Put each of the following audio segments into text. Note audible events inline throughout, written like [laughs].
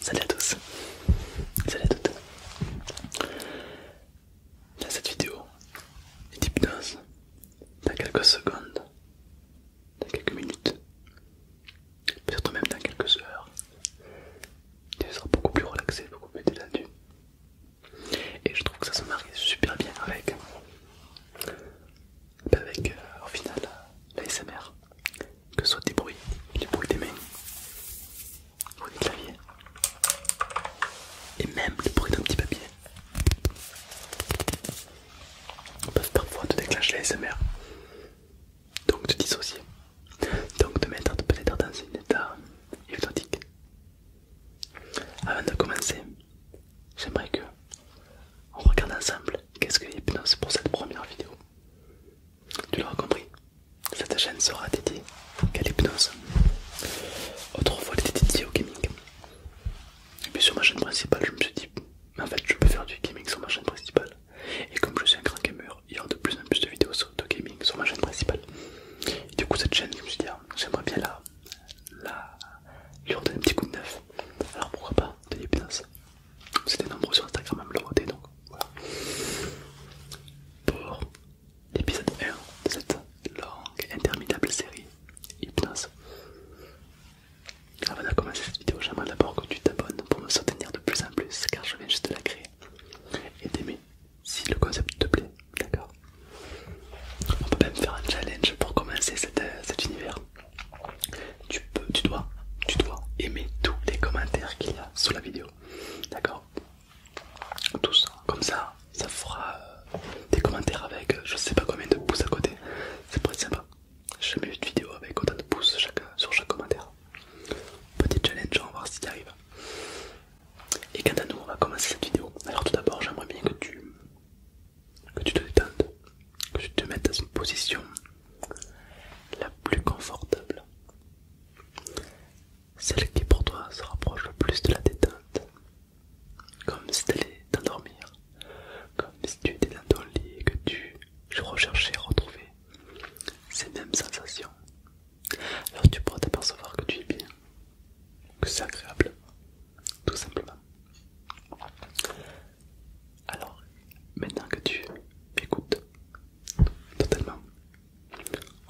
Salut à tous, salut à toutes. Dans cette vidéo d'hypnose, dans quelques secondes, dans quelques minutes, peut-être même dans quelques heures, tu seras beaucoup plus relaxé, beaucoup plus détendu et je trouve que ça se marie super bien avec avec euh, au final la que ce soit des bruits les bruits des mains ou des claviers et même les bruits d'un petit papier que parfois te déclencher l'ASMR donc te dissocier donc de mettre peut-être dans un état hypnotique avant de commencer j'aimerais que on regarde ensemble qu'est-ce que l'hypnose pour cette première vidéo. Tu l'auras compris, cette chaîne sera dédiée à l'hypnose. Autrefois, elle était dédiée au gaming. Et puis sur ma chaîne principale, je me suis dit, en fait, je peux faire du gaming sur ma chaîne principale. Et comme je suis un grand gamer, il y aura de plus en plus de vidéos de gaming sur ma chaîne principale. Et du coup, cette chaîne, je me suis dit, ah, j'aimerais bien la Là, lui redonner un petit coup de neuf. Alors pourquoi pas De l'hypnose C'était nombreux sur Instagram à me le voter donc voilà. Pour l'épisode 1 de cette longue interminable série hypnose. Avant de commencer cette vidéo, j'aimerais d'abord que tu t'abonnes pour me soutenir de plus en plus car je viens juste de la créer et d'aimer si le concept te plaît, d'accord on peut même faire un challenge pour commencer euh, cet, univers. Tu peux, tu dois, tu dois aimer tous les commentaires qu'il y a sous la vidéo. D'accord Tous. Comme ça, ça fera euh, des commentaires avec euh, je sais pas combien de pouces à côté. C'est pas sympa. J'ai jamais une vidéo avec autant de pouces sur chaque commentaire. Petit challenge, on va voir si tu arrives. Et quant à nous, on va commencer cette vidéo. Alors tout d'abord, j'aimerais bien que tu que tu te détendes, que tu te mettes dans une position la plus confortable. Celle qui pour toi se rapproche le plus de la détente. Comme si tu allais t'endormir, comme si tu étais dans ton lit et que tu recherchais à retrouver ces mêmes sensations. Alors tu pourras t'apercevoir que tu es bien, que c'est agréable, tout simplement. Alors, maintenant que tu m'écoutes totalement,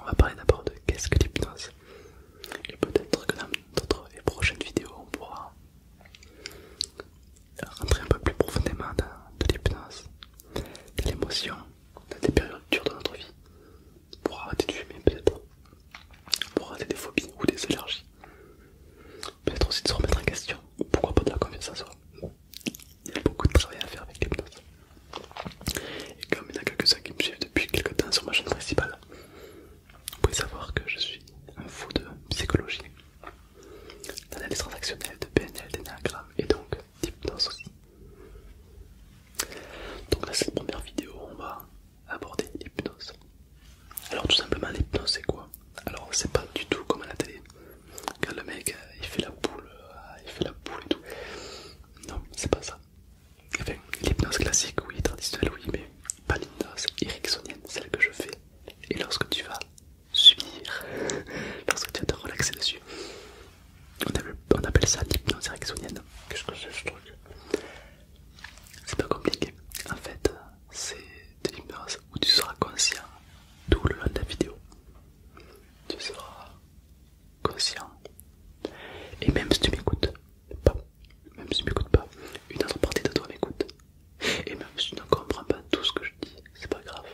on va parler d'abord de qu'est-ce que l'hypnose. Et peut-être que dans d'autres et prochaines vidéos, on pourra rentrer un peu plus profondément dans de l'hypnose, dans l'émotion, dans des périodes dures de notre vie, pour arrêter de fumer peut-être, pour arrêter des phobies ou des allergies. Peut-être aussi de se remettre en question. Pourquoi pas de la confiance en soi Il y a beaucoup de travail à faire avec l'hypnose. Et comme il y en a quelques-uns qui me suivent depuis quelques temps sur ma chaîne principale, vous pouvez savoir que je suis un fou de psychologie, d'analyse transactionnelle, de PNL, d'énagramme et donc d'hypnose aussi. Donc là c'est la première vidéo, on va aborder l'hypnose. Alors tout simplement l'hypnose c'est quoi Alors c'est pas du tout comme à la télé, quand le mec euh, il fait la boule, euh, il fait la boule et tout. Non, c'est pas ça. l'hypnose classique, oui, traditionnelle, oui, mais pas l'hypnose ericksonienne, celle que je fais. Et lorsque tu vas subir, [laughs] lorsque tu vas te relaxer dessus, on appelle, ça l'hypnose ericksonienne. Qu'est-ce que c'est ce truc C'est pas compliqué. En fait, euh, c'est de ou où tu seras conscient tout le long de la vidéo. Tu seras conscient. Et même si tu m'écoutes même si tu m'écoutes pas, une autre partie de toi m'écoute. Et même si tu ne comprends pas tout ce que je dis, c'est pas grave.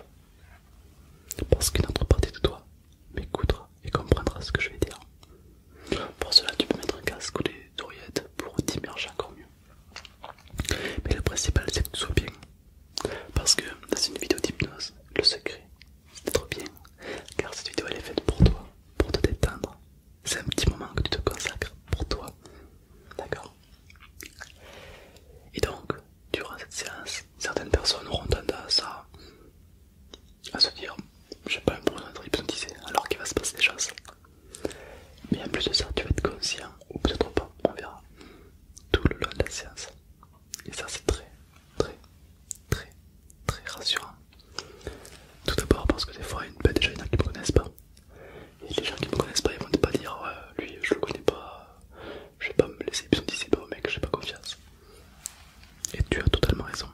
Parce qu'une autre partie de toi m'écoutera et comprendra ce que je vais dire. Pour cela, tu peux mettre un casque ou des oreillettes pour t'immerger encore mieux. Mais le principal, c'est que tu sois bien. Parce que dans une vidéo d'hypnose, le secret, c'est d'être bien. Car cette vidéo, elle est faite pour toi, pour te détendre. C'est un petit moment que tu te consacres pour toi. D'accord Et donc, durant cette séance, certaines personnes auront tendance à, à se dire Je J'ai pas besoin d'être hypnotisé, alors qu'il va se passer des choses mais en plus de ça, tu vas être conscient, ou peut-être pas, on verra, tout le long de la séance. Et ça, c'est très, très, très, très rassurant. Tout d'abord parce que des fois, il y a des gens qui ne me connaissent pas. Et les gens qui me connaissent pas, ils vont pas dire lui, je le connais pas, je vais pas me laisser c'est pas bon mec, j'ai pas confiance. Et tu as totalement raison.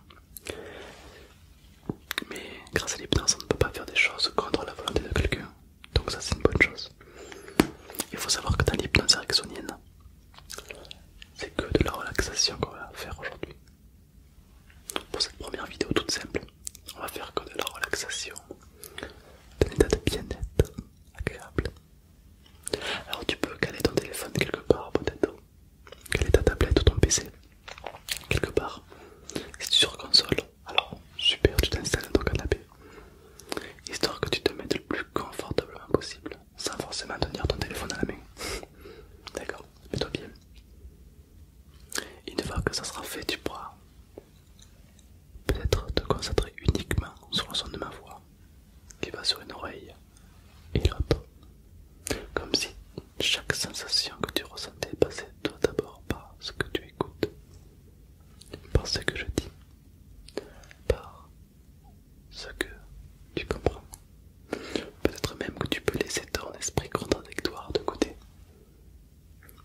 Mais grâce à l'hypnose, on ne peut pas faire des choses contre la volonté de quelqu'un. Donc ça c'est une bonne chose. Il faut savoir que dans l'hypnose ericksonienne, c'est que de la relaxation qu'on va faire aujourd'hui. Pour cette première vidéo toute simple, on va faire que de la relaxation, d'un état de bien-être agréable. Alors tu peux caler ton téléphone quelque part peut-être, caler ta tablette ou ton PC, quelque part. es sur console, alors super, tu t'installes dans ton canapé, histoire que tu te mettes le plus confortablement possible, sans forcément tenir ton téléphone à la main. [laughs] D'accord, mets-toi bien. Une fois que ça sera fait, tu pourras peut-être te concentrer uniquement sur le son de ma voix qui va sur une oreille et l'autre, comme si chaque sensation que tu ressentais passait toi d'abord par ce que tu écoutes, par ce que je dis, par ce que tu comprends. Peut-être même que tu peux laisser ton esprit contradictoire de côté.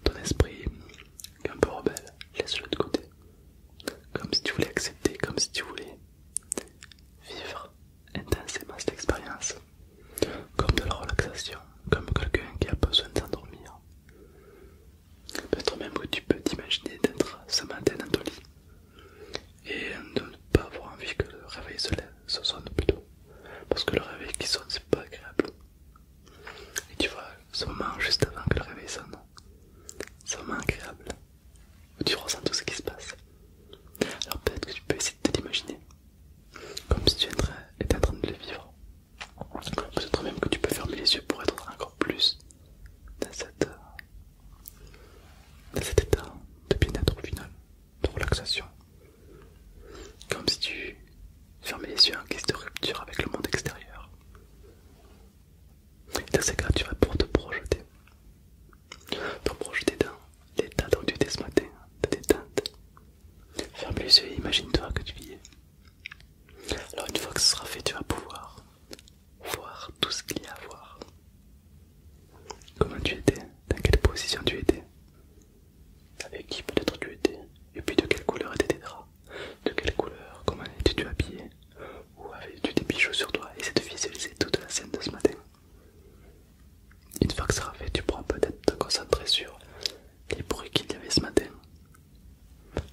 Ton esprit un peu rebelle, laisse-le de côté. Comme si tu voulais accepter, comme si tu voulais vivre intensément cette expérience comme de la relaxation, comme quelqu'un qui a besoin de s'endormir. Peut-être même où tu peux t'imaginer d'être ce matin dans ton lit et de ne pas avoir envie que le réveil se, sonne plutôt. Parce que le réveil qui sonne, c'est pas agréable. Et tu vois, ce moment juste avant que le réveil sonne, c'est moment agréable. Où tu ressens tout ce qui se passe. Alors peut-être que tu peux essayer de t'imaginer comme si tu étais en train de le vivre. Peut-être même que tu peux fermer les yeux pour être encore plus dans, cet état de bien-être au final, de relaxation. Comme si tu fermais les yeux en guise de rupture avec le monde extérieur. Et dans ces cas, tu vas pour te projeter. Te projeter dans l'état dont tu étais ce matin, détente, Ferme les yeux imagine-toi que tu y es. Alors une fois que ce sera fait, tu vas pouvoir voir tout ce qu'il y a à voir. Comment tu étais, dans quelle position tu étais, avec qui peut-être tu étais, et puis de quelle couleur étaient tes draps, de quelle couleur, comment étais-tu habillé, ou avais-tu des bijoux sur toi, et c'est de visualiser toute la scène de ce matin. Une fois que ça sera fait, tu pourras peut-être te concentrer sur les bruits qu'il y avait ce matin.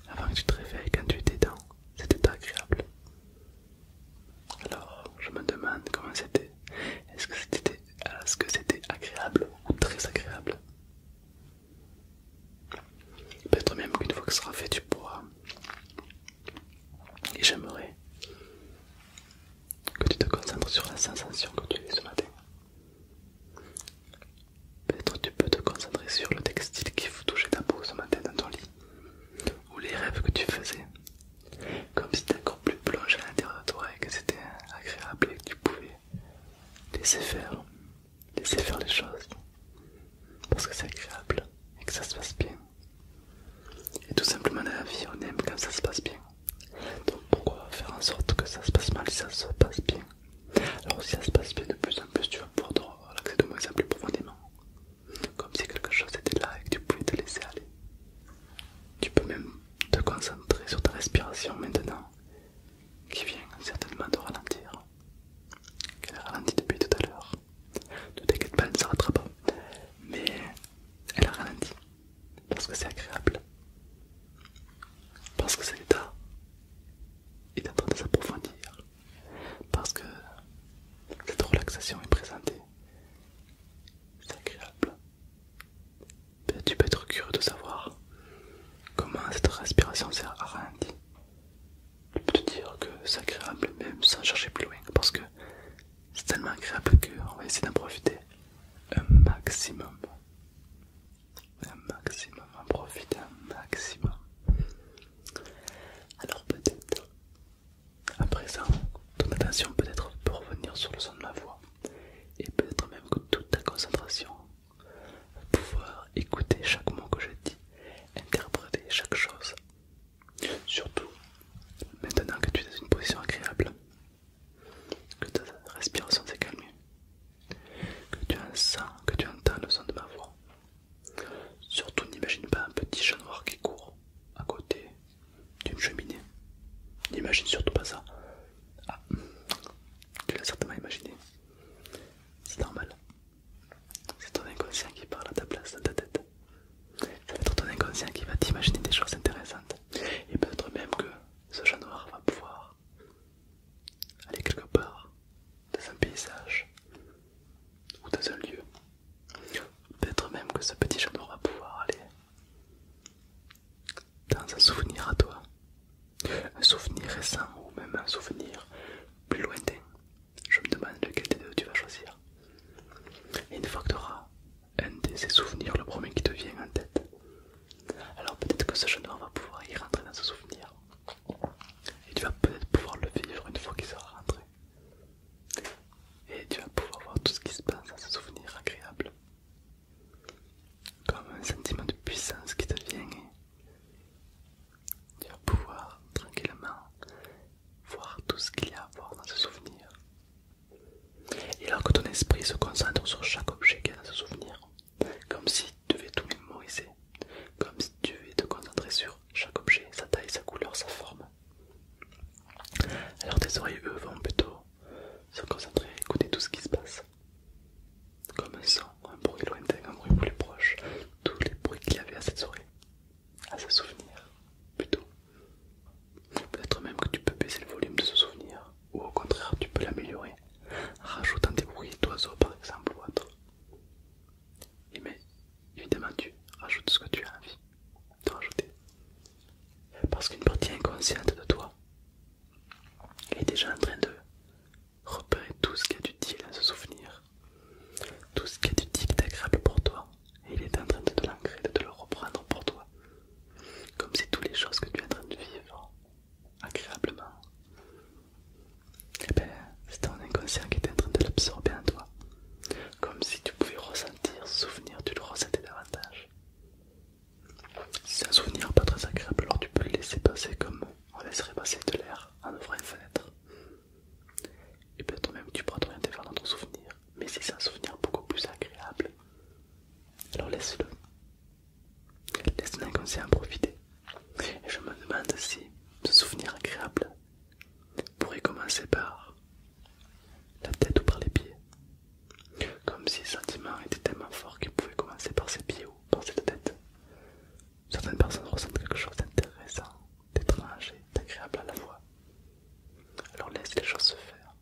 Avant que tu te réveilles quand tu étais dedans, c'était agréable. Alors, je me demande comment c'était. Est-ce que c'était est-ce que c'était agréable ou très agréable Peut-être même qu'une fois que ça sera fait, tu pourras. Et j'aimerais que tu te concentres sur la sensation que tu as ce matin. Peut-être tu peux te concentrer sur le textile qui vous touchait ta peau ce matin dans ton lit, ou les rêves que tu faisais, comme si ta encore plus plongeait à l'intérieur de toi et que c'était agréable et que tu pouvais laisser faire, laisser faire les choses, parce que c'est agréable et que ça se passe bien. Et tout simplement dans la vie, on aime quand ça se passe bien. Donc pourquoi faire en sorte que ça se passe mal si ça se passe bien Alors si ça se passe bien de plus en plus, tu vas pouvoir de moins en plus profondément. Comme si quelque chose était là et que tu pouvais te laisser aller. Tu peux même te concentrer sur ta respiration maintenant, qui vient certainement de ralentir. Elle a ralenti depuis tout à l'heure. Ne t'inquiète pas, elle ne se pas. Mais elle a ralenti parce que c'est agréable, parce que c'est état est en train de s'approfondir, parce que cette relaxation est présentée, c'est agréable. tu peux être curieux de savoir comment cette respiration s'est arrêtée. je peux te dire que c'est agréable, même sans chercher plus loin, parce que c'est tellement agréable qu'on va essayer d'en profiter un maximum un maximum, en profiter un maximum. Alors peut-être, à présent, ton attention peut-être peut revenir sur le son de ma voix et peut-être même que toute ta concentration pouvoir écouter chaque mot que je dis, interpréter chaque chose. Surtout, maintenant que tu es dans une position agréable, que ta respiration s'est calmée, que tu entends, que tu entends le son de ma voix. Surtout n'imagine pas un petit chat noir qui court à côté d'une cheminée. N'imagine surtout pas ça. Ah, tu l'as certainement imaginé. C'est normal. C'est ton inconscient qui parle à ta place, dans ta tête. c'est être ton inconscient qui va t'imaginer des choses intéressantes. Et peut-être même que ce chat noir va pouvoir aller quelque part, dans un paysage ou dans un lieu. Peut-être même que ce petit jeune va pouvoir aller dans un souvenir à toi, un souvenir récent ou même un souvenir plus lointain. Je me demande lequel des deux tu vas choisir. Et une fois que tu auras un de ces souvenirs, le premier qui te vient en tête, alors peut-être que ce jeune va pouvoir y rentrer dans ce souvenir. Et tu vas peut-être pouvoir le vivre une fois qu'il sera rentré. Et tu vas pouvoir voir tout ce qui se passe dans ce souvenir agréable. Comme un sentiment de puissance qui te vient. Tu vas pouvoir tranquillement voir tout ce qu'il y a à voir dans ce souvenir. Et alors que ton esprit se concentre sur chaque objet qu'il dans ce souvenir, comme si tu devais tout mémoriser, comme si tu devais te concentrer sur chaque objet, sa taille, sa couleur, sa forme. Alors tes oreilles, eux, vont plutôt se concentrer et écouter tout ce qui se passe. Comme un son, un bruit lointain, un bruit plus proche, tous les bruits qu'il y avait à cette soirée, à ce souvenir, plutôt. Peut-être même que tu peux baisser le volume de ce souvenir, ou au contraire, tu peux l'améliorer. Rajoute rajoutant des bruits d'oiseaux par exemple ou autre. Et mais évidemment tu rajoutes ce que tu as envie de rajouter. Parce qu'une partie inconsciente de toi est déjà en train de repérer tout ce qui est utile à ce souvenir, tout ce qui est utile d'agréable pour toi, et il est en train de te l'ancrer, de te le reprendre pour toi. Comme c'est toutes les choses que tu es en train de vivre agréablement. Et eh bien, c'est ton inconscient qui est en train de l'absorber en toi. Comme si tu pouvais ressentir ce souvenir, tu le ressentais davantage. Si c'est un souvenir pas très agréable, alors tu peux le laisser passer comme on laisserait passer de l'air en ouvrant une fenêtre. Et bien toi-même tu pourras t'orienter vers notre souvenir. Mais si c'est un souvenir beaucoup plus agréable, alors laisse-le. Laisse ton inconscient profiter. Et je me demande si ce souvenir agréable pourrait commencer par la tête ou par les pieds. Comme si le sentiment était tellement fort qu'il pouvait commencer par ses pieds ou par cette tête. Certaines personnes ressentent quelque chose d'intéressant, d'étrange et d'agréable à la fois. Alors laisse les choses se faire.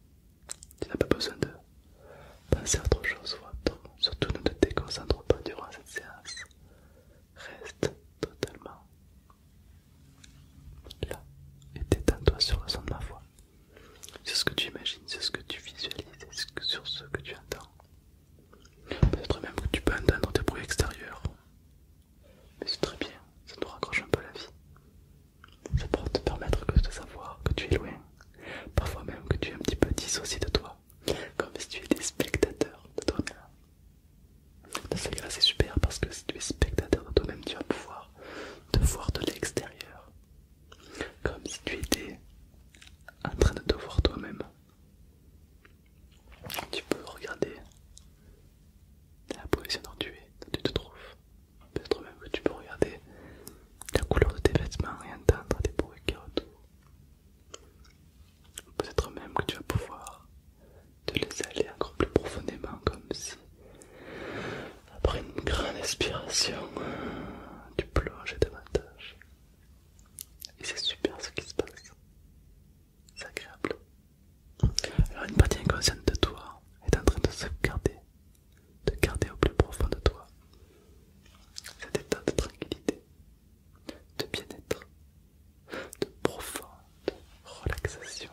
Tu n'as pas besoin de pensez à autre chose ou Surtout ne te déconcentre pas durant cette séance. Reste totalement là et détends-toi sur le son de ma voix. C'est ce que tu imagines, c'est ce que tu visualises, sur ce que tu entends. Peut-être même que tu peux entendre des bruits extérieurs. Mais c'est très bien, ça nous raccroche un peu la vie. Ça pourra te permettre de savoir que tu es loin, Parfois même que tu es un petit peu dissocié de toi, comme si tu étais spectateur de toi-même. ce c'est super parce que si tu es spectateur de toi-même, tu vas pouvoir te voir de l'extérieur, comme si tu étais en train de te voir toi-même. Tu peux regarder la position dont tu es, tu te trouves. Peut-être même que tu peux regarder la couleur de tes vêtements et entendre des bruits qui retournent. Peut-être même que tu vas pouvoir te laisser aller encore plus profondément, comme si, après une grande inspiration, tu plonges davantage. Et c'est super ce qui se passe. C'est agréable. Alors une partie inconsciente de toi est en train de se garder de garder au plus profond de toi cet état de tranquillité, de bien-être, de profonde relaxation.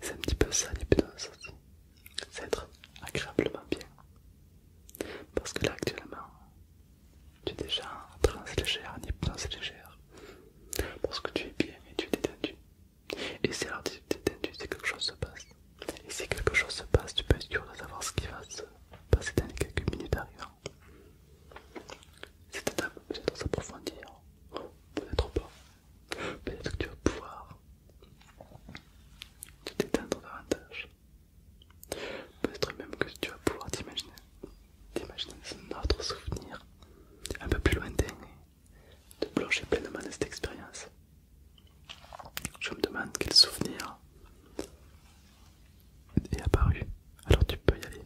C'est un petit peu ça l'hypnose aussi, c'est être agréablement bien. Parce que là actuellement, tu es déjà en légère, en hypnose légère. Parce que tu es bien et tu es détendu. Et c'est alors tu es détendu, quelque chose se passe. Et si quelque chose se passe, tu peux être sûr de savoir ce qui va se passer dans les quelques minutes arrivant. Cette peut-être s'approfondir, peut-être pas. Peut-être que tu vas pouvoir te détendre davantage. Peut-être même que tu vas pouvoir t'imaginer un autre souvenir un peu plus lointain et te plonger pleinement dans cette expérience. Je me demande quel souvenir est apparu. Alors tu peux y aller.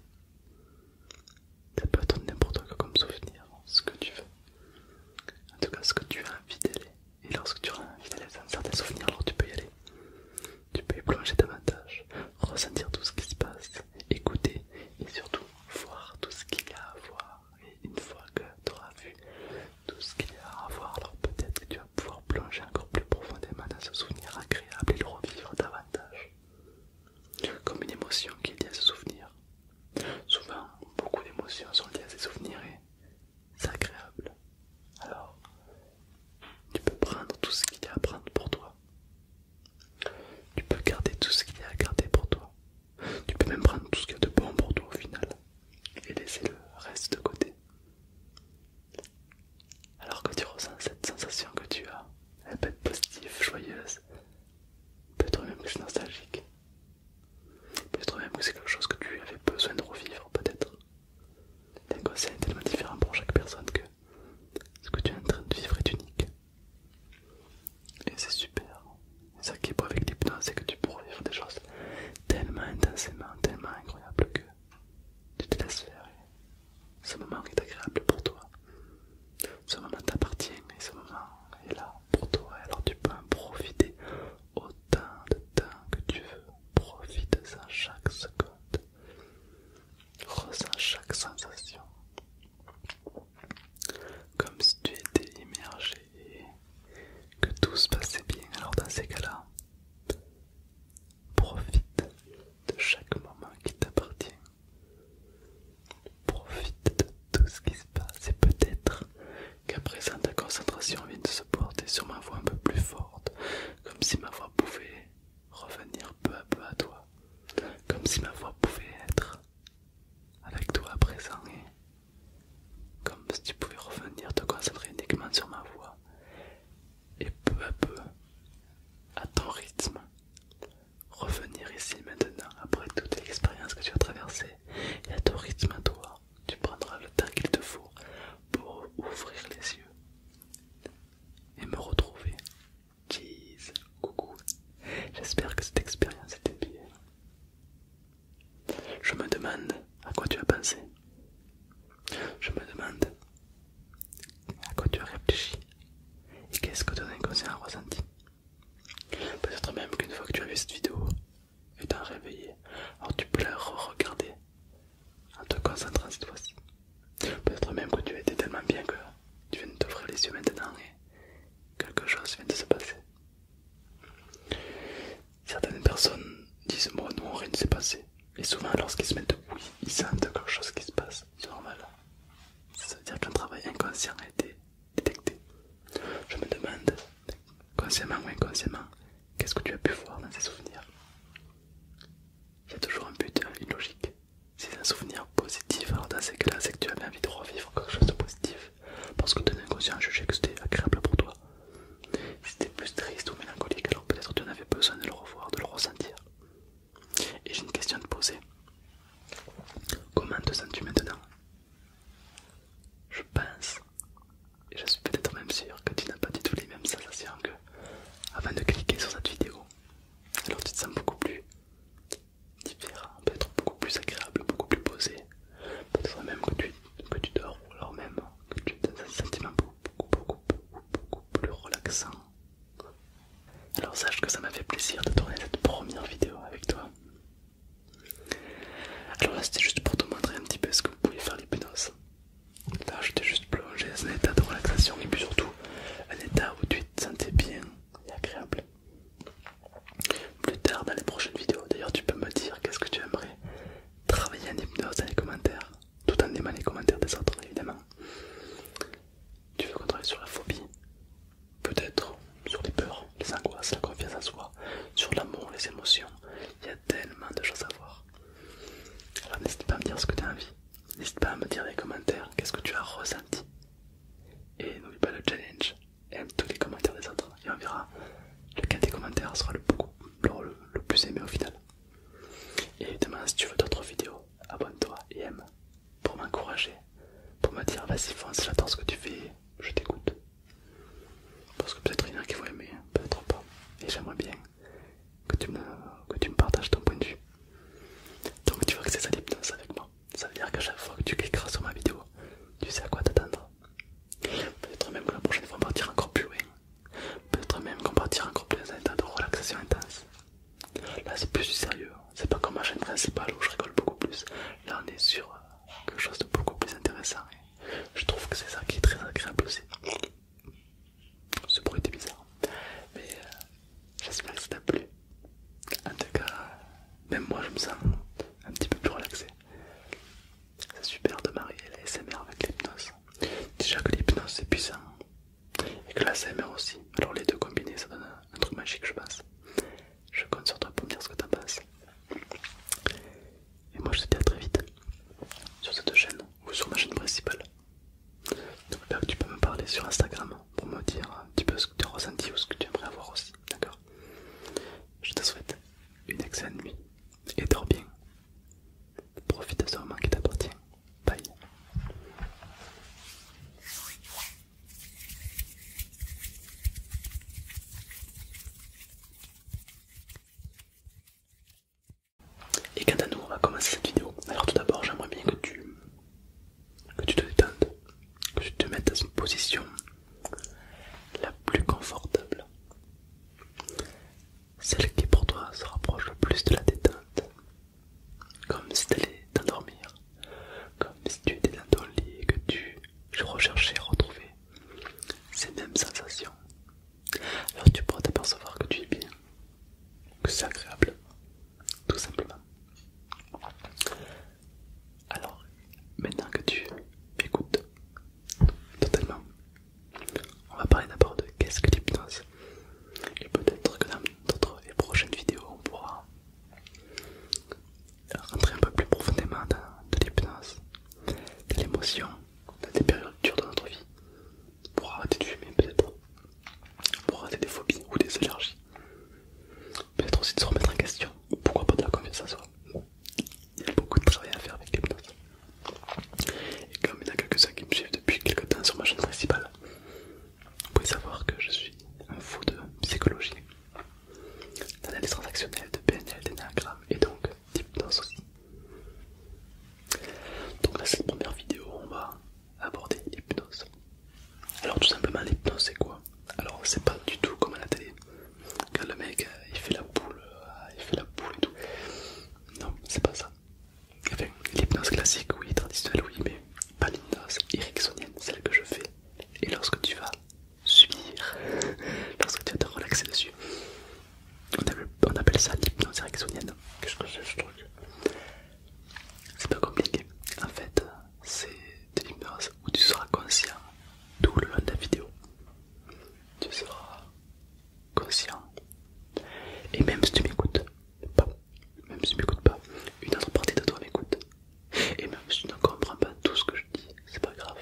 Ça peut être n'importe quoi comme souvenir, ce que tu veux. En tout cas, ce que tu as envie d'aller. Et lorsque tu as envie d'aller dans certain souvenirs, alors tu peux y aller. Tu peux y plonger davantage, ressentir tout ce qui se passe, écouter et surtout voir tout ce qu'il y a à voir. Et une fois que tu auras vu tout ce qu'il y a à voir. Alors peut-être que tu vas pouvoir plonger encore plus profondément dans ce souvenir agréable et le revivre davantage. Comme une émotion qui est liée à ce souvenir. Souvent, beaucoup d'émotions sont liées à ces souvenirs et c'est agréable. Alors, tu peux prendre tout ce qu'il y a à prendre pour toi. Tu peux garder tout ce qu'il y a à garder pour toi. Tu peux même prendre tout ce qu'il y a de bon pour toi au final et laisser le reste de côté. Alors que tu ressens cette sensation que tu as, elle peut être positive, joyeuse, peut-être même que c'est nostalgique, peut-être même que c'est quelque chose que tu avais besoin de revivre, peut-être. L'inconscient est tellement différent pour chaque personne que ce que tu es en train de vivre est unique. Et c'est super. et ça qui est beau avec l'hypnose, c'est que tu peux vivre des choses tellement intensément, tellement incroyable que tu te laisses faire. ce moment est agréable pour toi. Ce moment t'appartient et ce moment est là pour toi. Alors tu peux en profiter autant de temps que tu veux. Profite-en chaque seconde. Ressens chaque sensation. Comme si tu étais immergé que tout se passait bien. Alors dans ces cas-là, profite de chaque moment qui t'appartient. Profite de tout ce qui se passe et peut-être qu'à présent ta concentration vient de se porter sur ma voix un peu plus forte, comme si ma voix pouvait revenir peu à peu à toi, comme si ma voix pouvait être avec toi à présent comme si tu pouvais revenir te concentrer uniquement sur ma voix et peu à peu, à ton rythme, revenir ici maintenant après toute l'expérience que tu as traversée et à ton rythme à toi, tu prendras le temps qu'il te faut pour ouvrir les yeux et me retrouver. Cheese, coucou. J'espère que cette expérience était bien. Je me demande à quoi tu as pensé. Je me demande à quoi tu as réfléchi. Et qu'est-ce que ton inconscient a ressenti. Peut-être même qu'une fois que tu as vu cette vidéo, et t'en réveillé, alors tu peux la re-regarder en te concentrant cette fois-ci. Peut-être même que tu as été tellement bien que tu viens de t'ouvrir les yeux maintenant et quelque chose vient de se passer certaines personnes disent moi non rien ne s'est passé et souvent lorsqu'ils se mettent oui ils sentent quelque chose qui se passe c'est normal ça veut dire qu'un travail inconscient a été détecté je me demande consciemment ou inconsciemment qu'est-ce que tu as pu voir dans ces souvenirs il y a toujours un but une hein, logique si c'est un souvenir positif alors dans ces cas là c'est que tu avais envie de revivre quelque chose de positif parce que ton inconscient a jugé que c'était agréable pour toi si t'es plus triste ou mélancolique, alors peut-être tu en avais besoin de le revoir, de le ressentir. Et j'ai une question à te poser. Comment te sens-tu maintenant Je pense, et je suis peut-être même sûr que tu n'as pas du tout les mêmes sensations que avant de cliquer sur cette vidéo. Alors tu te sens beaucoup plus différent, peut-être beaucoup plus agréable, beaucoup plus posé. Peut-être même que que tu dors, ou alors même que tu dans un sentiment beaucoup, beaucoup, beaucoup, beaucoup plus relaxant. Alors sache que ça m'a fait plaisir de tourner cette première vidéo avec toi. Alors là c'était juste pour te montrer un petit peu ce que vous pouvez faire l'hypnose. Là je t'ai juste plongé dans un état de relaxation et puis surtout un état où tu te sentais bien et agréable. Plus tard dans les prochaines vidéos, d'ailleurs tu peux me dire qu'est-ce que tu aimerais travailler en hypnose dans les commentaires, tout en aimant les commentaires des autres évidemment. Tu veux qu'on travaille sur la phobie, peut-être sur les peurs, les angoisses, la confiance en soi, sur l'amour, les émotions. Il y a tellement de choses à voir. Alors n'hésite pas à me dire ce que tu as envie, n'hésite pas à me dire dans les commentaires qu'est-ce que tu as ressenti. Et n'oublie pas le challenge, aime tous les commentaires des autres et on verra lequel des commentaires sera le, le plus aimé au final. Et évidemment, si tu veux d'autres vidéos, abonne-toi et aime pour m'encourager, pour me dire vas-y fonce, j'adore ce que tu fais, je t'écoute. Parce que peut-être il y en a qui vont aimer, hein, peut-être pas. Et j'aimerais bien que tu, me, que tu me partages ton point de vue. Donc tu vois que c'est ça l'hypnose avec moi. Ça veut dire qu'à chaque fois que tu cliqueras sur ma vidéo, tu sais à quoi t'attendre. Peut-être même que la prochaine fois on va partira encore plus loin. Peut-être même qu'on va encore un dans état de relaxation intense. Là c'est plus du sérieux, hein. c'est pas comme ma chaîne principale où je rigole beaucoup plus. Là on est sur euh, quelque chose de beaucoup plus intéressant je trouve que c'est ça qui est très agréable aussi. Ce bruit était bizarre, hein. mais euh, j'espère que ça t'a plu. En tout cas, même moi je me sens un petit peu plus relaxé. C'est super de marier la SMR avec l'hypnose. Déjà que l'hypnose c'est puissant et que la CMR aussi. Alors les deux combinés ça donne un truc magique je pense. Je compte sur toi pour me dire ce que t'en penses. Et moi je te dis à très vite sur cette chaîne ou sur ma chaîne principale. Donc que tu peux me parler sur Instagram pour me dire un petit peu ce que tu as ressenti ou ce que tu aimerais avoir aussi. D'accord Je te souhaite une excellente nuit et dors bien. Profite de ce moment qui t'appartient. Bye. Et quand à nous, on va commencer cette vidéo. Alors tout d'abord, j'aimerais bien que tu, que tu te détendes, que tu te mettes dans une position la plus confortable, celle qui pour toi se rapproche le plus de la détente, comme si tu allais t'endormir, comme si tu étais dans ton lit et que tu recherchais retrouver ces mêmes sensations. Alors tu pourras t'apercevoir que tu es bien, que c'est agréable, tout simplement. Alors, maintenant que tu m'écoutes totalement on va parler d'abord de qu'est-ce que l'hypnose. Et peut-être que dans d'autres et prochaines vidéos, on pourra rentrer un peu plus profondément dans l'hypnose, de l'émotion, dans des périodes dures de notre vie, pour arrêter de fumer peut-être, pour arrêter des phobies ou des allergies. Peut-être aussi de se remettre en question, pourquoi pas de la confiance en soi. Il y a beaucoup de travail à faire avec l'hypnose. Et comme il y en a quelques-uns qui me suivent depuis quelques temps sur ma chaîne principale, vous pouvez savoir que je suis un fou de psychologie, d'analyse transactionnelle, de PNL, d'énagramme et donc d'hypnose aussi. Donc, dans cette première vidéo, on va aborder l'hypnose. Alors, tout simplement, l'hypnose c'est quoi Alors, c'est pas du tout comme à la télé, quand le mec euh, il fait la boule, euh, il fait la boule et tout. Non, c'est pas ça enfin, l'hypnose classique, oui, traditionnelle, oui, mais pas l'hypnose ericksonienne, celle que je fais. Et lorsque tu vas subir, [laughs] lorsque tu vas te relaxer dessus, on appelle, ça l'hypnose ericksonienne. Qu'est-ce que c'est ce truc C'est pas compliqué. En fait, c'est de l'hypnose où tu seras conscient tout le long de la vidéo. Tu seras conscient. Et même si tu m'écoutes pas, même si tu m'écoutes pas, une autre partie de toi m'écoute. Et même si tu ne comprends pas tout ce que je dis, c'est pas grave.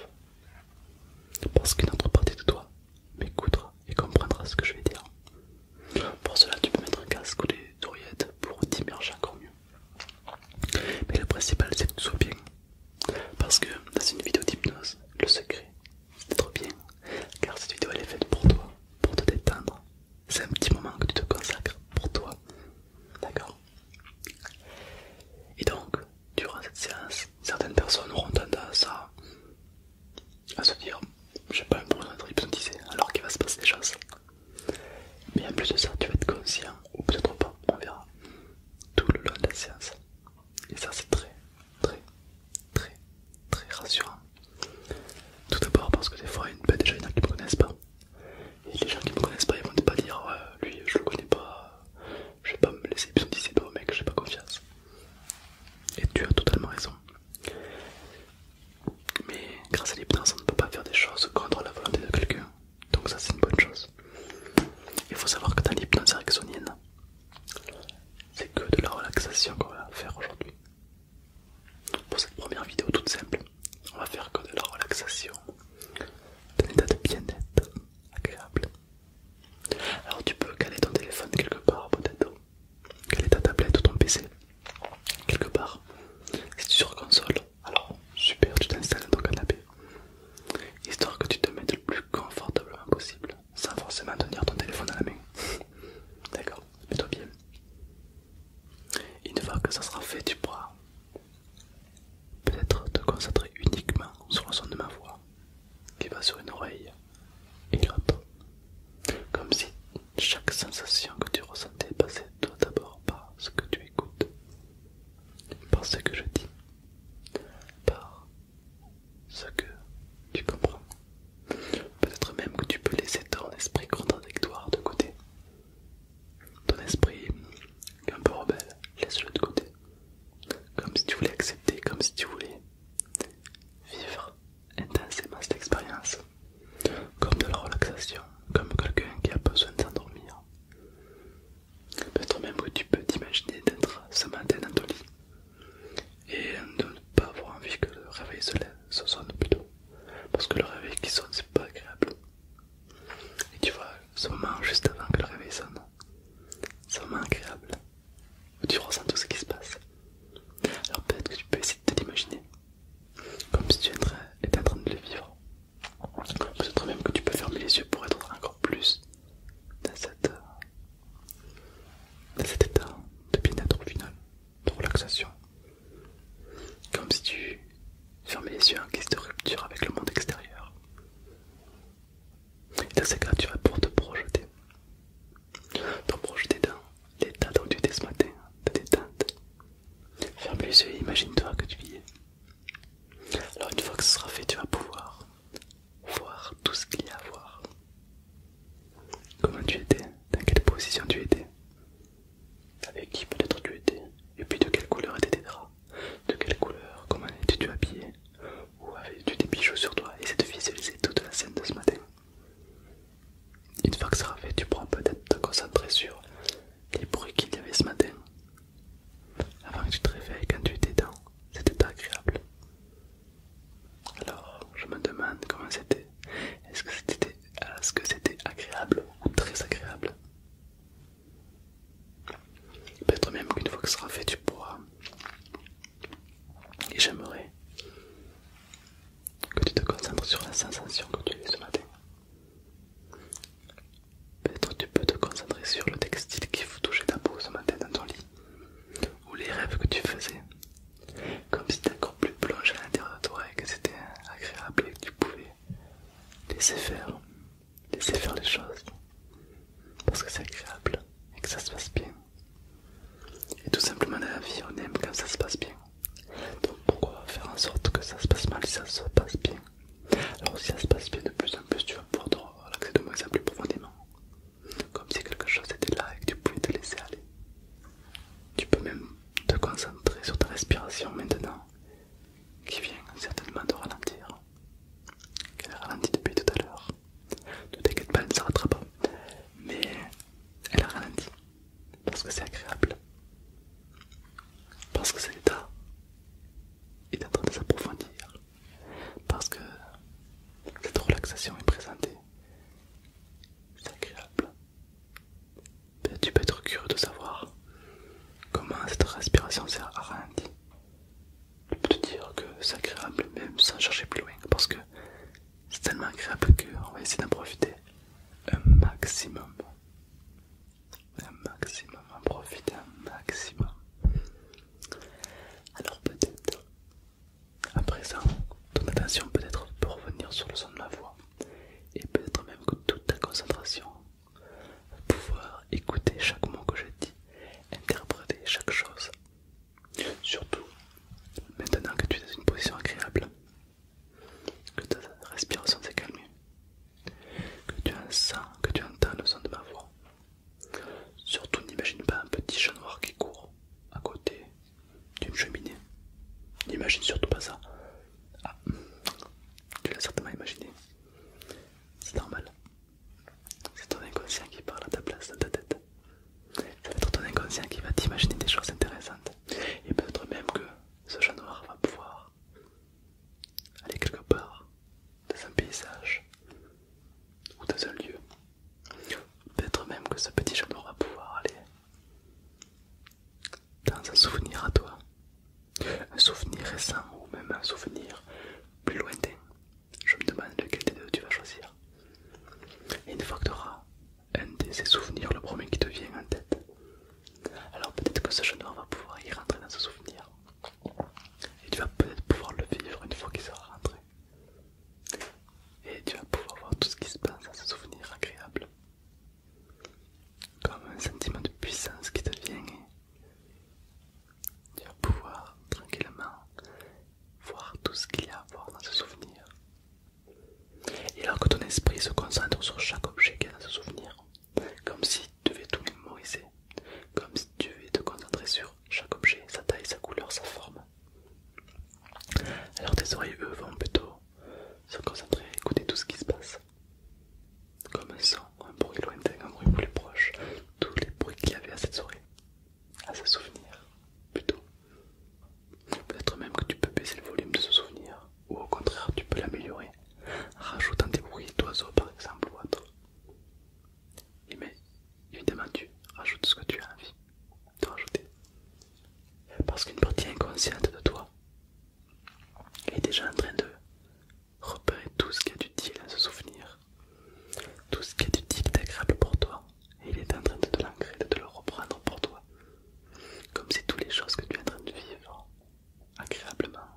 Parce qu'une autre partie de toi m'écoutera et comprendra ce que je vais dire. Pour cela, tu peux mettre un casque ou des oreillettes pour t'immerger encore mieux. Mais le principal, c'est que tu sois bien. Parce que dans une vidéo d'hypnose, le secret, c'est trop bien, car cette vidéo elle est faite pour toi, pour te détendre. C'est un petit moment que tu te consacres pour toi, d'accord Et donc, durant cette séance, certaines personnes auront tendance à, à se dire j'ai pas besoin d'être hypnotisé alors qu'il va se passer des choses. Mais en plus de ça, tu vas être conscient, ou peut-être pas, on verra, tout le long de la séance. Et ça c'est très très très très rassurant. Tout d'abord parce que des fois ben, il y a déjà des gens qui me connaissent pas. Et les gens qui me connaissent pas ils vont pas dire lui je le connais pas, je vais pas me laisser hypnotiser que mec, j'ai pas confiance. Et tu as totalement raison. Mais grâce à l'hypnose on ne peut pas faire des choses contre la volonté de quelqu'un. Donc ça c'est une bonne chose. Il faut savoir que dans l'hypnose ericksonienne, c'est que de la relaxation qu'on va faire aujourd'hui. Pour cette première vidéo toute simple, on va faire que de la relaxation, d'un état de bien-être agréable. Alors tu peux caler ton téléphone quelque part peut-être, caler ta tablette ou ton PC quelque part. Si tu es sur console, alors super, tu t'installes dans ton canapé, histoire que tu te mettes le plus confortablement possible sans forcément tenir ton téléphone à la main. [laughs] D'accord, mets-toi bien. Une fois que ça sera fait, tu pourras peut-être te concentrer uniquement sur le son de ma voix qui va sur une oreille et l'autre. Comme si chaque sensation que tu ressentais passait d'abord par ce que tu écoutes, par ce que je dis, par ce que tu comprends. Peut-être même que tu peux laisser ton esprit contradictoire de côté. Ton esprit un peu rebelle, laisse-le de côté. Comme si tu voulais accepter, comme si tu voulais vivre intensément cette expérience. Comme de la relaxation, comme quelqu'un qui a besoin de s'endormir. Peut-être même que tu peux t'imaginer d'être ce matin dans ton lit et de ne pas avoir envie que le réveil se, sonne plutôt parce que le réveil qui sonne c'est pas agréable et tu vois ce moment juste avant que le réveil sonne c'est moment agréable tu ressens tout ce qui se passe alors peut-être que tu peux essayer de t'imaginer comme si tu étais en train de le vivre peut-être même que tu peux fermer les yeux pour être encore plus dans cette dans cet état de bien-être au final, de relaxation. Comme si tu fermais les yeux en guise de rupture avec le monde extérieur. Et dans ces cas, tu vas pour te projeter. Te projeter dans l'état dont tu étais ce matin, de détente. Ferme les yeux et imagine-toi que tu y es. Alors une fois que ce sera fait, tu vas pouvoir voir tout ce qu'il y a à voir. Comment tu étais, dans quelle position tu étais, avec qui peut-être tu étais, et puis de quelle couleur étaient tes draps, de quelle couleur, comment étais-tu habillé, ou avais-tu des bijoux sur toi, et c'est de visualiser toute la scène de ce matin. Une fois que ça sera fait, tu pourras peut-être te concentrer sur les bruits qu'il y avait ce matin. Avant que tu te réveilles, quand tu étais dans, c'était agréable. Alors, je me demande comment c'était. Est-ce que c'était est agréable ou très agréable Peut-être même qu'une fois que ce sera fait, tu pourras. Et j'aimerais que tu te concentres sur la sensation que tu as ce matin. Peut-être tu peux te concentrer sur le textile qui vous touchait ta peau ce matin dans ton lit ou les rêves que tu faisais, comme si t'as encore plus plonge à l'intérieur de toi et que c'était agréable et que tu pouvais laisser faire, laisser faire les choses, parce que c'est agréable et que ça se passe bien. Et tout simplement dans la vie, on aime quand ça se passe bien. Donc pourquoi faire en sorte que ça se passe mal si ça se passe bien Alors si ça se passe bien de plus en plus, tu vas pouvoir te relaxer de moins en plus profondément comme si quelque chose était là et que tu pouvais te laisser aller. Tu peux même te concentrer sur ta respiration maintenant, qui vient certainement te ralentir, elle a ralenti depuis tout à l'heure. Ne t'inquiète pas, elle ne se pas, mais elle a ralenti parce que c'est agréable, parce que cet état est en train de s'approfondir, parce que cette relaxation est présentée c'est agréable. tu peux être curieux de savoir comment cette respiration s'est arrêtée. Je peux te dire que c'est agréable, même sans chercher plus loin, parce que c'est tellement agréable qu'on va essayer d'en profiter un maximum. Un maximum, en profiter un maximum. Alors peut-être à présent, ton attention peut-être peut revenir sur le son de ma voix et peut-être même que toute ta concentration va pouvoir écouter chaque mot que je dis, interpréter chaque chose. Surtout, maintenant que tu es dans une position agréable, que ta respiration s'est calmée, que tu sens, que tu entends le son de ma voix. Surtout n'imagine pas un petit chat noir qui court à côté d'une cheminée. N'imagine surtout pas ça. Ah, tu l'as certainement imaginé. C'est normal. C'est ton inconscient qui parle à ta place dans ta tête. Ça va être ton inconscient qui va t'imaginer des choses intéressantes. Et peut-être même que ce genre noir va pouvoir aller quelque part dans un paysage ou dans un lieu Peut-être même que ce petit genou va pouvoir aller dans un souvenir à toi. Un souvenir récent ou même un souvenir plus lointain. Je me demande lequel des deux tu vas choisir. Et une fois que tu auras un de ces souvenirs, le premier qui te vient en tête, alors peut-être que ce jeune va pouvoir y rentrer dans ce souvenir. Et tu vas peut-être pouvoir le vivre une fois qu'il sera rentré. Et tu vas pouvoir voir tout ce qui se passe dans ce souvenir agréable. Comme un sentiment de puissance qui te vient tu vas pouvoir tranquillement voir tout ce qu'il y a à voir dans ce souvenir. Et alors que ton esprit se concentre sur chaque objet qui dans ce souvenir, comme si tu devais tout mémoriser, comme si tu devais te concentrer sur chaque objet, sa taille, sa couleur, sa forme, alors tes oreilles, eux, vont plutôt se concentrer écouter tout ce qui se passe. Comme un son, un bruit lointain, un bruit plus proche, tous les bruits qu'il y avait à cette soirée, à ce souvenir, plutôt. Peut-être même que tu peux baisser le volume de ce souvenir, ou au contraire tu peux l'améliorer, rajoutant des bruits d'oiseaux par exemple ou autre. mais évidemment tu rajoutes ce que tu as envie. Parce qu'une partie inconsciente de toi est déjà en train de repérer tout ce qui est utile à se souvenir, tout ce qui est utile et agréable pour toi, et il est en train de te de le reprendre pour toi. Comme c'est toutes les choses que tu es en train de vivre agréablement,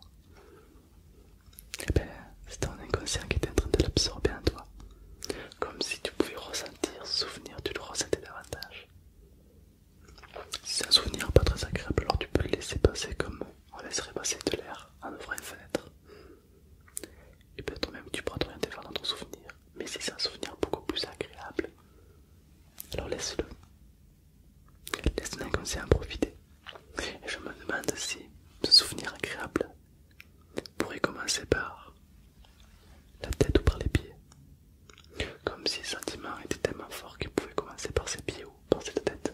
eh bien c'est ton inconscient qui est en train de l'absorber en toi. Comme si tu pouvais ressentir ce souvenir, tu le ressentais davantage. Si c'est un souvenir pas très agréable, alors tu peux le laisser passer comme on laisserait passer de l'air en ouvrant une fenêtre. Et peut-être même tu pourras t'orienter rien vers dans ton souvenir. Mais si c'est un souvenir beaucoup plus agréable, alors laisse-le. Laisse nous en profiter. Et je me demande si ce souvenir agréable pourrait commencer par la tête ou par les pieds. Comme si le sentiment était tellement fort qu'il pouvait commencer par ses pieds ou par cette tête.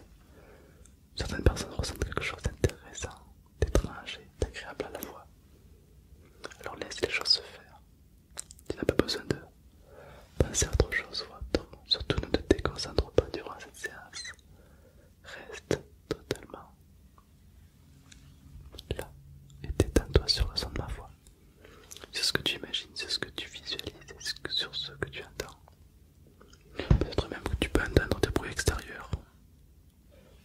Certaines personnes ressentent quelque chose d'intéressant, d'étrange et d'agréable à la fois. Alors laisse les choses se faire. Tu n'as pas besoin de penser à autre chose ou Surtout ne te déconcentre pas durant cette séance. Reste totalement Là, et tétends toi sur le son de ma voix. c'est ce que tu imagines, c'est ce que tu visualises, sur ce que tu entends. Peut-être même que tu peux entendre des bruits extérieurs.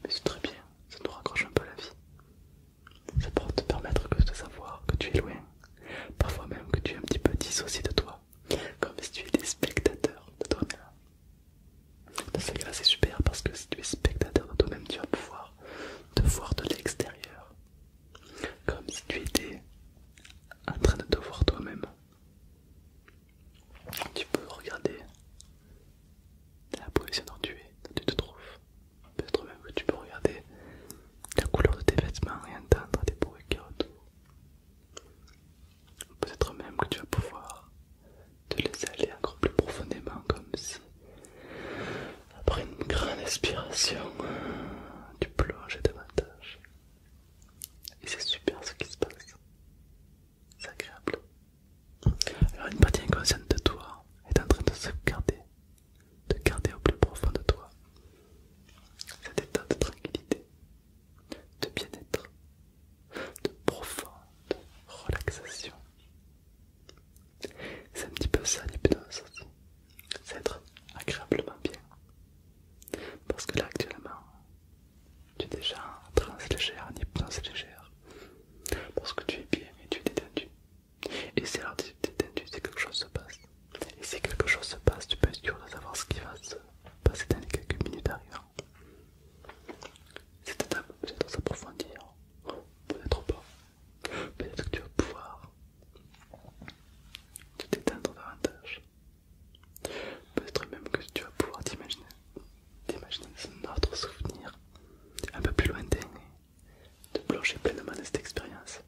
Mais c'est très bien, ça nous raccroche un peu la vie. Ça peut te permettre de savoir que tu es loin. Parfois même que tu es un petit peu dissocié de toi. Comme si tu étais spectateur de toi-même. Dans ce là c'est super parce que si tu es spectateur de toi-même, tu vas pouvoir de voir de l'extérieur, comme si tu étais en train de te voir toi-même. Tu peux regarder la position dont tu es, tu te trouves. Peut-être même que tu peux regarder la couleur de tes vêtements et entendre des bruits qui retournent. Peut-être même que tu vas pouvoir te laisser aller encore plus profondément, comme si après une grande inspiration, tu plonges davantage. Et c'est super ce qui se passe. C'est agréable. Alors une partie inconsciente de toi est en train de se garder, de garder au plus profond de toi cet état de tranquillité, de bien-être, de profonde relaxation. C'est un petit peu ça l'hypnose aussi. C'est être agréablement bien. Parce que là actuellement, tu es déjà très légère, ni hypnose légère. Parce que tu es bien et tu es détendu. Et c'est alors tu es détendu, c'est quelque chose se passe. Et si quelque chose se passe, tu peux être sûr de savoir ce qui va se passer dans les quelques minutes arrivant. Cette étape peut-être s'approfondir, peut-être pas, Peut-être que tu vas pouvoir te détendre davantage. Peut-être même que tu vas pouvoir t'imaginer un autre souvenir un peu plus lointain et te plonger pleinement de cette expérience.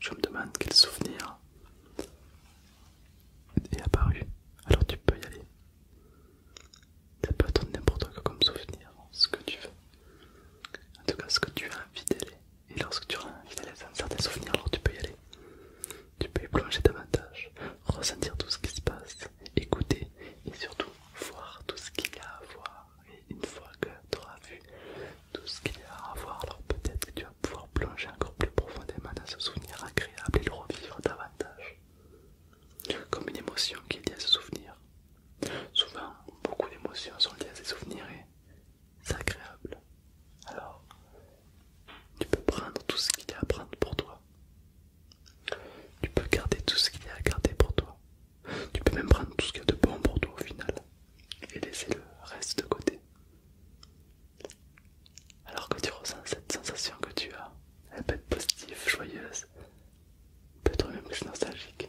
Je me demande quel souvenir est apparu. Alors tu peux y aller ça peut être n'importe quoi comme souvenir, ce que tu veux. En tout cas, ce que tu as envie d'aller. Et lorsque tu as envie d'aller dans certains souvenirs, alors tu peux y aller. Tu peux y plonger davantage, ressentir tout ce qui se passe, écouter et surtout voir tout ce qu'il y a à voir. Et une fois que tu auras vu tout ce qu'il y a à voir, alors peut-être que tu vas pouvoir plonger encore plus profondément dans ce souvenir agréable et le revivre davantage. Comme une émotion qui est liée à ce souvenir, Souvent, beaucoup d'émotions sont liées à ces souvenirs et c'est agréable. Alors, tu peux prendre tout ce qu'il y a à prendre pour toi. Tu peux garder tout ce qu'il y a à garder pour toi. Tu peux même prendre tout ce qu'il y a de bon pour toi au final et laisser le reste de côté. Alors que tu ressens cette sensation que tu as, elle peut être positive, joyeuse, Peut-être même que c'est nostalgique.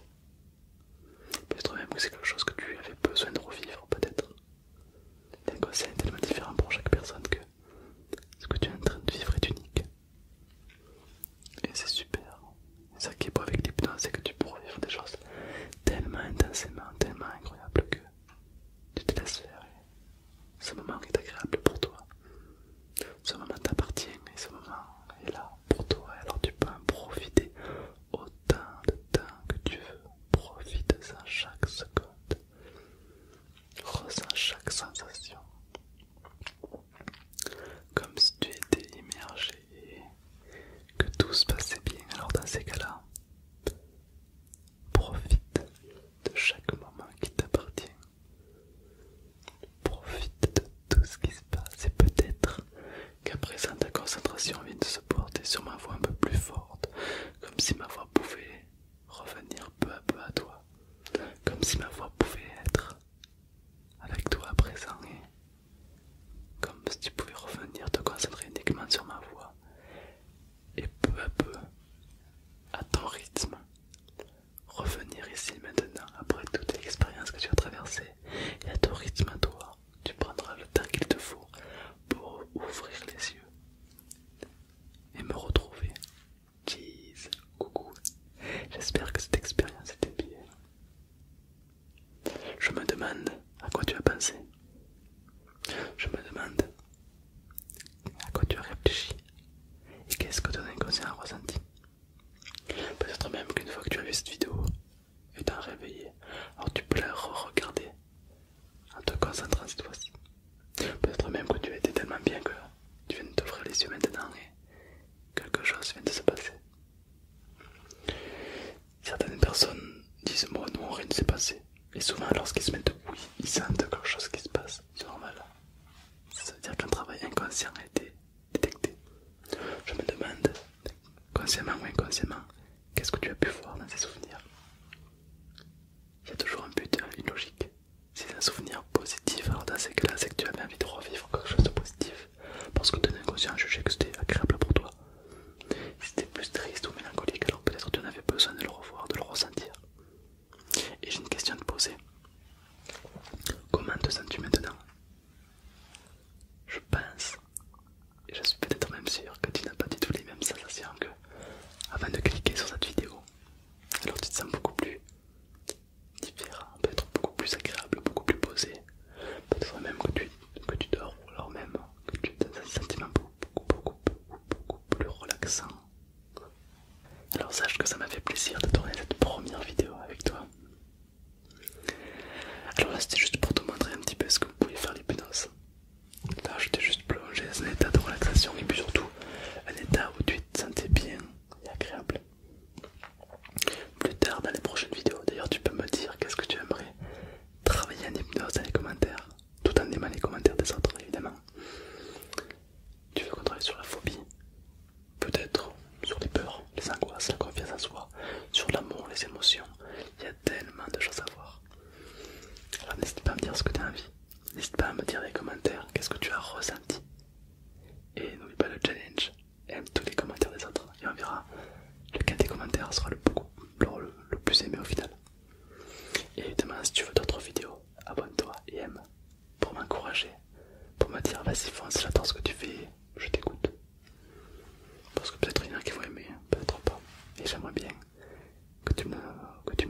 Peut-être même que c'est quelque chose que tu avais besoin de revivre, peut-être. un est tellement différent pour chaque personne que ce que tu es en train de vivre est unique. Et c'est super. et ça qui est beau avec l'hypnose, c'est que tu pourras vivre des choses tellement intensément, tellement incroyables que tu te laisses faire. Et ce moment est agréable pour toi. Ce moment t'appartient et ce moment est là pour toi, alors tu peux en profiter autant de temps que tu veux. Profite-en chaque seconde, ressens chaque sensation, comme si tu étais immergé et que tout se passait bien. Alors, dans ces cas-là, profite de chaque moment qui t'appartient Profite de tout ce qui se passe et peut-être qu'après présent ta concentration vient de se porter sur ma voix un peu plus forte, comme si ma voix pouvait revenir peu à peu à toi, comme si ma voix pouvait être avec toi à présent et comme si tu pouvais revenir te concentrer uniquement sur ma voix et peu à peu à ton rythme revenir ici maintenant après toute l'expérience que tu as traversée et à ton rythme à toi, tu prendras le temps qu'il te faut pour ouvrir les yeux et me retrouver. coucou. J'espère que cette expérience était bien. Je me demande à quoi tu as pensé. Je me demande à quoi tu as réfléchi et qu'est-ce que ton inconscient a ressenti. Peut-être même qu'une fois que tu as vu cette vidéo et t'as réveillé, alors tu peux la re-regarder en te concentrant cette fois-ci. Peut-être même que tu as été tellement bien que tu viens de t'ouvrir les yeux maintenant et quelque chose vient de se passer. Certaines personnes disent moi non rien ne s'est passé et souvent lorsqu'ils se mettent oui ils sentent quelque chose qui se passe, c'est normal. Ça veut dire qu'un travail inconscient a été détecté. Je me demande, consciemment ou inconsciemment, qu'est-ce que tu as pu voir dans ces souvenirs. Il y a toujours un but, hein, une logique. C'est un souvenir positif, alors dans ces cas-là, c'est que tu avais envie de revivre quelque chose de positif parce que ton inconscient jugeait que c'était agréable pour toi. Si c'était plus triste ou mélancolique, alors peut-être tu en avais besoin de le revoir, de le ressentir. Et j'ai une question à te poser. Comment te sens-tu maintenant je pense, et je suis peut-être même sûr que tu n'as pas du tout les mêmes sensations que avant de cliquer sur cette vidéo. Alors tu te sens beaucoup plus différent, peut-être beaucoup plus agréable, beaucoup plus posé. Peut-être même que tu, dors, ou alors même que tu as un sentiment beaucoup, beaucoup, beaucoup plus relaxant. Alors sache que ça m'a fait plaisir de tourner cette première vidéo avec toi. Alors là c'était juste pour te montrer un petit peu ce que vous pouvez faire l'hypnose. Là je t'ai juste plongé dans un état de relaxation et puis surtout un état où tu te sentais bien et agréable. Plus tard dans les prochaines vidéos, d'ailleurs tu peux me dire qu'est-ce que tu aimerais travailler en hypnose dans les commentaires, tout en aimant les commentaires des autres évidemment. Tu veux qu'on travaille sur la phobie, peut-être sur les peurs, les angoisses, la confiance en soi, sur l'amour, les émotions. Il y a tellement de choses à voir. Alors n'hésite pas à me dire ce que tu as envie. N'hésite pas à me dire les commentaires, qu'est-ce que tu as ressenti. Et n'oublie pas le challenge, aime tous les commentaires des autres. Et on verra, lequel des commentaires sera le, plus aimé au final. Et évidemment, si tu veux d'autres vidéos, abonne-toi et aime pour m'encourager, pour me dire vas-y fonce, j'adore ce que tu fais, je t'écoute. Parce que peut-être il y en a qui vont aimer, hein. peut-être pas. Et j'aimerais bien que tu, me,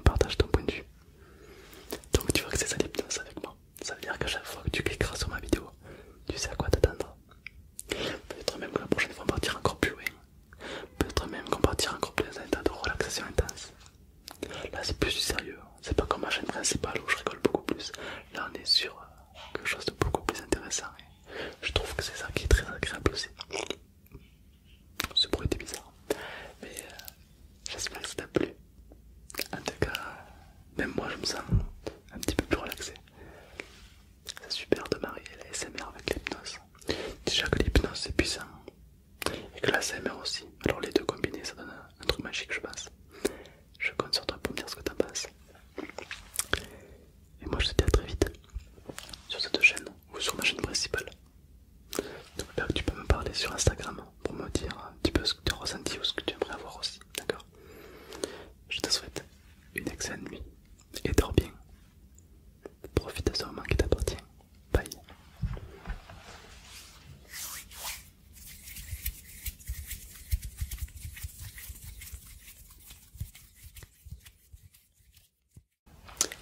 partages ton point de vue. Donc tu vois que c'est ça l'hypnose avec moi. Ça veut dire qu'à chaque fois que tu cliqueras sur ma vidéo, tu sais à quoi t'attendre. Peut-être même que la prochaine fois on partira encore plus loin. Peut-être même qu'on partira encore plus dans un de relaxation intense. Là c'est plus du sérieux, hein. c'est pas comme ma chaîne principale où je rigole beaucoup plus. Là on est sur euh, quelque chose de beaucoup plus intéressant je trouve que c'est ça qui est très agréable aussi. Ce bruit était bizarre, mais euh, j'espère que ça t'a plu. En tout cas, même moi je me sens un petit peu plus relaxé. C'est super de marier la SMR avec l'hypnose. Déjà que l'hypnose c'est puissant et que la SMR aussi. Alors les deux combinés ça donne un truc magique je pense. Je compte sur toi pour me dire ce que t'en penses. Et moi je te dis à très vite sur cette chaîne ou sur ma chaîne principale. Donc tu peux me parler sur Instagram pour me dire un petit peu ce que tu as ressenti ou ce que tu aimerais avoir aussi, d'accord Je te souhaite une excellente nuit et dors bien. Profite de ce moment qui t'appartient. Bye.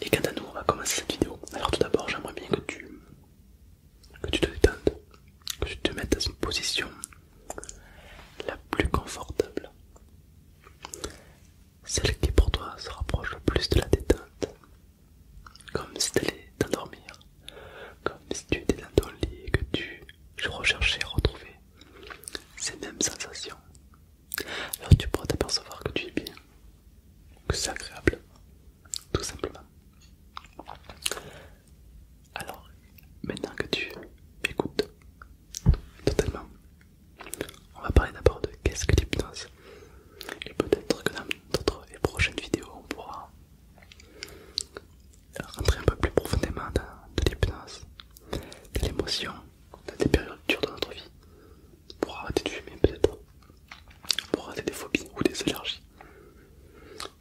Et quant à nous, on va commencer cette vidéo. Alors tout d'abord, j'aimerais bien que tu, tu te détendes, que tu te mettes dans une position la plus confortable. Celle qui pour toi se rapproche le plus de la détente, comme si tu allais t'endormir comme si tu étais dans ton lit et que tu recherchais à retrouver ces mêmes sensations. Alors tu pourras t'apercevoir que tu es bien, que c'est agréable, tout simplement. Alors, maintenant que tu m'écoutes totalement, on va parler d'abord de qu'est-ce que l'hypnose. Et peut-être que dans d'autres et prochaines vidéos, on pourra rentrer un peu plus profondément dans de l'hypnose, de l'émotion, dans des périodes dures de notre vie, pour arrêter de fumer peut-être, pour arrêter des phobies ou des allergies,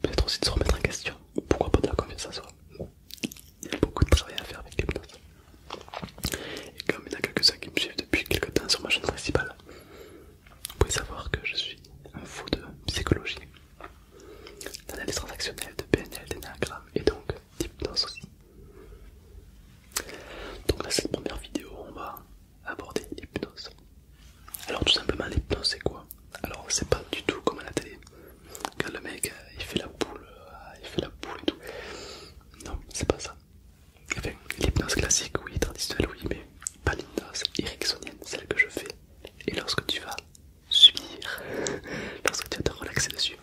peut-être aussi de se remettre en question, ou pourquoi pas de la confiance ça soi. Il y a beaucoup de travail à faire avec l'hypnose. Et comme il y en a quelques-uns qui me suivent depuis quelques temps sur ma chaîne principale, vous pouvez savoir que je suis un fou de psychologie d'analyse transactionnelle, de PNL, d'énagramme et donc d'hypnose aussi. Donc dans cette première vidéo, on va aborder l'hypnose. Alors tout simplement l'hypnose c'est quoi Alors c'est pas du tout comme à la télé, quand le mec euh, il fait la boule, euh, il fait la boule et tout. Non, c'est pas ça. l'hypnose classique, oui, traditionnelle, oui, mais pas l'hypnose ericksonienne, celle que je fais. Et lorsque tu vas subir lorsque tu vas te relaxer dessus.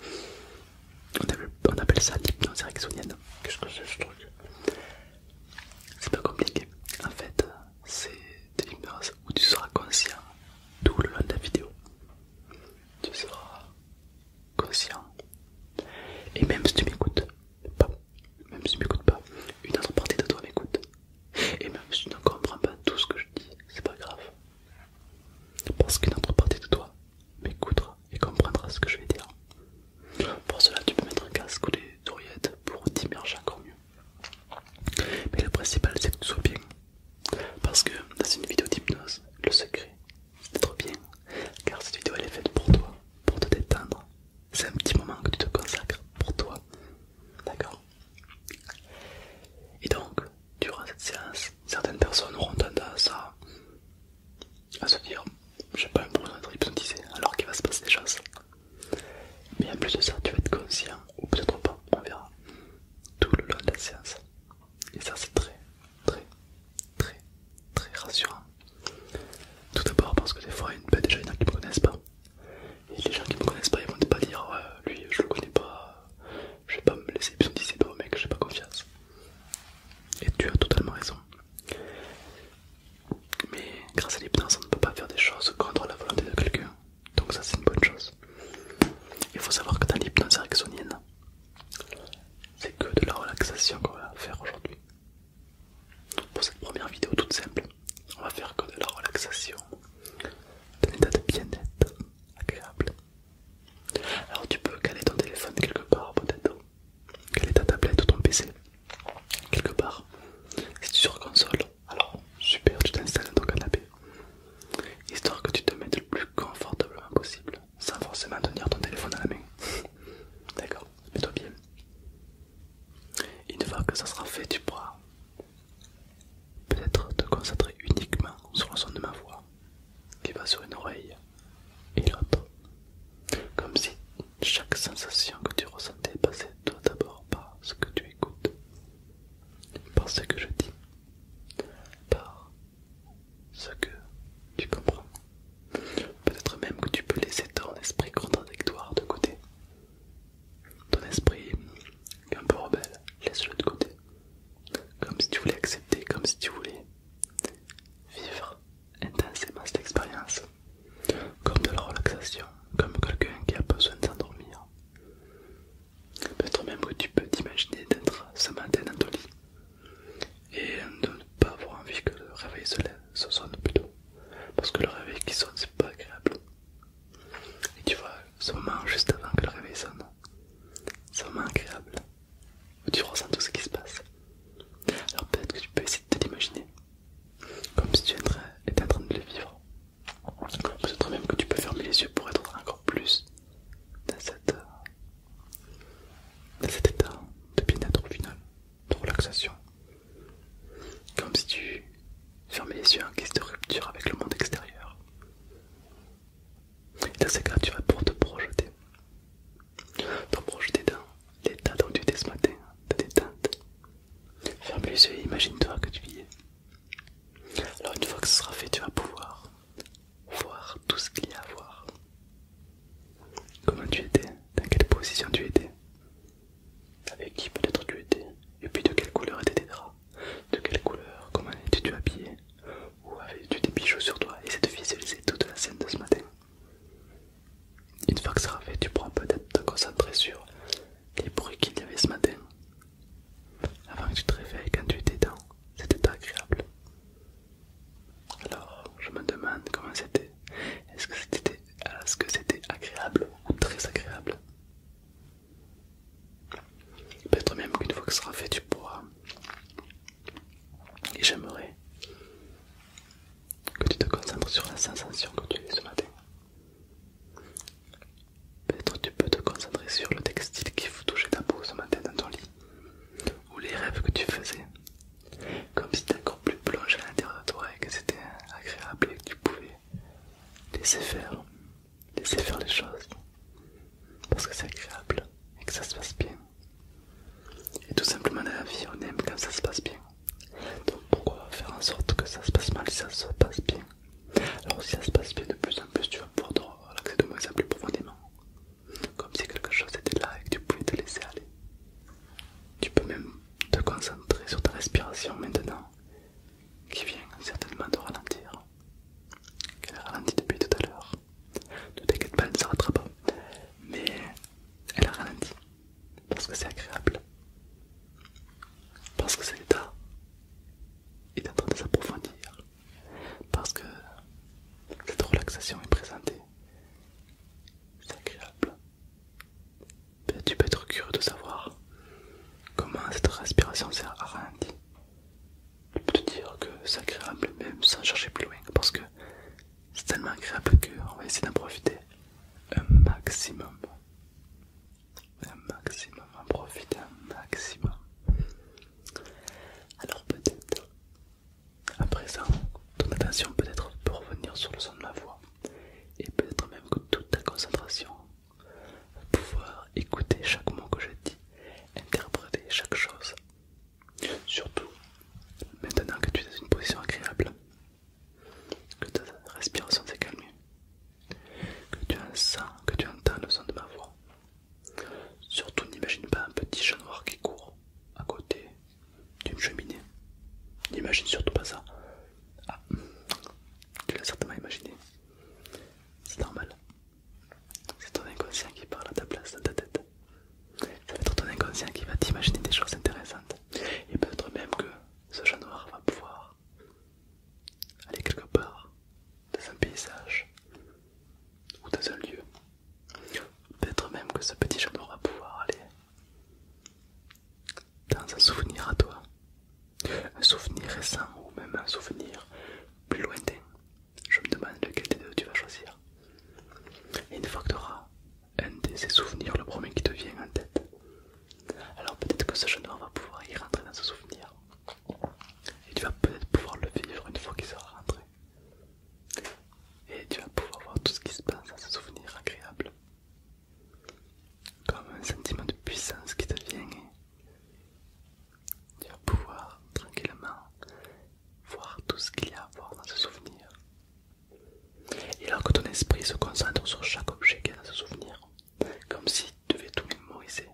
On appelle, ça l'hypnose ericksonienne. Qu'est-ce que c'est ce truc C'est pas compliqué. En fait, c'est de l'hypnose où tu seras conscient tout le long de la vidéo. Tu seras conscient. Et même si tu m'écoutes même si tu m'écoutes pas, une autre partie de toi m'écoute. Et même si tu ne comprends pas tout ce que je dis, c'est pas grave. Parce qu'une autre partie de toi m'écoutera et comprendra ce que je vais dire. Pour cela, tu peux mettre un casque ou des oreillettes pour t'immerger encore mieux. Mais le principal, c'est que tu sois bien. Parce que dans une vidéo d'hypnose, le secret, c'est d'être bien. Car cette vidéo, elle est faite pour toi, pour te détendre. C'est un petit moment que tu te consacres pour toi. D'accord et donc, durant cette séance, certaines personnes auront tendance à, se dire j'ai pas problème d'être hypnotisé alors qu'il va se passer des choses. Mais en plus de ça, tu vas être conscient, ou peut-être pas, on verra, tout le long de la séance. Et ça, c'est très, très, très, très rassurant. Tout d'abord parce que des fois, ben, il y a déjà, des qui ne me connaissent pas. Et les gens qui me connaissent pas, ils vont pas dire lui je le connais pas, je vais pas me laisser hypnotiser pas le mec, j'ai pas confiance. Et tu as totalement raison. Mais grâce à l'hypnose, on ne peut pas faire des choses contre la volonté de quelqu'un. Donc ça c'est une bonne chose. Il faut savoir que dans l'hypnose ericksonienne, c'est que de la relaxation qu'on va faire aujourd'hui. Pour cette première vidéo toute simple, on va faire que de la relaxation, d'un état de bien-être, alors tu peux caler ton téléphone quelque part peut-être, caler ta tablette ou ton PC quelque part. Si tu sur console, alors super, tu t'installes dans ton canapé, histoire que tu te mettes le plus confortablement possible, sans forcément tenir ton téléphone à la main. [laughs] D'accord, mets-toi bien. Une fois que ça sera fait, tu pourras Peut-être te concentrer uniquement sur le son de ma voix qui va sur une oreille et l'autre. Comme si chaque sensation que tu ressentais passait d'abord par ce que tu écoutes, par ce que je dis, par ce que tu comprends. Peut-être même que tu peux laisser ton esprit contradictoire de côté ton esprit, est un peu rebelle, laisse-le de côté. Comme si tu voulais accepter, comme si tu voulais vivre intensément cette expérience. Comme de la relaxation, comme quelqu'un qui a besoin de s'endormir. Peut-être même que tu peux t'imaginer d'être ce matin dans ton lit et de ne pas avoir envie que le réveil se se sonne plutôt. Parce que le réveil qui sonne, c'est pas agréable. Et tu vois, ce moment juste avant que le réveil sonne, ce moment agréable, où tu ressens tout ce qui se passe. Alors peut-être que tu peux essayer de te l'imaginer, comme si tu étais en train de le vivre. Peut-être même que tu peux fermer les yeux pour être encore plus dans, cet état de bien-être final, de relaxation. Comme si tu fermais les yeux en quête de rupture avec le monde extérieur. Et dans ces cas, tu vas pouvoir te projeter. Te projeter dans l'état dont tu étais ce matin, de détente. Ferme les yeux imagine-toi que tu y es. Alors, une fois que ce sera fait, tu vas pouvoir voir tout ce qu'il y a à voir. Comment tu étais, dans quelle position tu étais, avec qui peut-être tu étais, et puis de quelle couleur étaient tes draps. De quelle couleur, comment étais-tu habillé Ou avais-tu des bijoux sur toi Essaie de visualiser toute la scène de ce matin. Une fois que ça fait, tu pourras peut-être te concentrer sur les bruits qu'il y avait ce matin. Avant que tu te réveilles, quand tu étais dedans. c'était agréable. Alors, je me demande comment c'était. Est-ce que c'était est agréable ou très agréable Peut-être même qu'une fois que ce sera fait, tu pourras. Et j'aimerais que tu te concentres sur la sensation que tu as ce matin. Peut-être tu peux te concentrer sur le textile qui touchait ta peau ce matin dans ton lit, ou les rêves que tu faisais, comme si tu encore plus plongé à l'intérieur de toi et que c'était agréable et que tu pouvais laisser faire laisser faire les choses parce que c'est agréable et que ça se passe bien. Et tout simplement, dans la vie, on aime quand ça se passe bien. Donc, pourquoi faire en sorte que ça se passe mal si ça se passe bien Alors, si ça se passe bien de plus en plus, tu vas pouvoir relaxer de moins en plus profondément. Comme si quelque chose était là et que tu pouvais te laisser aller. Tu peux même te concentrer sur ta respiration maintenant qui vient certainement de ralentir. Qu'elle a ralenti depuis tout à l'heure. Ne t'inquiète pas, elle ne s'arrêtera pas. Mais elle a ralenti. Parce que c'est agréable. Parce que cet état est en train de s'approfondir. Parce que cette relaxation est présentée. C'est agréable. tu peux être curieux de savoir comment cette respiration s'est ralentie je peux te dire que c'est agréable même sans chercher plus loin parce que c'est tellement agréable qu'on va essayer d'en profiter un maximum. Un maximum, en profiter un maximum. Alors peut-être, à présent, ton attention peut-être peut revenir sur le son de ma voix et peut-être même que toute ta concentration pouvoir écouter chaque mot que je dis, interpréter chaque chose. Surtout, maintenant que tu es dans une position agréable, que ta respiration s'est calmée, que tu, sens, que tu entends le son de ma voix. Surtout, n'imagine pas un petit chat noir qui court à côté d'une cheminée. N'imagine surtout pas ça. Ah, tu l'as certainement imaginé. C'est normal. C'est ton inconscient qui parle à ta place, dans ta tête. Ça va être ton inconscient qui va t'imaginer des choses intéressantes. Et peut-être même que ce jeune noir va pouvoir aller quelque part, dans un paysage ou dans un lieu. Peut-être même que ce petit chat noir va pouvoir aller dans un souvenir à toi. Un souvenir récent ou même un souvenir plus lointain je me demande lequel des deux tu vas choisir. Et une fois que tu auras un de ces souvenirs, le premier qui te vient en tête, alors peut-être que ce jeune homme va pouvoir y rentrer dans ce souvenir. Et tu vas peut-être pouvoir le vivre une fois qu'il sera rentré. Et tu vas pouvoir voir tout ce qui se passe dans ce souvenir agréable. Comme un sentiment de puissance qui te vient tu vas pouvoir tranquillement voir tout ce qu'il y a à voir dans ce souvenir. Et alors que ton esprit se concentre sur chaque objet qu'il est a dans ce souvenir, comme si tu devais tout mémoriser,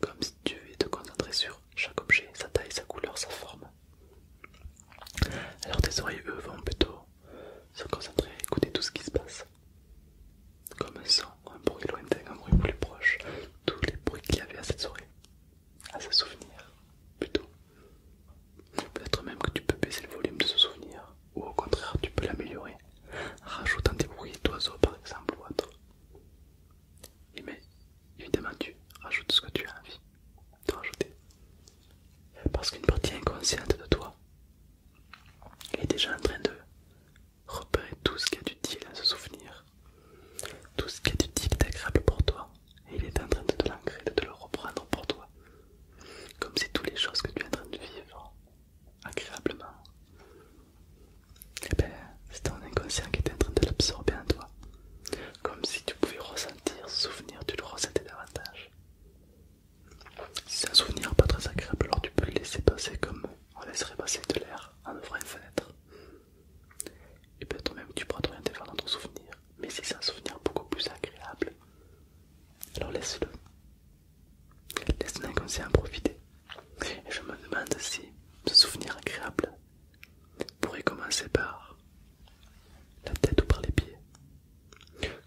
comme si tu devais te concentrer sur chaque objet, sa taille, sa couleur, sa forme. Alors tes oreilles, eux, vont plutôt se concentrer à écouter tout ce qui se passe. Comme un son, un bruit lointain, un bruit plus proche, tous les bruits qu'il y avait à cette soirée, à ce souvenir plutôt. Peut-être même que tu peux baisser le volume de ce souvenir, ou au contraire tu peux l'améliorer, rajoutant des bruits d'oiseaux par exemple ou autre. Et mais évidemment tu rajoutes ce que tu as envie de rajouter. Parce qu'une partie inconsciente de toi est déjà en train de repérer tout ce qui est utile à ce souvenir, tout ce qui a d'utile agréable pour toi, et il est en train de te de le reprendre pour toi, comme si toutes les choses que tu es en train de vivre agréablement, et eh ben, c'est ton inconscient qui est en train de l'absorber en toi, comme si tu pouvais ressentir, ce souvenir, tu le ressentais davantage. Si c'est un souvenir pas très agréable, alors tu peux le laisser passer comme on laisserait passer de l'air en ouvrant une fenêtre et peut-être même tu pourras t'orienter vers ton souvenir Mais si c'est un souvenir beaucoup plus agréable, alors laisse-le. Laisse ton en profiter. Et je me demande si ce souvenir agréable pourrait commencer par la tête ou par les pieds.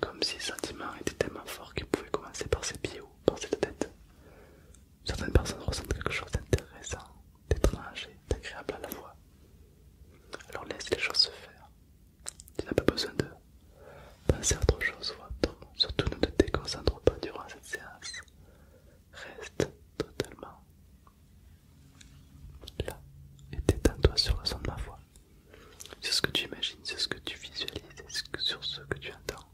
Comme si le sentiment était tellement fort qu'il pouvait commencer par ses pieds ou par cette tête certaines personnes ressentent quelque chose d'intéressant, d'étrange et d'agréable à la voix Alors laisse les choses se faire. Tu n'as pas besoin de penser à autre chose ou autre. Surtout ne te déconcentre pas durant cette séance. Reste totalement là et détends-toi sur le son de ma voix. Sur ce que tu imagines, sur ce que tu visualises, sur ce que tu entends.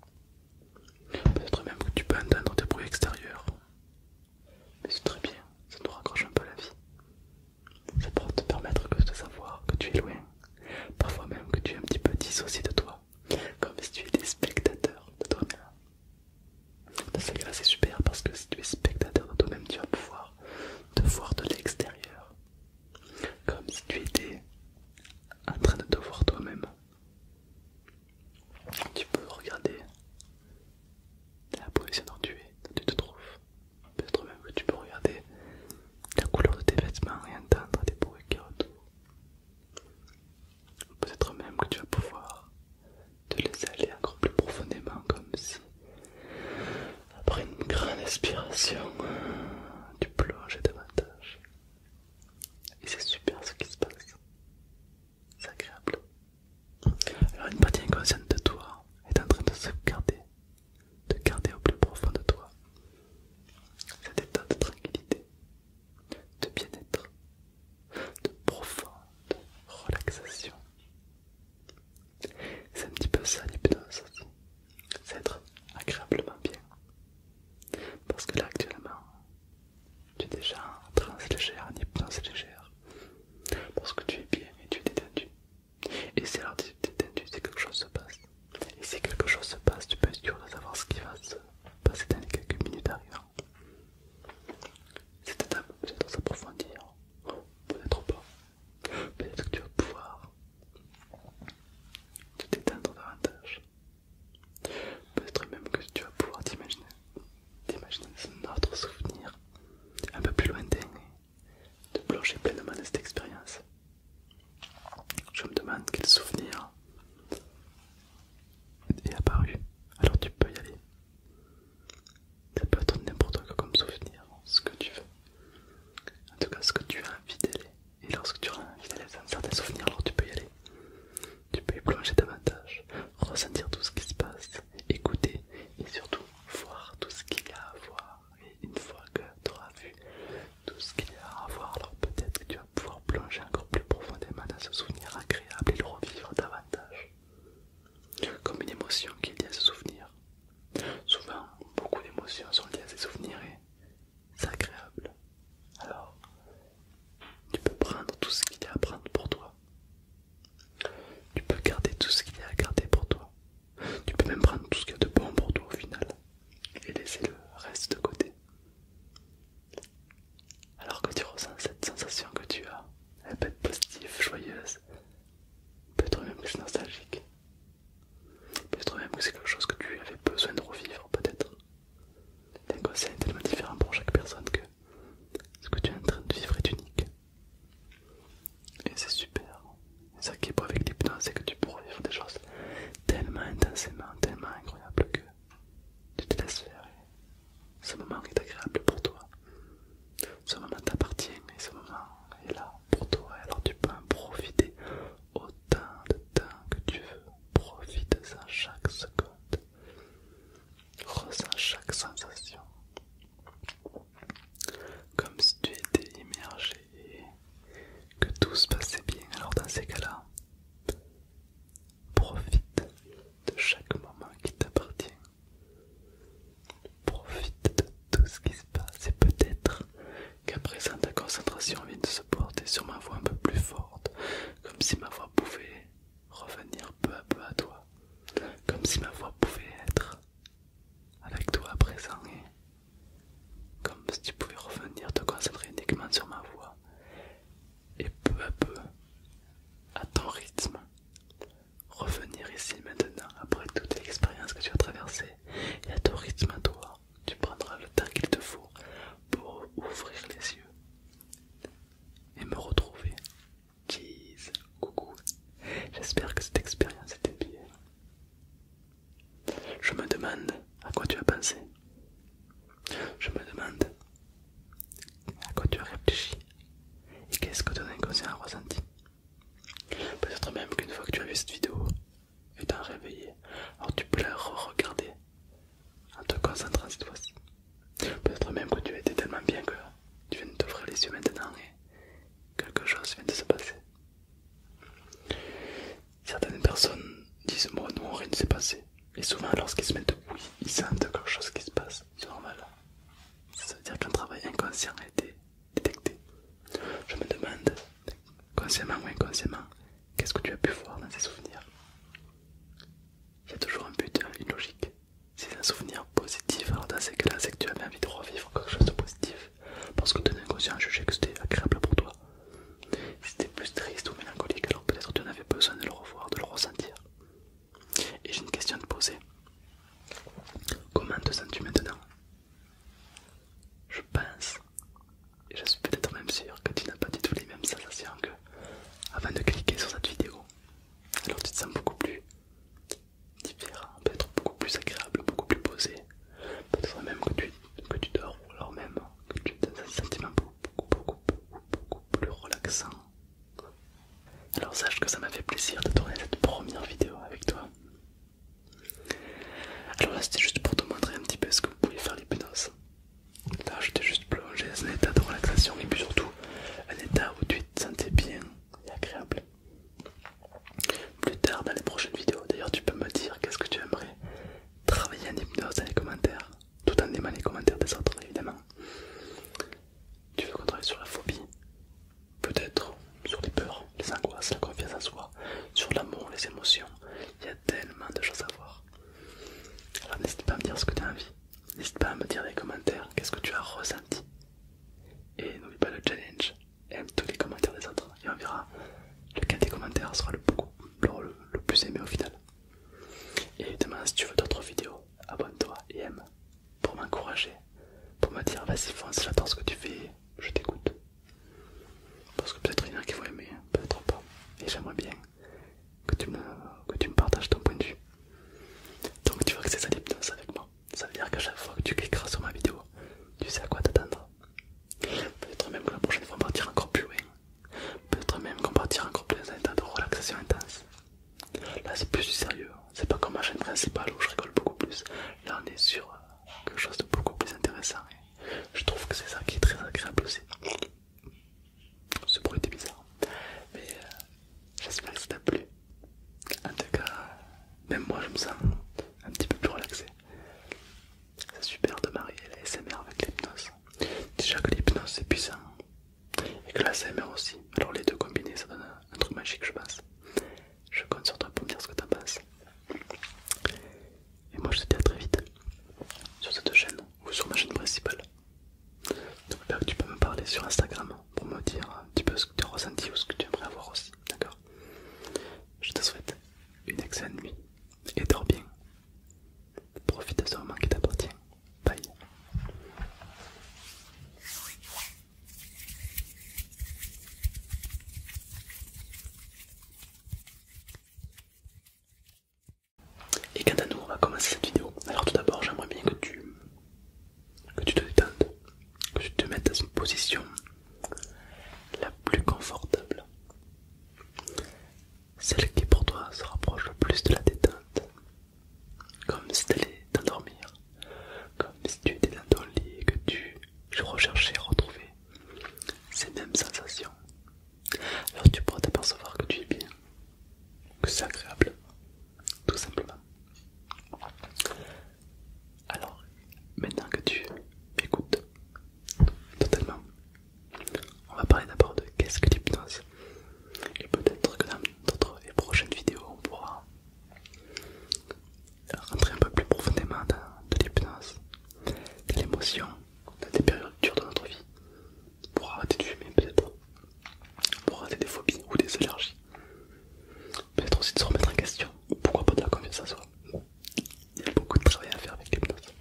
Peut-être même que tu peux entendre des bruits extérieurs. Mais c'est très bien, ça nous raccroche un peu la vie. Ça peut te permettre de savoir que tu es loin, parfois même que tu es un petit peu dissocié de toi, comme si tu étais spectateur de toi-même. c'est super parce que si tu es spectateur de toi-même, tu vas pouvoir te voir de l'extérieur, comme si tu étais en train de te voir toi-même. Tu peux regarder la position dont tu es, tu te trouves. Peut-être même que tu peux regarder la couleur de tes vêtements et entendre des bruits qui retournent. Peut-être même que tu vas pouvoir te laisser aller encore plus profondément, comme si après une grande inspiration, tu plonges davantage. Et c'est super ce qui se passe c'est agréable. Alors une partie inconsciente de toi est en train de se garder, de garder au plus profond de toi cet état de tranquillité, de bien-être, de profonde relaxation. C'est un petit peu ça l'hypnose aussi, c'est être agréablement bien. Parce que là actuellement, tu es déjà en trance légère, en hypnose légère. Parce que tu es bien et tu es détendu. Et si alors tu es détendu, si quelque chose se passe. Et si quelque chose se passe, tu peux être sûr de savoir ce qui va se passer dans les quelques minutes arrivant. Cette étape, tu trop s'approfondir. Peut-être pas. Peut-être que tu vas pouvoir te détendre davantage. Peut-être même que tu vas pouvoir t'imaginer notre souvenir un peu plus lointain et de plonger pleinement de cette expérience. Je me demande quel souvenir est apparu. Alors tu peux y aller. Ça peut être n'importe quoi comme souvenir, ce que tu veux. En tout cas, ce que tu as envie d'aller. Et lorsque tu as envie d'aller faire des souvenirs, alors tu peux y aller. Tu peux y plonger davantage, ressentir tout ce qui se passe, écouter et surtout voir tout ce qu'il y a à voir. Et une fois que tu auras vu tout ce qu'il y a à voir, alors peut-être que tu vas pouvoir plonger encore plus profondément dans ce souvenir agréable et le revivre davantage. Comme une émotion qui est liée à ce souvenir. Souvent, beaucoup d'émotions sont liées à ces souvenirs et c'est agréable. Alors, tu peux prendre tout ce qu'il y a à prendre pour toi. Tu peux garder tout ce qu'il y a à garder pour toi. Tu peux même prendre tout ce qu'il y a de bon pour toi au final et laisser le reste de côté. Alors que tu ressens cette sensation que tu as, elle peut être positive, joyeuse, peut-être même que nostalgique, peut-être même que c'est quelque chose que tu avais besoin de revivre peut-être. L'inconscient est tellement différent pour chaque personne que ce que tu es en train de vivre est unique. Et c'est super. et ça qui est beau avec l'hypnose, c'est que tu pourras vivre des choses tellement intensément, tellement incroyables que tu te laisses faire. ce moment est agréable pour toi. Ce moment t'appartient et ce moment est là pour toi. Alors tu peux en profiter autant de temps que tu veux. Profite-en chaque seconde. Ressens oh, chaque sensation comme si tu étais immergé et que tout se passait bien. Alors dans ces cas-là, profite de chaque moment qui t'appartient. Profite de tout ce qui se passe et peut-être qu'à présent ta concentration vient de se porter sur ma voix un peu plus forte, comme si ma voix pouvait revenir peu à peu à toi, comme si ma voix pouvait être avec toi à présent et comme si tu pouvais revenir te concentrer uniquement sur ma voix et peu à peu à ton rythme revenir ici maintenant après toute l'expérience que tu as traversée et à ton rythme à toi tu prendras le temps qu'il te faut pour ouvrir les yeux et me retrouver. Jeez, coucou. J'espère que cette expérience était bien. Je me demande à quoi tu as pensé. Je me demande à quoi tu as réfléchi et qu'est-ce que ton inconscient a ressenti. Peut-être même qu'une fois que tu as vu cette vidéo, étant réveillé, alors tu peux la re-regarder en te concentrant cette fois-ci. Peut-être même que tu as été tellement bien que tu viens de t'ouvrir les yeux maintenant et quelque chose vient de se passer. Certaines personnes disent moi nous rien ne s'est passé. Et souvent lorsqu'ils se mettent oui ils sentent quelque chose qui se passe. C'est normal. Ça veut dire qu'un travail inconscient a été détecté. Je me demande, consciemment ou inconsciemment, qu'est-ce que tu as pu voir dans ces souvenirs Il y a toujours un but, hein, une logique c'est un souvenir positif, alors dans ces cas-là, c'est que tu avais envie de revivre quelque chose de positif parce que ton inconscient jugeait que c'était agréable pour toi. Si c'était plus triste ou mélancolique, alors peut-être tu en avais besoin de le revoir, de le ressentir. Et j'ai une question à te poser. Comment te sens-tu maintenant Je pense, et je suis peut-être même sûr que tu n'as pas du tout les mêmes sensations que avant de cliquer sur cette vidéo. Alors tu te sens beaucoup plus différent, peut-être beaucoup plus agréable, beaucoup plus posé. Peut-être même que tu, dors ou alors même que tu dans un sentiment beaucoup, plus relaxant. Alors sache que ça m'a fait plaisir de tourner cette première vidéo avec toi. Alors là c'était juste pour te montrer un petit peu ce que vous pouvez faire les l'hypnose. Là, je t'ai juste plongé dans un état de relaxation et puis surtout un état où tu te sentais bien et agréable. Plus tard dans les prochaines vidéos, d'ailleurs, tu peux me dire qu'est-ce que tu aimerais travailler en hypnose dans les commentaires, tout en aimant les commentaires des autres, évidemment. Tu veux qu'on travaille sur la phobie, peut-être sur les peurs, les angoisses, la confiance en soi, sur l'amour, les émotions. Il y a tellement de choses à voir. Alors n'hésite pas à me dire ce que tu as envie. N'hésite pas à me dire dans les commentaires qu'est-ce que tu as ressenti. Et n'oublie pas le challenge, aime tous les commentaires des autres et on verra lequel des commentaires sera le, plus aimé au final. Et évidemment, si tu veux d'autres vidéos, abonne-toi et aime pour m'encourager, pour me dire vas-y fonce, j'adore ce que tu fais, je t'écoute. Parce que peut-être il y en a qui vont aimer, peut-être pas. Et j'aimerais bien que tu, me, que tu me partages ton point de vue. Donc tu vois que c'est ça l'hypnose avec moi. Ça veut dire qu'à chaque fois que tu cliqueras sur ma vidéo, tu sais à quoi t'attendre. Peut-être même que la prochaine fois on partira encore plus loin. Peut-être même qu'on partira encore plus dans un état de relaxation intense. Là c'est plus du sérieux, hein. c'est pas comme ma chaîne principale où je rigole beaucoup plus. Là on est sur euh, quelque chose de beaucoup plus intéressant. Je trouve que c'est ça qui est très agréable aussi. Ce bruit était bizarre. Mais euh, j'espère que ça t'a plu. En tout cas, même moi je me sens un petit peu plus relaxé. C'est super de marier l'ASMR avec l'hypnose. Déjà que l'hypnose c'est puissant. Et que la l'ASMR aussi. Alors les deux combinés ça donne un, un truc magique je pense. Je compte sur toi pour me dire ce que t'en penses. Et moi je te dis à très vite sur cette chaîne ou sur ma chaîne principale. Donc que bah, tu peux me parler sur Instagram pour me dire un petit peu ce que tu as ressenti ou ce que tu aimerais avoir aussi, d'accord Je te souhaite une excellente nuit et dors bien. Profite de ce moment qui t'appartient. Bye. Et quant à nous, on va commencer cette vidéo. Alors tout d'abord, j'aimerais bien que tu que tu te détendes, que tu te mettes dans une position la plus confortable, celle qui pour toi se rapproche le plus de la détente, comme si tu allais t'endormir, comme si tu étais dans ton lit et que tu recherchais et retrouver ces mêmes sensations. Alors tu pourras t'apercevoir que tu es bien, que c'est agréable, tout simplement. Alors, maintenant que tu m'écoutes totalement, on va parler d'abord de qu'est-ce que l'hypnose. Et peut-être que dans d'autres et prochaines vidéos, on pourra rentrer un peu plus profondément dans de l'hypnose, de l'émotion, de des périodes de notre vie, pour arrêter de fumer peut-être, pour arrêter des phobies ou des allergies, peut-être aussi de se remettre en question, pourquoi pas de la confiance à soi. Il y a beaucoup de travail à faire avec l'hypnose.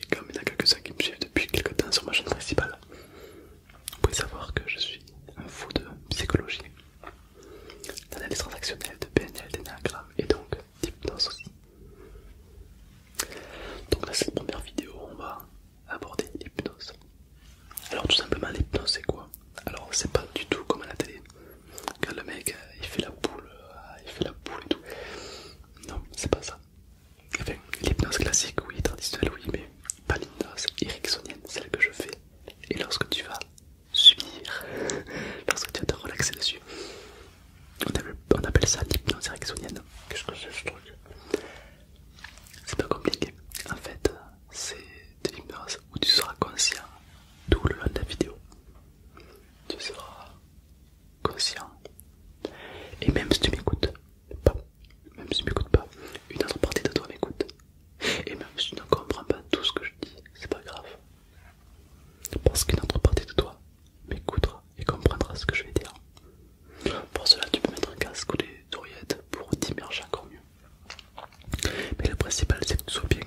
Et comme il y en a quelques-uns qui me suivent depuis quelques temps sur ma chaîne principale, vous pouvez savoir que je suis un fou de psychologie, d'analyse transactionnelle, de PNL, d'énagramme et donc d'hypnose aussi. Donc dans cette première vidéo, on va aborder l'hypnose. Alors tout simplement l'hypnose c'est quoi Alors c'est pas du tout comme à la télé, quand le mec euh, il fait la boule, euh, il fait la boule et tout. Non, c'est pas ça. l'hypnose classique, oui, traditionnelle, oui, mais pas l'hypnose ericksonienne, celle que je fais. Et lorsque tu vas subir, [laughs] lorsque tu vas te relaxer dessus, on appelle, ça l'hypnose ericksonienne. Qu'est-ce que c'est ce truc c'est pas compliqué. En fait, euh, c'est de où tu seras conscient tout le long de la vidéo. Tu seras conscient. Et même si tu m'écoutes même si tu m'écoutes pas, une autre partie de toi m'écoute. Et même si tu ne comprends pas tout ce que je dis, c'est pas grave. Parce qu'une autre partie de toi m'écoutera et comprendra ce que je vais dire. Pour cela, tu peux mettre un casque ou des oreillettes pour t'immerger encore mieux. Mais le principal, c'est que tu sois bien.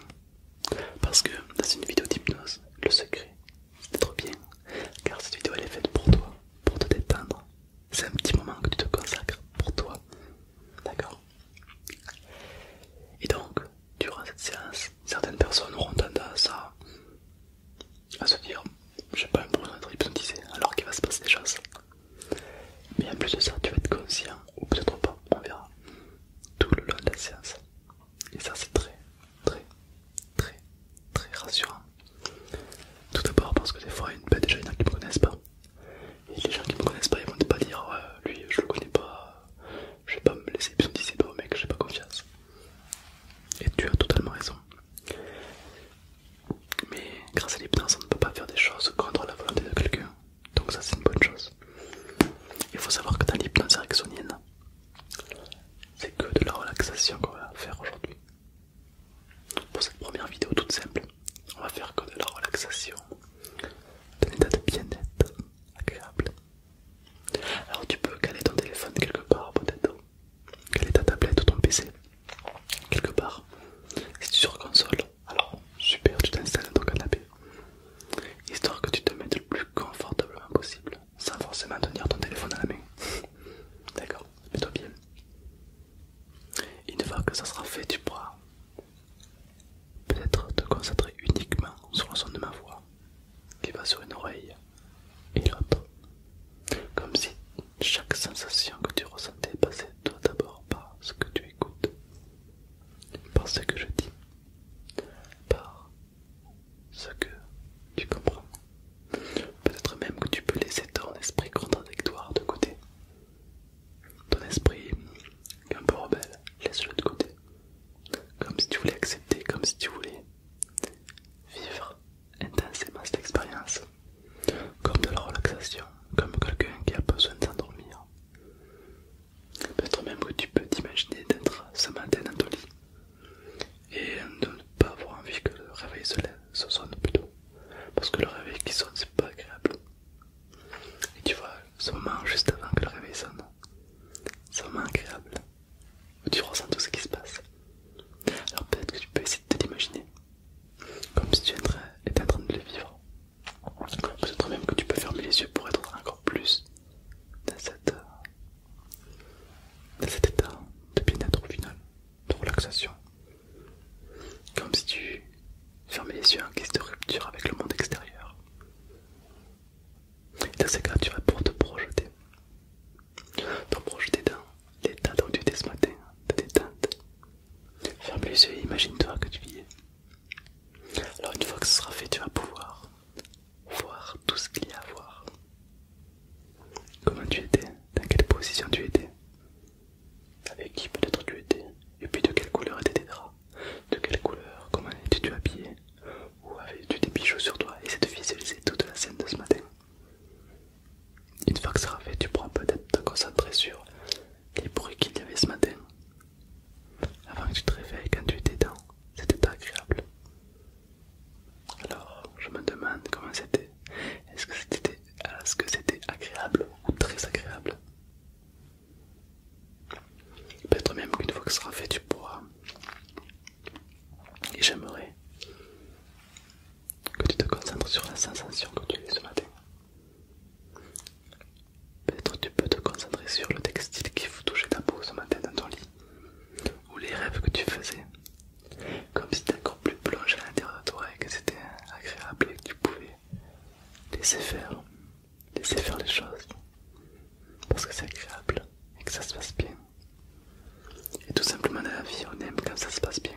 Parce que dans une vidéo d'hypnose, le secret, c'est d'être bien. Car cette vidéo, elle est faite pour toi, pour te détendre. C'est un petit moment que tu te consacres pour toi. D'accord Et donc, durant cette séance, certaines personnes auront tendance à, se dire J'ai pas un problème d'être hypnotisé, alors qu'il va se passer des choses mais en plus de ça, tu vas être conscient, ou peut-être pas, on verra, tout le long de la séance. Et ça c'est très, très, très, très rassurant. Tout d'abord parce que des fois, il y a des gens qui me connaissent pas. Et les gens qui me connaissent pas, ils vont pas dire, lui je le connais pas, je vais pas me laisser hypnotiser pas mec, mec, j'ai pas confiance. Et tu as totalement raison. Mais grâce à l'hypnose, on ne peut pas faire des choses contre la volonté de quelqu'un. Donc ça c'est une bonne chose. Il faut savoir que dans l'hypnose ericksonienne, c'est que de la relaxation qu'on va faire aujourd'hui. Pour cette première vidéo toute simple, on va faire que de la relaxation, d'un état de bien-être agréable. Alors tu peux caler ton téléphone quelque part peut-être quelle est ta tablette ou ton PC Quelque part. Si tu es sur console, alors super, tu t'installes dans ton canapé. Histoire que tu te mettes le plus confortablement possible, sans forcément tenir ton téléphone à la main. [laughs] D'accord, mets-toi bien. Une fois que ça sera fait, tu pourras peut-être te concentrer uniquement sur le son de ma voix qui va sur une oreille et l'autre, comme si chaque sensation que tu ressentais passait toi d'abord par ce que tu écoutes, par ce que je dis, par ce que tu comprends. Peut-être même que tu peux laisser ton esprit contradictoire de côté. Ton esprit un peu rebelle, laisse-le de côté. Comme si tu voulais accepter, comme si tu voulais vivre intensément cette expérience, comme de la relaxation, comme quelqu'un qui a besoin de s'endormir. Peut-être même que tu peux t'imaginer d'être ce matin dans ton lit et de ne pas avoir envie que le réveil se, sonne plutôt, parce que le réveil qui sonne c'est pas agréable. Et tu vois, ce moment juste avant que le réveil sonne, c'est moment agréable, où tu ressens tout ce qui se passe. Alors peut-être que tu peux essayer de t'imaginer comme si tu étais en train de le vivre. Peut-être même que tu peux fermer les yeux pour être encore plus dans, euh, dans cet état de bien-être au final, de relaxation. Comme si tu fermais les yeux en guise de rupture avec le monde extérieur. Et dans ces cas, tu vas pour te projeter. Te projeter dans l'état dont tu étais ce matin, détente, Ferme les yeux et imagine-toi que tu y es. Alors une fois que ce sera fait, tu vas pouvoir voir tout ce qu'il y a à voir. Comment tu étais, dans quelle position tu étais, avec qui peut-être tu étais, et puis de quelle couleur étaient tes draps, de quelle couleur, comment étais-tu habillé, ou avais-tu des bijoux sur toi, et c'est de visualiser toute la scène de ce matin. Une fois que ça sera fait, tu pourras peut-être te concentrer sur les bruits qu'il y avait ce matin. Avant que tu te réveilles, quand tu étais dans, c'était agréable. Alors, je me demande comment c'était. Est-ce que c'était est-ce que c'était agréable ou très agréable Peut-être même qu'une fois que ce sera fait, tu pourras. Et j'aimerais que tu te concentres sur la sensation que tu as ce matin. Peut-être tu peux te concentrer sur le textile qui vous touchait ta peau ce matin dans ton lit, ou les rêves que tu faisais, comme si t'étais encore plus plongé à l'intérieur de toi et que c'était agréable et que tu pouvais laisser faire, laisser faire les choses, parce que c'est agréable et que ça se passe bien. Et tout simplement dans la vie, on aime quand ça se passe bien.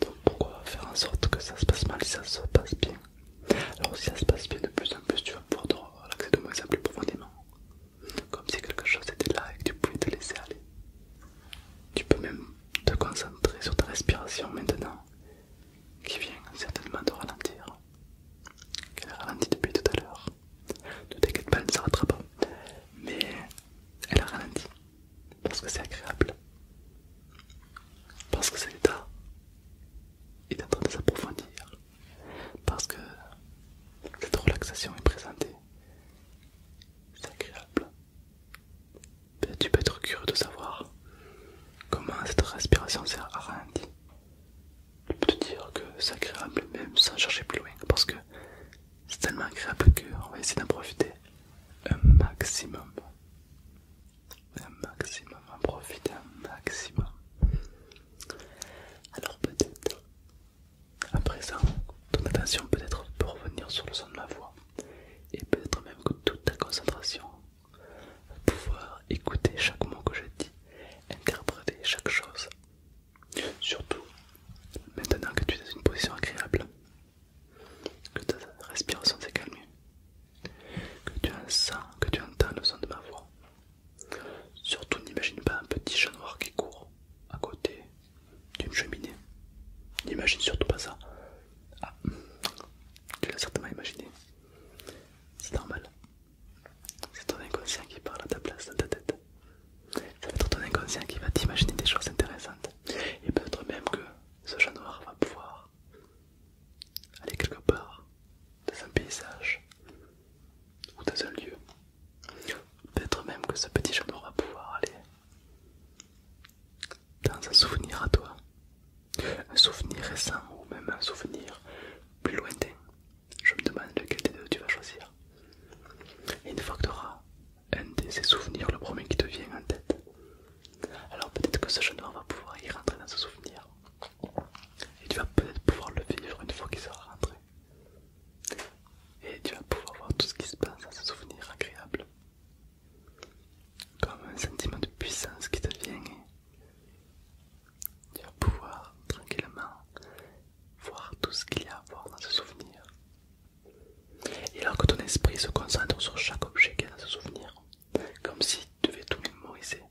Donc pourquoi faire en sorte que ça se passe mal si ça se passe bien Alors si ça se passe bien de plus en plus, tu vas pouvoir relaxer de moins plus profondément. Comme si quelque chose était là et que tu pouvais te laisser aller. Tu peux même te concentrer sur ta respiration maintenant, qui vient certainement de ralentir. Elle a ralenti depuis tout à l'heure. Ne t'inquiète pas, elle ne s'arrêtera pas. Mais elle a ralenti parce que c'est agréable, parce que cet état est en train de s'approfondir, parce que cette relaxation est présentée, c'est agréable. Ben, tu peux être curieux de savoir comment cette respiration s'est arrêtée. je peux te dire que c'est agréable même sans chercher plus loin parce que c'est tellement agréable qu'on va essayer d'en profiter un maximum un maximum, en profiter un maximum. Alors peut-être, à présent, ton attention peut-être peut revenir sur le son de ma voix et peut-être même que toute ta concentration pouvoir écouter chaque mot que je dis, interpréter chaque chose. Surtout, maintenant que tu es dans une position agréable, que ta respiration s'est calmée, que tu sens, que tu entends le son de ma voix. Surtout n'imagine pas un petit chat noir qui court à côté d'une cheminée. N'imagine surtout pas ça. Ah, tu l'as certainement imaginé. C'est normal. C'est ton inconscient qui parle à ta place dans ta tête. Ça va être ton inconscient qui va t'imaginer des choses intéressantes. Et peut-être même que ce chat noir va pouvoir aller quelque part dans un paysage ou dans un lieu. Peut-être même que ce petit chat noir va pouvoir aller dans un souvenir à toi. Un souvenir récent ou même un souvenir plus lointain. Je me demande lequel des deux tu vas choisir. Et une fois que tu auras un de ces souvenirs, le premier qui te vient en tête. Alors peut-être que ce jeune homme va pouvoir y rentrer dans ce souvenir. Et tu vas peut-être pouvoir le vivre une fois qu'il sera rentré. Et tu vas pouvoir voir tout ce qui se passe dans ce souvenir agréable. Comme un sentiment de puissance qui te vient. tu vas pouvoir tranquillement voir tout ce qu'il y a à voir dans ce souvenir. Et alors que ton esprit se concentre sur chaque objet qu'elle a ce souvenir, comme si tu devais tout mémoriser,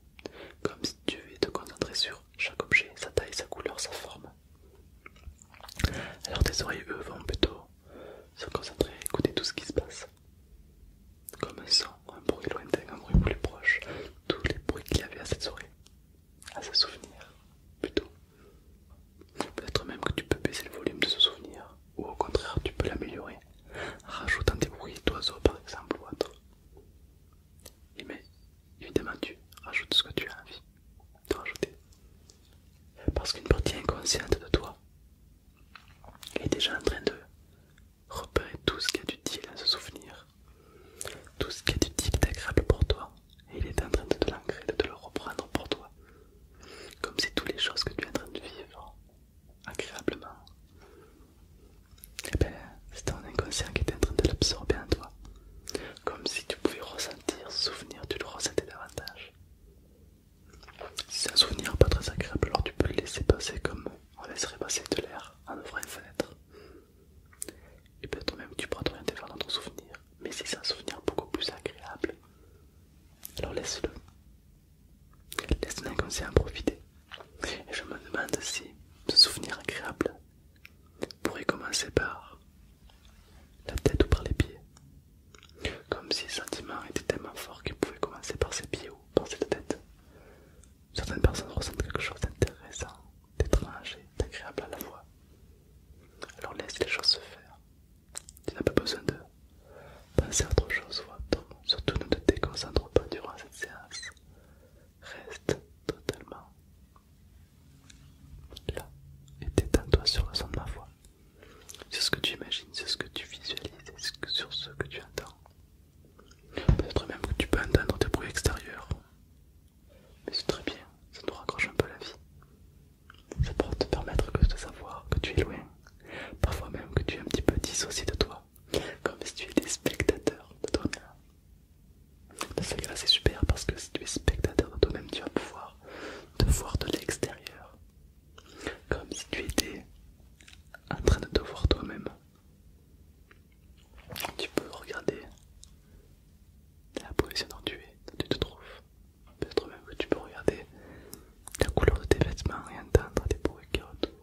comme si tu devais te concentrer sur chaque objet, sa taille, sa couleur, sa forme. Alors tes oreilles, eux, vont plutôt se concentrer et écouter tout ce qui se passe. Comme un son, un bruit lointain, un bruit plus proche, tous les bruits qu'il y avait à cette soirée, à ce souvenir, plutôt. Peut-être même que tu peux baisser le volume de ce souvenir ou au contraire tu peux l'améliorer. Rajoute des bruits d'oiseaux par exemple ou autre. Et mais évidemment tu rajoutes ce que tu as envie de rajouter. Parce qu'une partie inconsciente de toi est déjà en train de repérer tout ce qui est utile à se souvenir, tout ce qui est utile et agréable pour toi, et il est en train de te l'ancrer, de te le reprendre pour toi. Comme c'est toutes les choses que tu es en train de vivre agréablement. Et eh bien, c'est ton inconscient qui est en train de l'absorber en toi. Comme si tu pouvais ressentir, ce souvenir, tu le ressentais davantage. Si c'est un souvenir pas très agréable, alors tu peux le laisser passer comme on laisserait passer de l'air en ouvrant une fenêtre. Et peut-être même tu pourras t'orienter vers notre souvenir. Mais si c'est un souvenir beaucoup plus agréable, alors laisse-le. Laisse l'inconscient en profiter. Et je me demande si ce souvenir agréable pourrait commencer par la tête ou par les pieds. Comme si le sentiment était tellement fort qu'il pouvait commencer par ses pieds ou par cette tête. Certaines personnes ressentent quelque chose d'intéressant, d'étrange et d'agréable à la fois. Alors laisse les choses se faire. Tu n'as pas besoin de penser à autre chose, surtout ne te déconcentre pas durant cette séance. Reste totalement là et détends-toi sur le son de ma voix, sur ce que tu imagines, sur ce que tu visualises, sur ce que tu entends. Peut-être même que tu peux entendre des bruits extérieurs, mais c'est très bien, ça nous raccroche un peu la vie. Ça pourra te permettre de savoir que tu es loin, Parfois même que tu es un petit peu dissocié de toi, comme si tu étais spectateur de toi-même. Dans ce c'est super parce que si tu es spectateur de toi-même, tu vas pouvoir te voir de l'extérieur, comme si tu étais en train de te voir toi-même. Tu peux regarder la position dont tu es, tu te trouves. Peut-être même que tu peux regarder la couleur de tes vêtements et entendre des bruits qui retournent.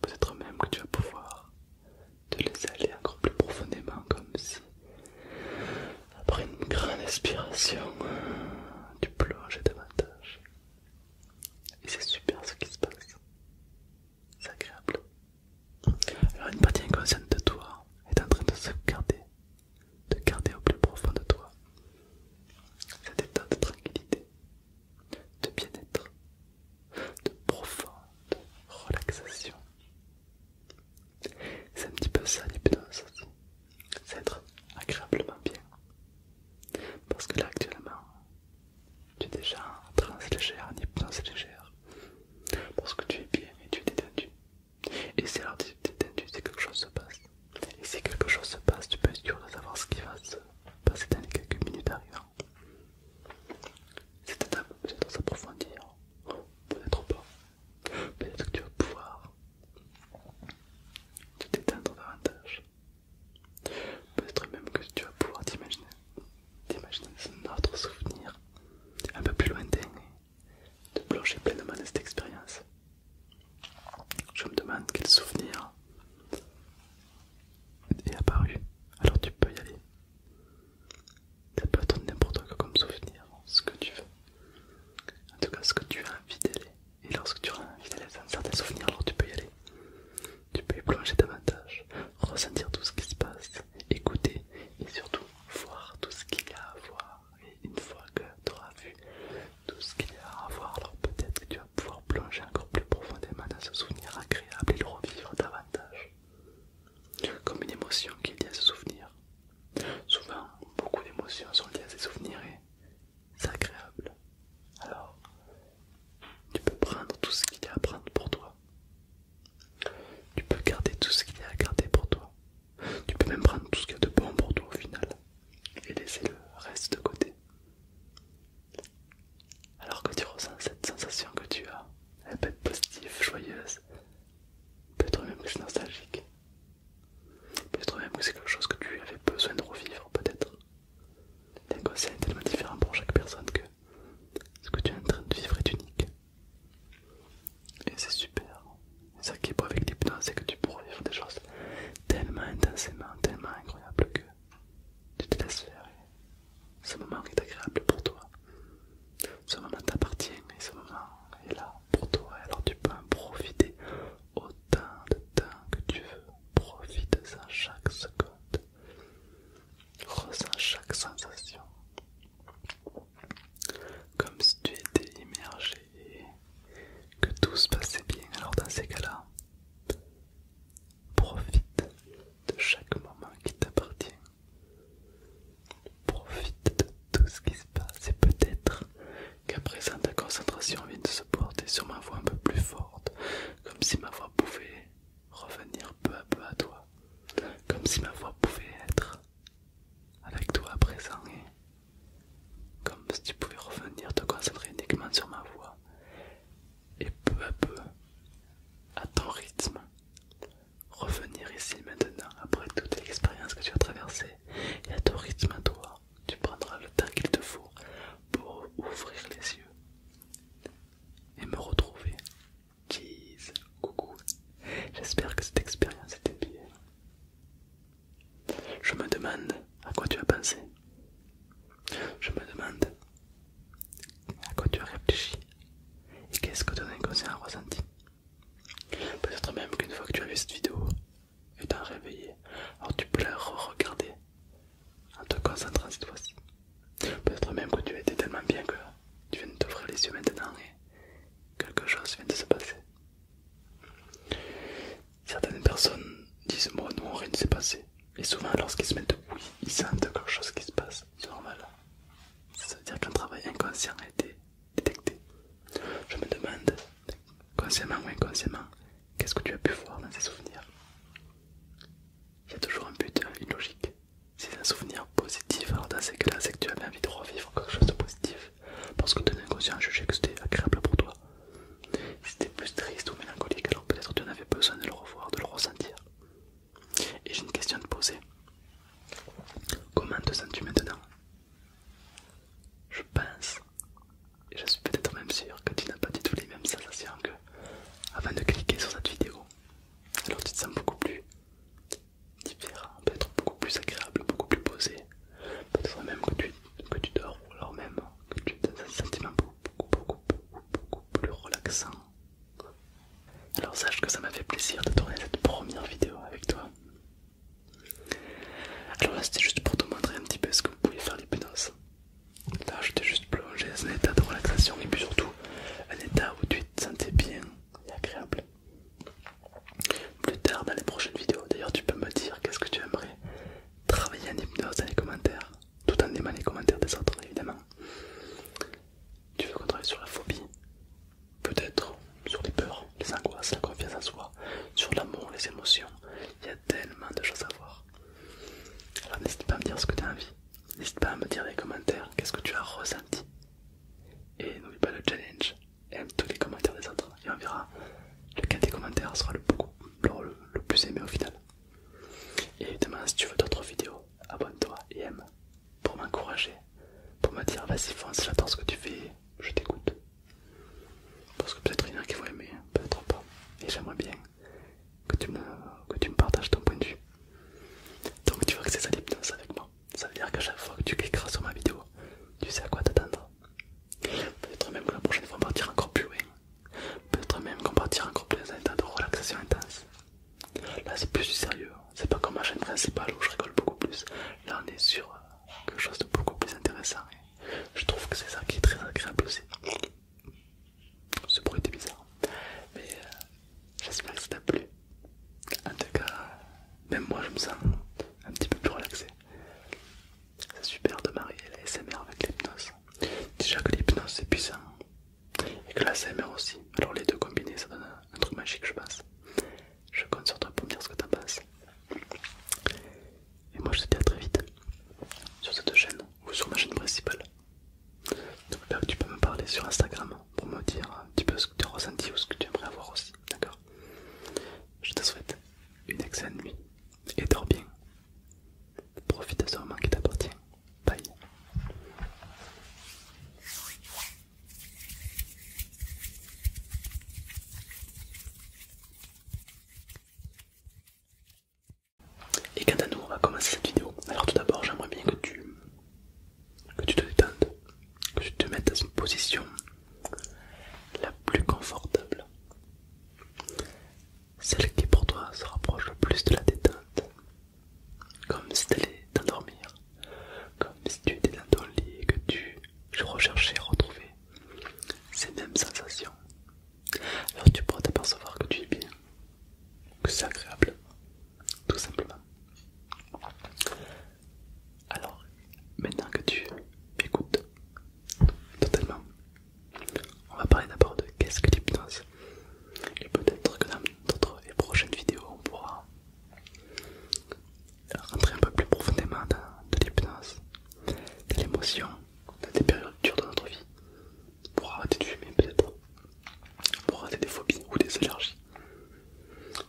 Peut-être même que tu vas pouvoir te laisser aller encore plus profondément, comme si, après une grande inspiration, euh, tu plonges davantage. Et c'est super ce qui se passe. C'est agréable. Alors, une partie inconsciente de toi est en train de se garder de garder au plus profond de toi cet état de tranquillité, de bien-être, de profonde relaxation. C'est un petit peu ça l'hypnose aussi, c'est être agréablement bien. Parce que là actuellement, tu es déjà en trans légère, en hypnose légère. Parce que tu es bien et tu es détendu. Et c'est alors tu es détendu, c'est quelque chose se passe. Et si quelque chose se passe, tu peux être sûr de savoir ce qui va se passer dans les quelques minutes arrivant. Cette étape peut-être s'approfondir, peut-être pas. Peut-être que tu vas pouvoir te détendre davantage. Peut-être même que tu vas pouvoir t'imaginer un autre souvenir un peu plus lointain et te plonger pleinement dans cette expérience. Je me demande quel souvenir est apparu. Alors tu peux y aller. Ça peut être n'importe quoi comme souvenir, ce que tu veux. En tout cas, ce que tu as envie d'aller. Et lorsque tu as envie d'aller dans certains souvenirs, alors tu peux y aller. Tu peux y plonger davantage, ressentir tout ce qui se passe, écouter et surtout voir tout ce qu'il y a à voir. Et une fois que tu auras vu tout ce qu'il y a à avoir, Alors peut-être que tu vas pouvoir plonger encore plus profondément dans ce souvenir agréable et le revivre davantage. Comme une émotion qui est liée à ce souvenir. Souvent, beaucoup d'émotions sont liées à ces souvenirs et c'est agréable. Alors, tu peux prendre tout ce qu'il y a à prendre pour toi. Tu peux garder tout ce qu'il y a à garder pour toi. Tu peux même prendre tout ce qu'il y a de bon pour toi au final et laisser le reste de côté. Alors que tu ressens cette sensation que tu as, elle peut être positive, joyeuse, peut-être même que c'est nostalgique, peut-être même que c'est quelque chose que tu avais besoin de revivre, peut-être. un c'est tellement différent pour chaque personne que ce que tu es en train de vivre est unique. Et c'est super, ça qui est beau avec l'hypnose, c'est que tu pourras vivre des choses tellement intensément, tellement incroyables que tu te laisses faire. ce moment est agréable pour toi. Ce moment t'appartient et ce moment est là pour toi. Alors tu peux en profiter autant de temps que tu veux. Profite-en chaque seconde. Ressens chaque sensation. Comme si tu étais immergé que tout se passait bien. Alors dans ces cas-là, profite de chaque moment qui t'appartient. Profite de tout ce qui se passe et peut-être qu'à présent ta concentration vient de se porter sur ma voix un peu plus forte, comme si ma voix pouvait revenir peu à peu à toi, comme si ma voix pouvait être avec toi à présent comme si tu pouvais revenir te concentrer uniquement sur ma voix et peu à peu, à ton rythme, revenir ici maintenant après toute l'expérience que tu as traversée et à ton rythme à toi, tu prendras le temps qu'il te faut pour ouvrir les yeux et me retrouver. jeez, coucou. J'espère que cette expérience était bien. Je me demande à quoi tu as pensé. Je me demande à quoi tu as réfléchi. Et qu'est-ce que ton inconscient a ressenti. Peut-être même qu'une fois que tu as vu cette vidéo, étant réveillé, alors tu peux la regarder en te concentrant cette fois-ci. Peut-être même que tu as tellement bien que tu viens de t'ouvrir les yeux maintenant et quelque chose vient de se passer. Certaines personnes disent moi non rien ne s'est passé et souvent lorsqu'ils se mettent oui ils sentent quelque chose qui se passe, c'est normal. Ça veut dire qu'un travail inconscient a été détecté. Je me demande, consciemment ou inconsciemment, qu'est-ce que tu as pu voir dans ces souvenirs Il y a toujours un but, hein, une logique. c'est un souvenir positif, alors dans ces cas-là, c'est que tu avais envie de revivre quelque chose de positif. Parce que ton inconscient a jugé que c'était agréable pour toi. C'était plus triste ou mélancolique, alors peut-être tu en avais besoin de le revoir, de le ressentir. Et j'ai une question à te poser. Comment te sens-tu maintenant Je pense, et je suis peut-être même sûr que tu n'as pas du tout les mêmes sensations que avant de cliquer sur cette vidéo. Alors tu te sens beaucoup plus différent, peut-être beaucoup plus agréable, beaucoup plus posé. Peut-être même que tu, que tu dors, ou alors même que tu te un sentiment beaucoup, beaucoup, beaucoup, beaucoup plus relaxant. Alors sache que ça m'a fait plaisir de tourner cette première vidéo avec toi. Alors là c'était juste pour te montrer un petit peu ce que vous pouvez faire l'hypnose. Là je t'ai juste plongé dans un état de relaxation et puis surtout un état où tu te sentais bien et agréable. Plus tard dans les prochaines vidéos, d'ailleurs tu peux me dire qu'est-ce que tu aimerais travailler en hypnose dans les commentaires, tout en aimant les commentaires des autres évidemment. Tu veux qu'on travaille sur la phobie, peut-être sur les peurs, les angoisses, la confiance en soi, sur l'amour, les émotions. Il y a tellement de choses à voir. Alors n'hésite pas à me dire ce que tu as envie, n'hésite pas à me dire dans les commentaires qu'est-ce que tu as ressenti. Et n'oublie pas le challenge, aime tous les commentaires des autres et on verra lequel des commentaires sera le, plus aimé au final. Et évidemment, si tu veux d'autres vidéos, abonne-toi et aime pour m'encourager, pour me dire vas-y fonce, j'adore ce que tu fais, je t'écoute. Parce que peut-être il y en a qui vont aimer, peut-être pas. Et j'aimerais bien que tu, me, que tu me partages ton point de vue. Donc tu vois que c'est ça l'hypnose avec moi. Ça veut dire qu'à chaque fois que tu cliqueras sur ma vidéo, tu sais à quoi t'attendre. Peut-être même que la prochaine fois on partira encore plus loin. Peut-être même qu'on partira encore plus dans un de relaxation intense. Là c'est plus du sérieux, hein. c'est pas comme ma chaîne principale où je rigole beaucoup plus. Là on est sur euh, quelque chose de beaucoup plus intéressant hein. je trouve que c'est ça qui est très agréable aussi. Ce bruit était bizarre, hein. mais euh, j'espère que ça t'a plu. En tout cas, même moi je me sens un petit peu plus relaxé. C'est super de marier la SMR avec l'hypnose. Déjà que l'hypnose c'est puissant et que la SMR aussi. Alors les deux combinés ça donne un, truc magique je pense. Je compte sur toi pour me dire ce que t'en penses. Et moi je te dis à très vite sur cette chaîne ou sur ma chaîne principale. tu peux me parler sur Instagram pour me dire un petit peu ce que tu ressens ou ce que tu aimerais avoir aussi. D'accord Je te souhaite une excellente nuit et dors bien. Profite de ce moment qui t'appartient. Bye. Et quand à nous, on va commencer cette vidéo. Alors tout d'abord, j'aimerais bien que tu, que tu te détendes, que tu te mettes dans une position la plus confortable, celle qui pour toi se rapproche le plus de la détente, comme si tu allais t'endormir, comme si tu étais dans ton lit que tu recherchais à retrouver ces mêmes sensations. Alors tu pourras t'apercevoir que tu es bien, que c'est agréable, tout simplement. Alors, maintenant que tu m'écoutes totalement on va parler d'abord de qu'est-ce que l'hypnose. Et peut-être que dans d'autres et prochaines vidéos, on pourra rentrer un peu plus profondément dans de l'hypnose, de l'émotion, dans des périodes dures de notre vie, pour arrêter de fumer peut-être, pour arrêter des phobies ou des allergies,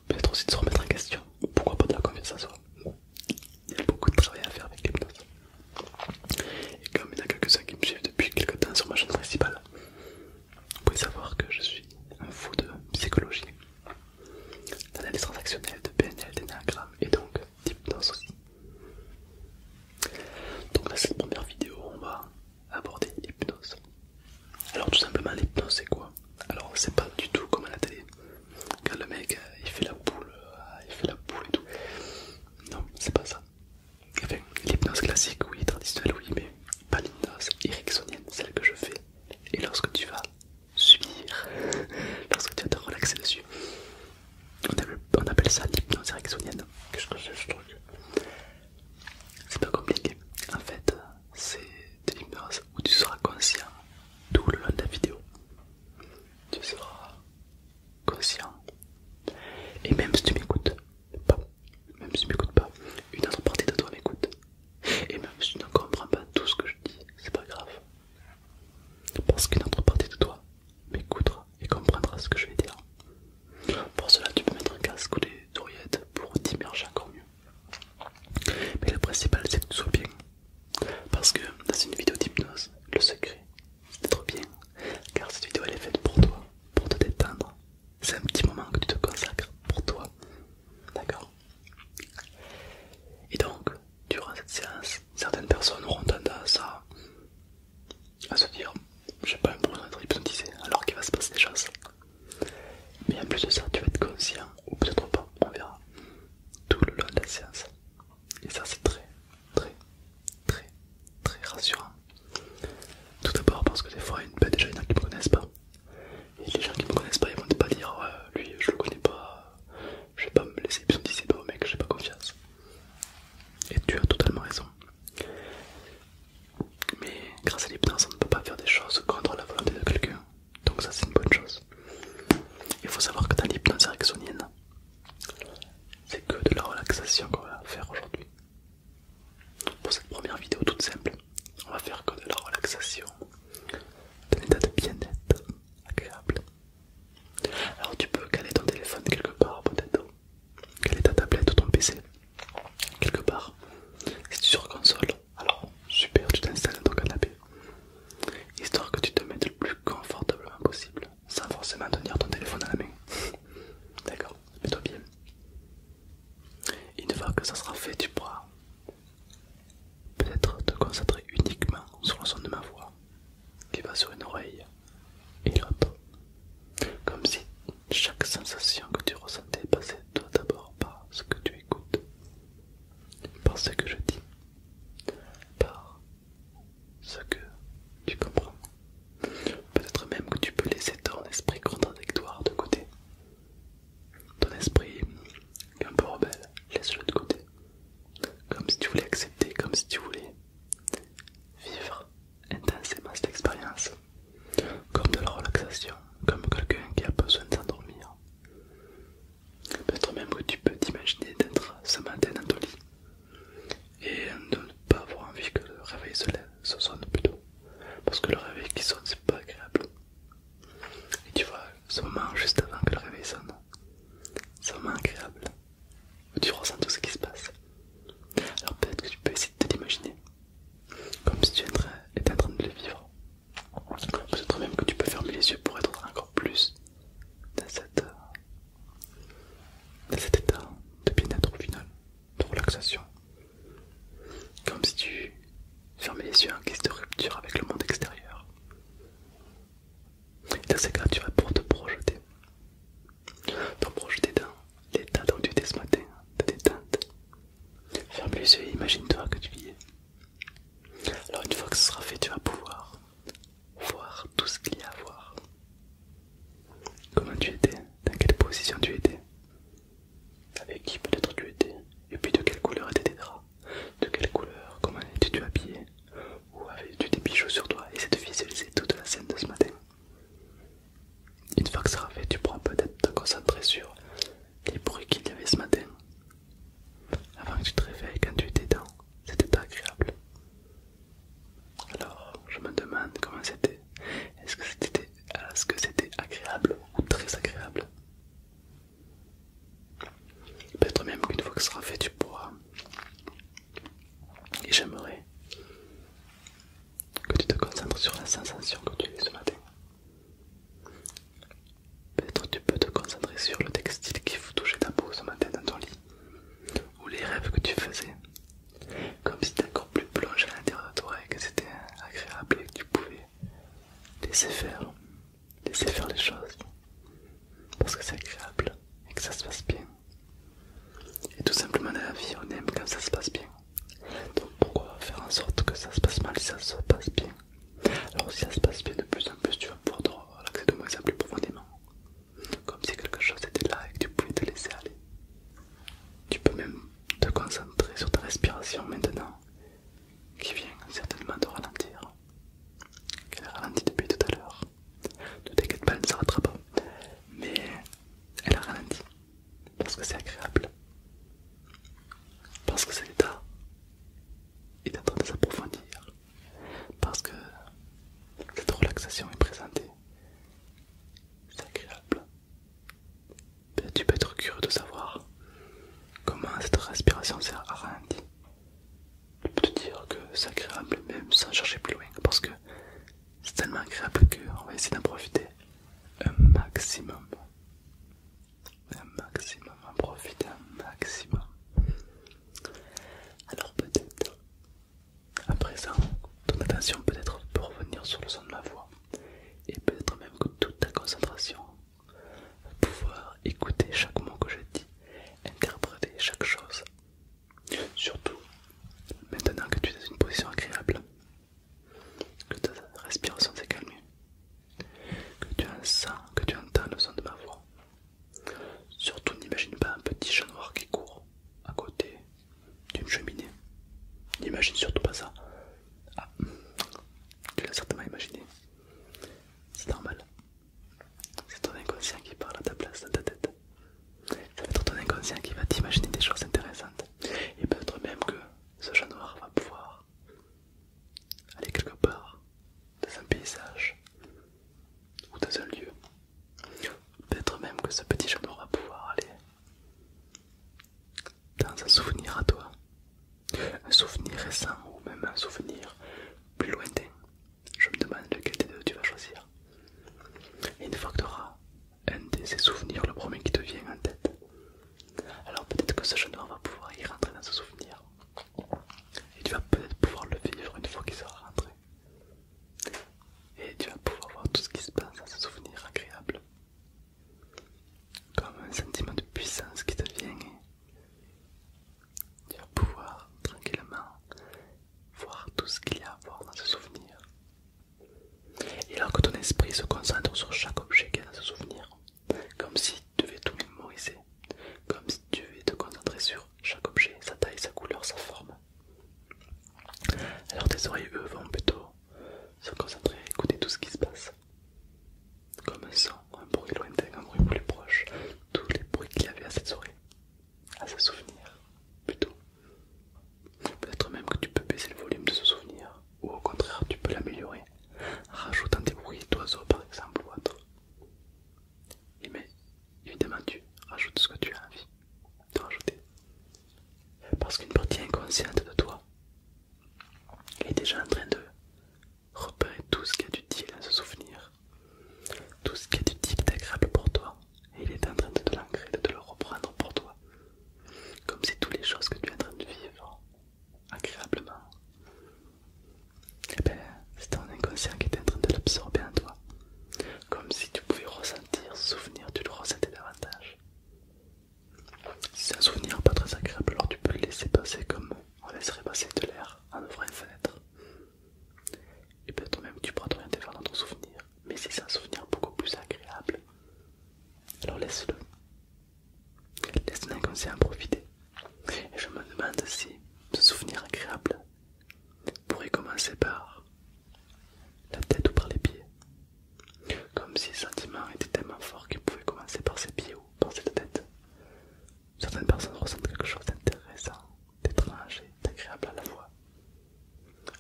peut-être aussi de se remettre en question, ou pourquoi pas de la confiance en soi il y a beaucoup de travail à faire avec l'hypnose Et comme il y en a quelques-uns qui me suivent depuis quelques temps sur ma chaîne principale, vous pouvez savoir que je suis un fou de psychologie, d'analyse transactionnelle, de PNL, d'énagramme et donc d'hypnose aussi. Donc dans cette première vidéo, on va aborder l'hypnose. Alors tout simplement l'hypnose c'est quoi Alors c'est pas du tout comme à la télé, quand le mec euh, il fait la boule, euh, il fait la boule et tout. Non, c'est pas ça. l'hypnose classique, oui, traditionnelle, oui, mais pas l'hypnose ericksonienne, celle que je fais. Et lorsque tu vas subir, [laughs] lorsque tu vas te relaxer dessus, on appelle ça l'hypnose ericksonienne. Qu'est-ce que c'est ce truc C'est pas compliqué. En fait, c'est de l'hypnose où tu seras conscient tout le long de la vidéo. Tu seras conscient. Et même si tu m'écoutes pas, même si tu m'écoutes pas, une autre partie de toi m'écoute. Et même si tu ne comprends pas tout ce que je dis, c'est pas grave. Parce qu'une autre partie de toi m'écoutera et comprendra ce que je vais dire. Pour cela, tu peux mettre un casque ou des oreillettes pour t'immerger encore mieux. Mais le principal, c'est que tu sois bien. Parce que dans une vidéo d'hypnose, le secret, c'est trop bien, car cette vidéo elle est faite pour toi, pour te détendre. C'est un petit moment que tu te consacres pour toi, d'accord Et donc, durant cette séance, certaines personnes auront tendance à, à se dire j'ai pas besoin d'être hypnotisé alors qu'il va se passer des choses. Mais en plus de ça, tu vas être conscient, ou peut-être pas, on verra, tout le long de la séance. Et ça, c'est très très très très rassurant. Tout d'abord parce que des fois, ben, il y a déjà des gens qui me connaissent pas. Et les gens qui me connaissent pas, ils vont pas dire lui je le connais pas, je vais pas me laisser hypnotiser au mec, j'ai pas confiance. Et tu as totalement raison. Mais grâce à l'hypnose, on ne peut pas faire des choses contre la volonté de quelqu'un. Donc ça c'est une bonne chose. Il faut savoir que dans l'hypnose ericksonienne, c'est que de la relaxation qu'on va faire aujourd'hui. Pour cette première vidéo toute simple, on va faire que de la relaxation, d'un état de bien-être agréable. Alors tu peux caler ton téléphone quelque part peut-être, caler ta tablette ou ton PC quelque part. Si tu es sur console, alors super, tu t'installes dans ton canapé, histoire que tu te mettes le plus confortablement possible sans forcément tenir ton téléphone à la main. [laughs] D'accord Mets-toi bien. Une fois que ça sera fait, tu pourras peut-être te concentrer uniquement sur le son de ma voix qui va sur une oreille et l'autre. Comme si chaque sensation que tu ressentais passait d'abord par ce que tu écoutes, par ce que je dis, par ce que tu comprends. Peut-être même que tu peux laisser ton esprit contradictoire de côté. Ton esprit un peu rebelle, laisse-le de côté. Comme si tu voulais accepter, comme si tu voulais vivre intensément cette expérience. Comme de la relaxation, comme quelqu'un qui a besoin de Peut-être même que tu peux t'imaginer d'être ce matin dans ton lit et de ne pas avoir envie que le réveil se se sonne plutôt. Parce que le réveil qui sonne, c'est pas agréable. Et tu vois, ce moment juste avant que le réveil sonne, c'est moment agréable. Tu ressens tout ce qui se passe. Alors peut-être que tu peux essayer de te l'imaginer, comme si tu étais en train de le vivre. Peut-être même que tu peux fermer les yeux pour être encore plus dans cette dans cet état de bien-être final, de relaxation, comme si tu fermais les yeux en guise de rupture avec le monde extérieur. Et dans ces cas, tu vas pour te projeter, te projeter dans l'état dont tu étais ce matin, de détente. Ferme les yeux et imagine-toi que tu y es. Alors, une fois que ce sera fait, tu vas pouvoir voir tout ce qu'il y a à voir. Comment tu étais, dans quelle position tu étais, avec qui peut-être tu étais, et puis de quelle couleur étaient tes draps, de quelle couleur, comment étais-tu habillé, ou avais-tu des bijoux sur toi, et de visualiser toute la scène de ce matin. Une fois que ça sera fait, tu pourras peut-être te concentrer sur les bruits qu'il y avait ce matin. Avant que tu te réveilles, quand tu étais dedans c'était agréable. Alors, je me demande comment c'était. Est-ce que c'était ce que c'était agréable ou très agréable Peut-être même qu'une fois que ce sera fait, tu pourras. Et j'aimerais que tu te concentres sur la sensation que tu as ce matin. Peut-être tu peux te concentrer sur le textile qui touchait ta peau ce matin dans ton lit ou les rêves que tu faisais, comme si encore plus plongé à l'intérieur de toi et que c'était agréable et que tu pouvais laisser faire, laisser faire les choses, parce que c'est agréable et que ça se passe bien. Et tout simplement dans la vie, on aime quand ça se passe bien. Donc pourquoi faire en sorte que ça se passe mal si ça se passe bien Alors si ça se passe bien de plus en plus, tu vas pouvoir te de moins en plus profondément comme si quelque chose était là et que tu pouvais te laisser aller. Tu peux même te concentrer sur ta respiration maintenant, qui vient certainement te ralentir. Qu'elle a ralenti depuis tout à l'heure. Ne t'inquiète pas, elle ne s'arrêtera pas. Mais elle a ralenti. Parce que c'est agréable. Parce que cet état est en train de s'approfondir. Parce que cette relaxation est présentée c'est agréable. Ben, tu peux être curieux de savoir comment cette respiration s'est arrondie. je peux te dire que c'est agréable, même sans chercher plus loin, parce que c'est tellement agréable on va essayer d'en profiter un maximum. Un maximum, en profiter un maximum. Alors peut-être à présent, ton attention peut-être peut revenir sur le son de ma voix et peut-être même que toute ta concentration pouvoir écouter chaque mot que je dis, interpréter chaque chose. Surtout, maintenant que tu es dans une position agréable, que ta respiration s'est calmée, que tu, sens, que tu entends le son de ma voix, Surtout n'imagine pas un petit chat noir qui court à côté d'une cheminée. N'imagine surtout pas ça. Ah, tu l'as certainement imaginé. C'est normal. C'est ton inconscient qui parle à ta place dans ta tête. Ça va être ton inconscient qui va t'imaginer des choses intéressantes. Et peut-être même que ce chat noir va pouvoir aller quelque part dans un paysage ou dans un lieu Peut-être même que ce petit genou va pouvoir aller dans un souvenir à toi. Un souvenir récent ou même un souvenir plus lointain. Je me demande lequel des deux tu vas choisir. Et une fois que tu auras un de ces souvenirs, le premier qui te vient en tête, alors peut-être que ce genou va pouvoir y rentrer dans ce souvenir. Et tu vas peut-être pouvoir le vivre une fois qu'il sera rentré. Et tu vas pouvoir voir tout ce qui se passe dans ce souvenir agréable. Comme un sentiment de puissance qui te vient tu vas pouvoir tranquillement voir tout ce qu'il y a à voir dans ce souvenir. Et alors que ton esprit se concentre sur chaque objet qu'il dans ce souvenir, comme si tu devais tout mémoriser, comme si tu devais te concentrer sur chaque objet, sa taille, sa couleur, sa forme, alors tes oreilles, eux, vont plutôt se concentrer à écouter tout ce qui se passe. Comme un son, un bruit lointain, un bruit plus proche, tous les bruits qu'il y avait à cette soirée, à ce souvenir, plutôt. Peut-être même que tu peux baisser le volume de ce souvenir, ou au contraire, tu peux l'améliorer, rajoutant des bruits d'oiseaux par exemple ou autre. mais évidemment, tu rajoutes ce que tu as envie de rajouter. Parce qu'une partie inconsciente de toi est déjà en train de repérer tout ce qui est utile à ce souvenir, tout ce qui est utile d'agréable pour toi, et il est en train de te de le reprendre pour toi. Comme c'est toutes les choses que tu es en train de vivre agréablement, eh ben, c'est ton inconscient qui est en train de l'absorber en toi. Comme si tu pouvais ressentir ce souvenir, tu le ressentais davantage. Si c'est un souvenir pas très agréable, alors tu peux le laisser passer comme on laisserait passer de l'air en ouvrant une fenêtre. Et peut-être même tu pourras t'orienter vers ton souvenir Mais si c'est un souvenir beaucoup plus agréable, alors laisse-le. Laisse l'inconscient profiter. Et je me demande si ce souvenir agréable vous y commencer par la tête ou par les pieds. Comme si le sentiment était tellement fort qu'il pouvait commencer par ses pieds ou par cette tête. Certaines personnes ressentent quelque chose d'intéressant, d'étrange et d'agréable à la fois.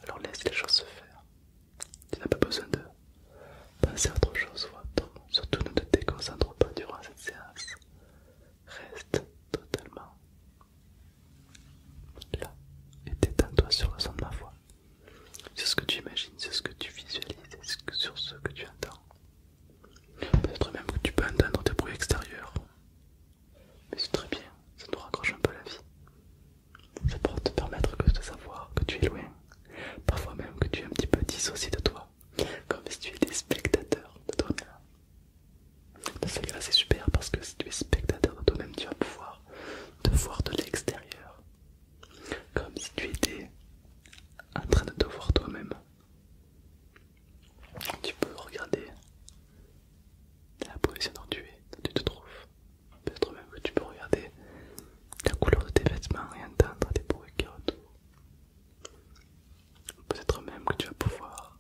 Alors laisse les choses se faire. Tu n'as pas besoin de penser à autre chose ou Surtout ne te déconcentre pas durant cette séance. Reste totalement Là, et tétends toi sur le son de ma voix. C'est ce que tu imagines, c'est ce que tu visualises, c'est sur ce que tu entends. Peut-être même que tu peux entendre des bruits extérieurs. Mais c'est très bien, ça nous raccroche un peu la vie. Ça pourra te permettre de savoir que tu es loin. Parfois même que tu es un petit peu dissocié de toi. Comme si tu étais spectateur de toi-même c'est super parce que si tu es spectateur de toi-même, tu vas pouvoir te voir de l'extérieur. Comme si tu étais en train de te voir toi-même. Tu peux regarder la position dont tu es, tu te trouves. Peut-être même que tu peux regarder la couleur de tes vêtements et entendre des bruits qui retournent. Peut-être même que tu vas pouvoir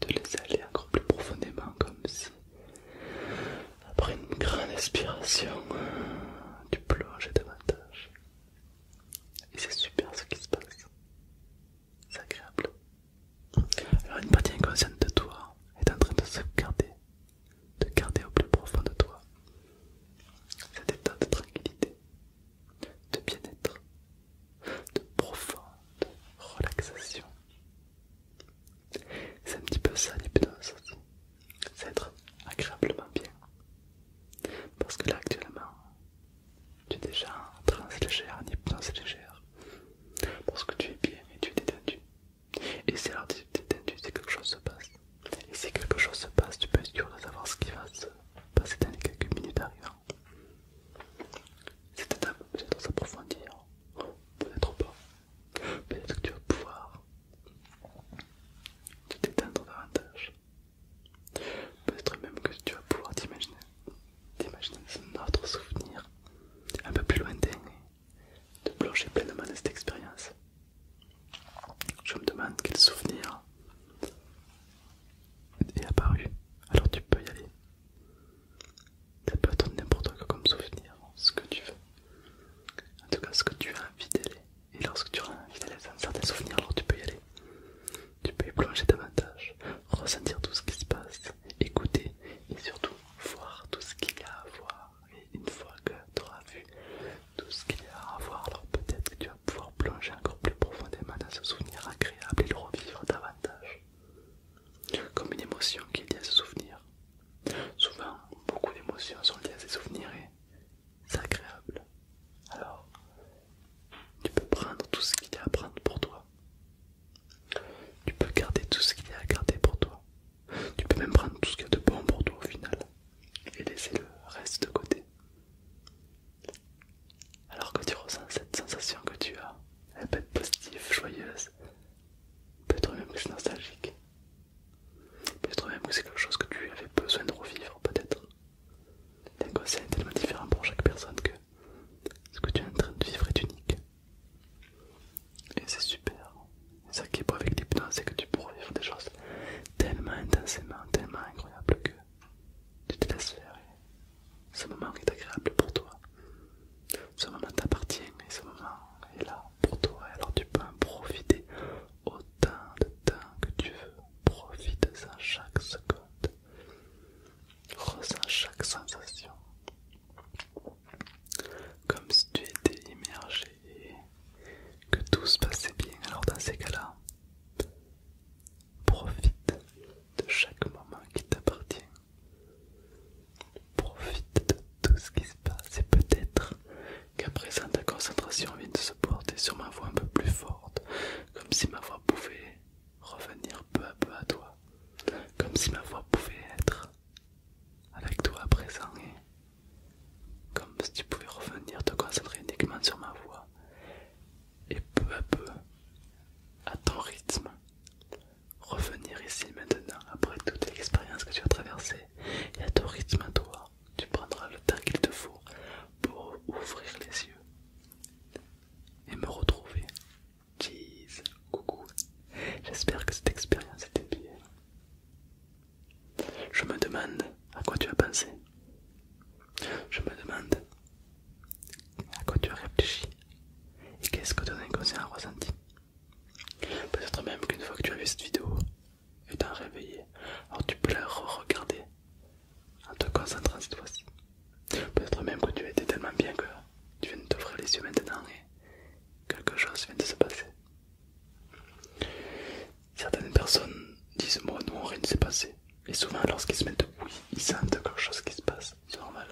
de les aller encore plus profondément, comme si, après une grande inspiration, tu euh, plonges davantage. Et c'est super ce qui se passe. C'est agréable. Alors une partie inconsciente de toi est en train de se garder, de garder au plus profond de toi cet état de tranquillité, de bien-être, de profonde relaxation. C'est un petit peu ça l'hypnose C'est être agréablement bien. Parce que là actuellement, tu es déjà en transe légère, en hypnose légère. Parce que tu es bien et tu es détendu. Et si alors tu es détendu, c'est quelque chose se passe. Et si quelque chose se passe, tu peux être sûr de savoir ce qui va se passer dans les quelques minutes arrivant. C'est peut c'est de s'approfondir Peut-être pas. Peut-être que tu vas pouvoir te détendre davantage. Peut-être même que tu vas pouvoir t'imaginer. un autre souvenir un peu plus lointain et te plonger pleinement dans cette expérience. Je me demande quel souvenir est apparu. Alors tu peux y aller ça peut être n'importe quoi comme souvenir, ce que tu veux. En tout cas, ce que tu as envie d'aller. Et lorsque tu as envie d'aller dans certains souvenirs, alors tu peux y aller. Tu peux y plonger davantage, ressentir tout ce qui se passe, écouter et surtout voir tout ce qu'il y a à voir. Et une fois que tu auras vu tout ce qu'il y a à voir, alors peut-être que tu vas pouvoir plonger encore plus profondément dans ce souvenir agréable et le revivre davantage comme une émotion qui est liée à ce souvenir. Souvent, beaucoup d'émotions sont liées à ces souvenirs et c'est agréable. Alors, tu peux prendre tout ce qu'il y a à prendre pour toi. Tu peux garder tout ce qu'il y a à garder pour toi. Tu peux même prendre tout ce qui y de bon pour toi au final et laisser le reste de côté. Alors que tu ressens cette sensation que tu as, elle peut être positive, joyeuse, Peut-être même que c'est nostalgique. Peut-être même que c'est quelque chose que tu avais besoin de revivre, peut-être. un est tellement différent pour chaque personne que ce que tu es en train de vivre est unique. Et c'est super. Et ça qui est beau avec l'hypnose, c'est que tu pourras vivre des choses tellement intensément, tellement incroyables que tu te laisses faire. Et ce moment est agréable pour toi. Ce moment t'appartient et ce moment est là pour toi. Alors tu peux en profiter autant de temps que tu veux. Profite-en chaque seconde. Ressens chaque sensation. Comme si tu étais immergé et que tout se passait bien. Alors dans ces cas-là, profite de chaque moment qui t'appartient. Profite de tout ce qui se passe et peut-être qu'à présent ta concentration vient de se porter sur ma voix un peu plus forte, comme si ma voix pouvait revenir peu à peu à toi, comme si ma voix pouvait être avec toi à présent et comme si tu pouvais revenir te concentrer uniquement sur ma voix et peu à peu à ton rythme revenir ici maintenant après toute l'expérience que tu as traversée et à ton rythme à toi, tu prendras le temps qu'il te faut pour ouvrir les yeux et me retrouver. Cheese, coucou. J'espère que cette expérience était bien. Je me demande à quoi tu as pensé. Je me demande à quoi tu as réfléchi et qu'est-ce que ton inconscient a ressenti. Peut-être même qu'une fois que tu as vu cette vidéo et t'as réveillé, alors tu peux la re-regarder en te concentrant cette fois-ci. Peut-être même que tu as été tellement bien que tu viens de t'ouvrir les yeux maintenant et quelque chose vient de se passer. Certaines personnes disent moi non rien ne s'est passé et souvent lorsqu'ils se mettent oui ils sentent quelque chose qui se passe, c'est normal.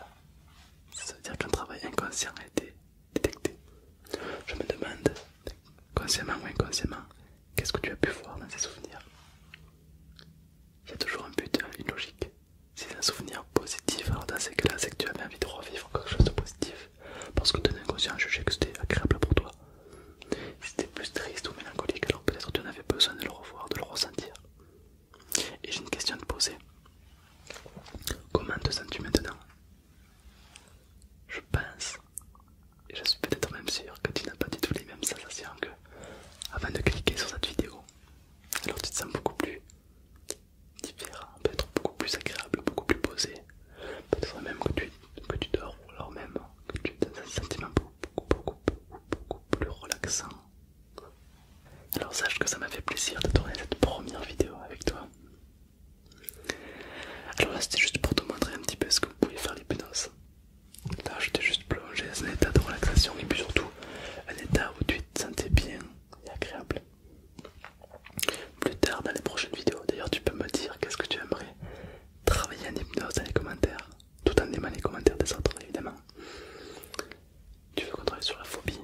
Ça veut dire qu'un travail inconscient a été je me demande, consciemment ou inconsciemment, qu'est-ce que tu as pu voir dans ces souvenirs. Il y a toujours un but, hein, une logique. C'est un souvenir positif, alors dans ces cas-là, c'est que tu avais envie de revivre quelque chose de positif. Parce que ton inconscient jugeait que c'était agréable pour toi. Si c'était plus triste ou mélancolique, alors peut-être tu en avais besoin de le revoir, de le ressentir. Et j'ai une question à te poser. Comment te sens-tu maintenant Je pense, et je suis peut-être même sûr que tu n'as pas du tout les mêmes sensations que avant de cliquer sur cette vidéo. Alors tu te sens beaucoup plus différent, peut-être beaucoup plus agréable, beaucoup plus posé. Peut-être même que tu, dors ou alors même que tu dans un sentiment beaucoup, beaucoup plus relaxant. Alors sache que ça m'a fait plaisir de tourner cette première vidéo avec toi. Alors là c'était juste pour te montrer un petit peu ce que vous pouvez faire l'hypnose. Là je t'ai juste plongé dans un état de relaxation et puis surtout un état où tu te sentais bien et agréable. Plus tard dans les prochaines vidéos, d'ailleurs tu peux me dire qu'est-ce que tu aimerais travailler en hypnose dans les commentaires, tout en aimant les commentaires des autres évidemment. Tu veux qu'on travaille sur la phobie,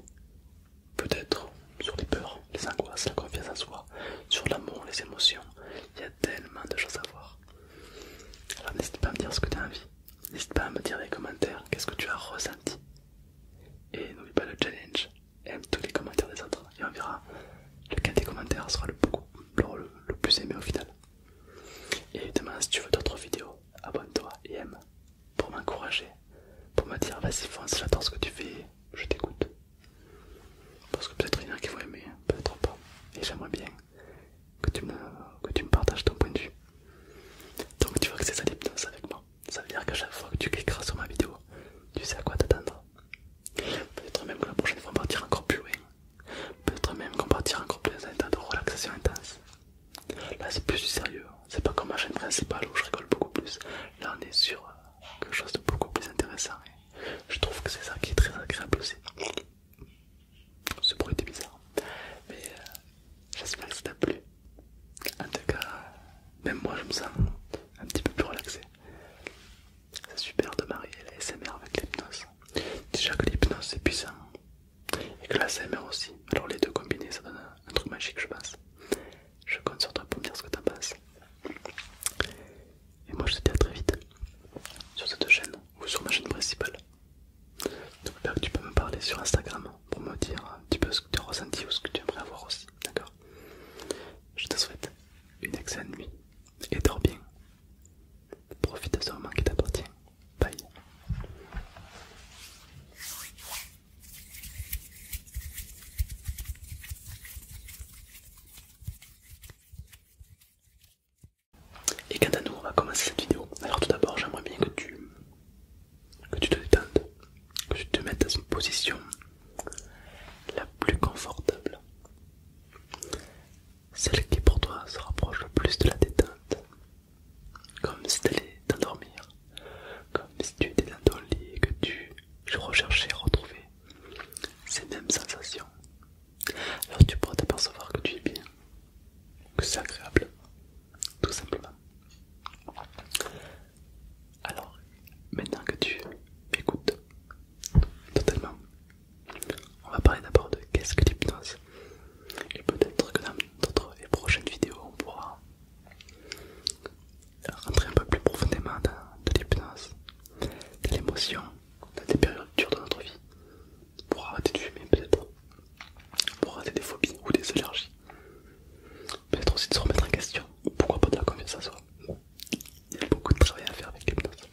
peut-être sur les peurs, les angoisses, la confiance en soi, sur l'amour, les émotions. Il y a tellement de choses à voir. Alors n'hésite pas à me dire ce que tu as envie. N'hésite pas à me dire dans les commentaires qu'est-ce que tu as ressenti. Et n'oublie pas le challenge. Aime tous les commentaires des autres. Et on verra lequel des commentaires sera le, le plus aimé au final. Et évidemment, si tu veux d'autres vidéos, abonne-toi et aime pour m'encourager, pour me dire vas-y fonce, j'adore ce que tu fais, je t'écoute. Parce que peut-être il y en a qui vont aimer, hein, peut-être pas. Et j'aimerais bien que tu, me, tu me partages ton point de vue. Donc tu vois que c'est ça l'hypnose avec moi. Ça veut dire que chaque fois que tu cliqueras sur ma vidéo, tu sais à quoi t'attendre. Peut-être même que la prochaine fois on partira encore plus loin. Peut-être même qu'on partira encore plus dans un état de relaxation intense. Là c'est plus du sérieux, hein c'est pas comme ma chaîne principale où je rigole beaucoup plus. Là, on est sur euh, quelque chose de beaucoup plus intéressant. je trouve que c'est ça qui est très agréable aussi. Ce bruit était bizarre, mais euh, j'espère que ça t'a plu. En tout cas, même moi, je me sens un petit peu plus relaxé. C'est super de marier la SMR avec l'hypnose. Déjà que l'hypnose c'est puissant et que la aussi. Alors les deux combinés, ça donne un truc magique, je pense. Je compte sur toi pour me dire ce que t'en penses. Et moi je te dis à très vite sur cette chaîne ou sur ma chaîne principale. donc tu peux me parler sur Instagram pour me dire un petit peu ce que tu as ressenti ou ce que tu aimerais avoir aussi. D'accord Je te souhaite une excellente nuit et dors bien. Profite de ce moment qui t'appartient. Bye. Et quant à nous, on va commencer cette vidéo. Alors tout d'abord, j'aimerais bien que tu, que tu te détendes, que tu te mettes dans une position la plus confortable. Celle qui pour toi se rapproche le plus de la détente. Comme si tu allais t'endormir, comme si tu étais dans ton lit et que tu je recherchais et retrouver ces mêmes sensations. Alors tu pourras t'apercevoir que tu es bien, que c'est agréable, tout simplement. Alors, maintenant que tu écoutes totalement, on va parler d'abord de qu'est-ce que penses Et peut-être que dans d'autres et prochaines vidéos, on pourra rentrer un peu plus profondément dans, l'hypnose, de l'émotion, dans des périodes dures de notre vie, pour arrêter de fumer peut-être, pour arrêter des phobies ou des allergies, peut-être aussi de se remettre en question, ou pourquoi pas de la confiance en soi. Il y a beaucoup de travail à faire avec l'hypnose.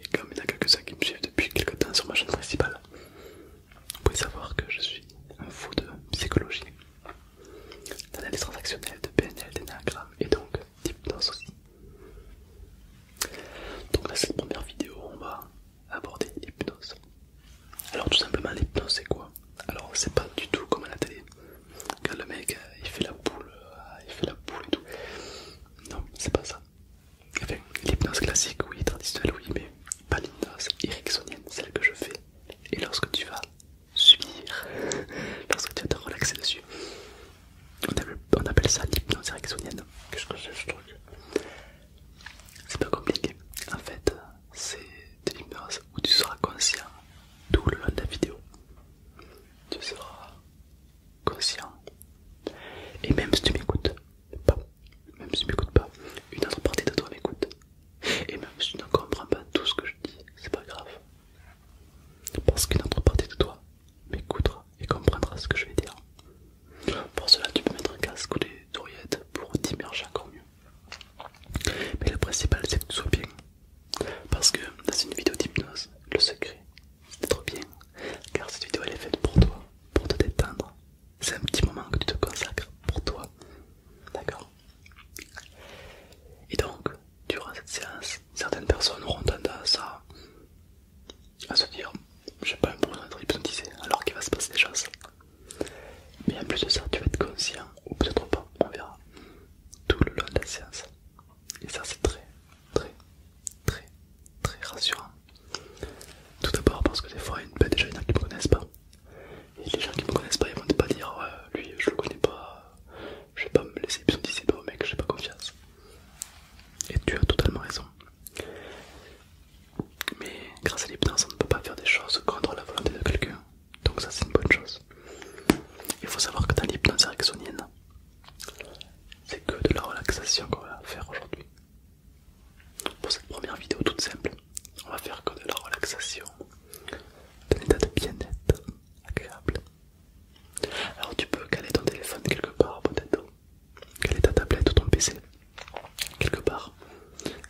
Et comme il y en a quelques-uns qui me suivent depuis quelques temps sur ma chaîne principale, vous pouvez savoir que je suis un fou de psychologie d'analyse transactionnelle, de PNL, d'énagramme et donc d'hypnose aussi. Donc dans cette première vidéo, on va aborder l'hypnose. Alors tout simplement l'hypnose c'est quoi Alors c'est pas du tout comme à la télé, quand le mec euh, il fait la boule, euh, il fait la boule et tout. Non, c'est pas ça. l'hypnose classique, oui, traditionnelle, oui, mais pas l'hypnose ericksonienne, celle que je fais. Et lorsque tu vas subir parce [laughs] que tu vas te relaxer dessus. On appelle, ça l'hypnose Qu'est-ce que c'est ce truc C'est pas compliqué. En fait, c'est de l'hypnose où tu seras conscient tout le long de la vidéo. Tu seras conscient. Et même si tu m'écoutes pas, même si tu m'écoutes pas, une autre partie de toi m'écoute. Et même si tu ne comprends pas tout ce que je dis, c'est pas grave. Parce qu'une autre partie de toi m'écoutera et comprendra ce que je vais dire. Pour cela, tu peux mettre un casque ou des oreillettes pour t'immerger encore mieux. Mais le principal, c'est que tu sois bien. Parce que dans une vidéo d'hypnose, le secret, c'est d'être bien. Car cette vidéo, elle est faite pour toi, pour te détendre. C'est un petit moment que tu te consacres pour toi. D'accord et donc, durant cette séance, certaines personnes auront tendance à, se dire j'ai pas besoin d'être hypnotisé alors qu'il va se passer des choses. Mais en plus de ça, tu vas être conscient, ou peut-être pas, on verra, tout le long de la séance. Et ça, c'est très, très, très, très rassurant. Tout d'abord parce que des fois, il y a déjà, y qui ne connaissent pas. Et les gens qui me connaissent pas, ils vont pas dire ouais, lui je le connais pas, je vais pas me laisser hypnotiser par mec, j'ai pas confiance. Et tu as totalement raison. Mais grâce à l'hypnose, on ne peut pas faire des choses contre la volonté de quelqu'un, donc ça c'est une bonne chose. Il faut savoir que dans l'hypnose ericksonienne, c'est que de la relaxation qu'on va faire aujourd'hui. Pour cette première vidéo toute simple, on va faire que de la relaxation, d'un état de bien-être agréable. Alors tu peux caler ton téléphone quelque part peut-être, caler ta tablette ou ton PC quelque part.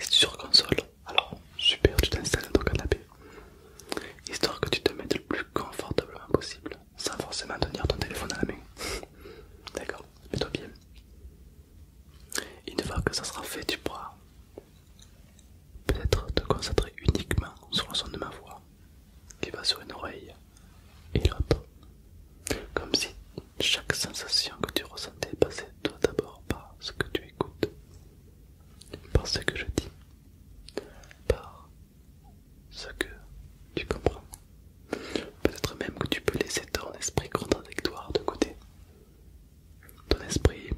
Si tu sur console, alors super, tu t'installes dans ton canapé, histoire que tu te mettes le plus confortablement possible, sans forcément tenir ton téléphone à la main. [laughs] D'accord, mets-toi bien. Une fois que ça sera fait, tu pourras Peut-être te concentrer uniquement sur le son de ma voix qui va sur une oreille et l'autre. Comme si chaque sensation que tu ressentais passait toi d'abord par ce que tu écoutes, par ce que je dis, par ce que tu comprends. Peut-être même que tu peux laisser ton esprit contradictoire de côté ton esprit,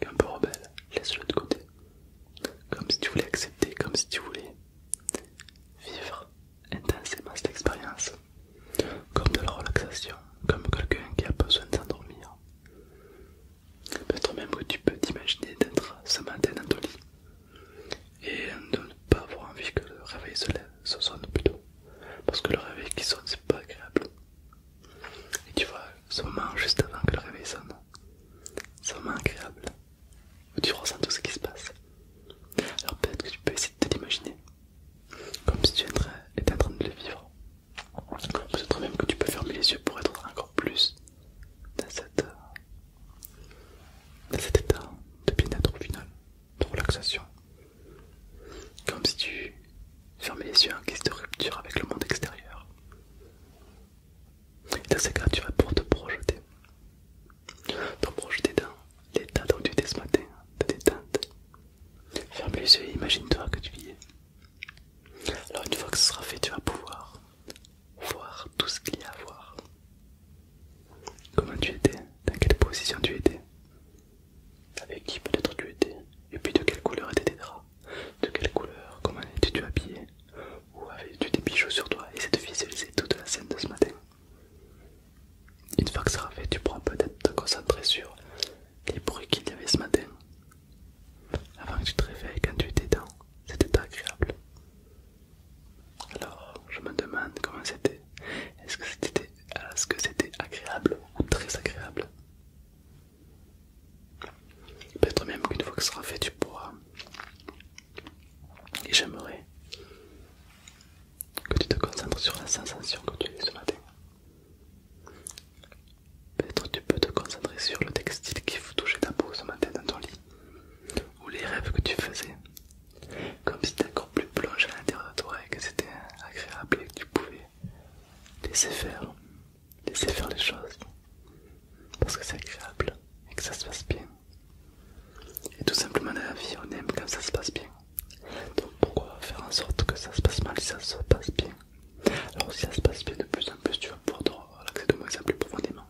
est un peu rebelle, laisse-le de côté. Comme si tu voulais accepter, comme si tu voulais vivre intensément cette expérience. Comme de la relaxation, comme quelqu'un qui a besoin de s'endormir. Peut-être même que tu peux t'imaginer d'être ce matin dans ton lit et de ne pas avoir envie que le réveil se sonne plutôt. Parce que le réveil qui sonne, c'est pas agréable. Et tu vois, ce moment juste avant que le réveil sonne, ce moment agréable où tu ressens tout ce qui se passe. Alors peut-être que tu peux essayer de te comme si tu étais en train de le vivre. Peut-être même que tu peux fermer les yeux pour être encore plus dans, euh, dans cet état de bien-être au final, de relaxation. Comme si tu Fermez les yeux en guise de rupture avec le monde extérieur. Et dans ces cas, tu vas pour te projeter. Te projeter dans l'état dont tu étais ce matin, de détente. Ferme les yeux imagine-toi que tu y es. Alors, une fois que ce sera fait, tu vas pouvoir voir tout ce qu'il y a à voir. Comment tu étais, dans quelle position tu étais, avec qui peut-être tu étais, et puis de quelle couleur étaient tes draps. De quelle couleur, comment étais-tu habillé Ou avais-tu des bijoux sur toi essaye de visualiser toute la scène de ce matin. Une fois que ça sera fait, tu pourras peut-être te concentrer sur les bruits qu'il y avait ce matin. Avant que tu te réveilles, quand tu étais dedans. c'était agréable. Alors, je me demande comment c'était. Est-ce que c'était est agréable ou très agréable Peut-être même qu'une fois que ce sera fait, tu pourras. Et j'aimerais que tu te concentres sur la sensation que tu as ce matin. Peut-être tu peux te concentrer sur le textile qui touchait ta peau ce matin dans ton lit, ou les rêves que tu faisais, comme si ta encore plus plongé à l'intérieur de toi et que c'était agréable et que tu pouvais laisser faire laisser faire les choses parce que c'est agréable et que ça se passe bien. Et tout simplement dans la vie, on aime quand ça se passe bien. Donc pourquoi faire en sorte que ça se passe mal si ça se passe bien Alors si ça se passe bien de plus en plus, tu vas pouvoir te relaxer de moins en plus profondément.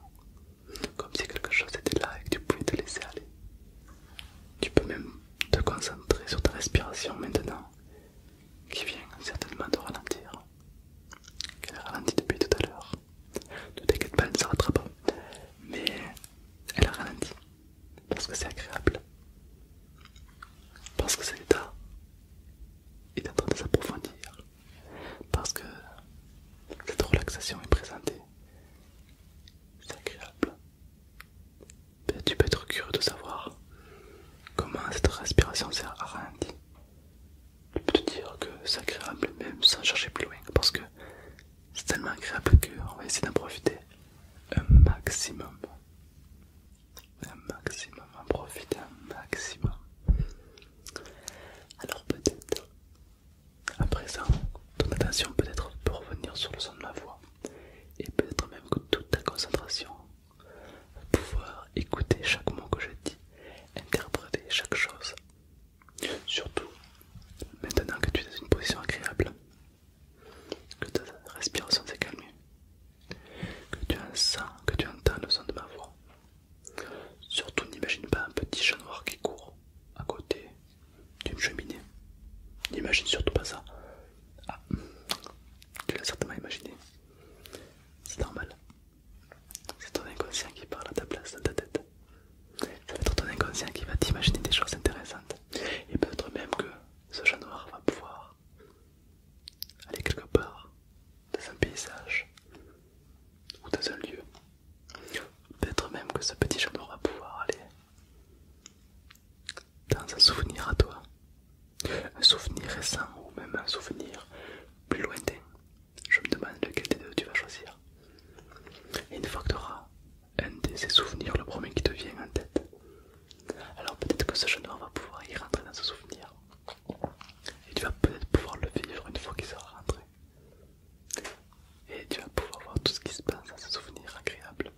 Comme si quelque chose était là et que tu pouvais te laisser aller. Tu peux même te concentrer sur ta respiration maintenant, qui vient certainement te ralentir qu'elle a ralenti depuis tout à l'heure. Ne t'inquiète pas, elle ne s'arrêtera pas. Mais elle a ralenti parce que c'est agréable. Parce que cet état est en train de s'approfondir. Parce que cette relaxation est présentée. C'est agréable. tu peux être curieux de savoir comment cette respiration s'est ralenti je peux te dire que c'est agréable même sans chercher plus loin parce que c'est tellement agréable qu'on va essayer d'en profiter un maximum. Un maximum, en profiter un maximum. Alors peut-être, à présent, ton attention peut-être peut revenir sur le son de ma voix et peut-être même que toute ta concentration pouvoir écouter chaque mot que je dis, interpréter chaque chose. Surtout, maintenant que tu es dans une position agréable, que ta respiration s'est calmée, que tu, sens, que tu entends le son de ma voix. Surtout, n'imagine pas un petit chat noir qui court à côté d'une cheminée. N'imagine surtout pas ça. Ah, tu l'as certainement imaginé. C'est normal. C'est ton inconscient qui parle à ta place dans ta tête. C'est ton inconscient qui va t'imaginer des choses intéressantes. Et peut-être même que ce chat noir va pouvoir aller quelque part dans un paysage ou dans un lieu. Peut-être même que ce petit chat noir va pouvoir aller dans un souvenir à toi un souvenir récent ou même un souvenir plus lointain. Je me demande lequel des deux tu vas choisir. Et une fois que tu auras un de ces souvenirs, le premier qui te vient en tête, alors peut-être que ce jeune homme va pouvoir y rentrer dans ce souvenir. Et tu vas peut-être pouvoir le vivre une fois qu'il sera rentré. Et tu vas pouvoir voir tout ce qui se passe dans ce souvenir agréable.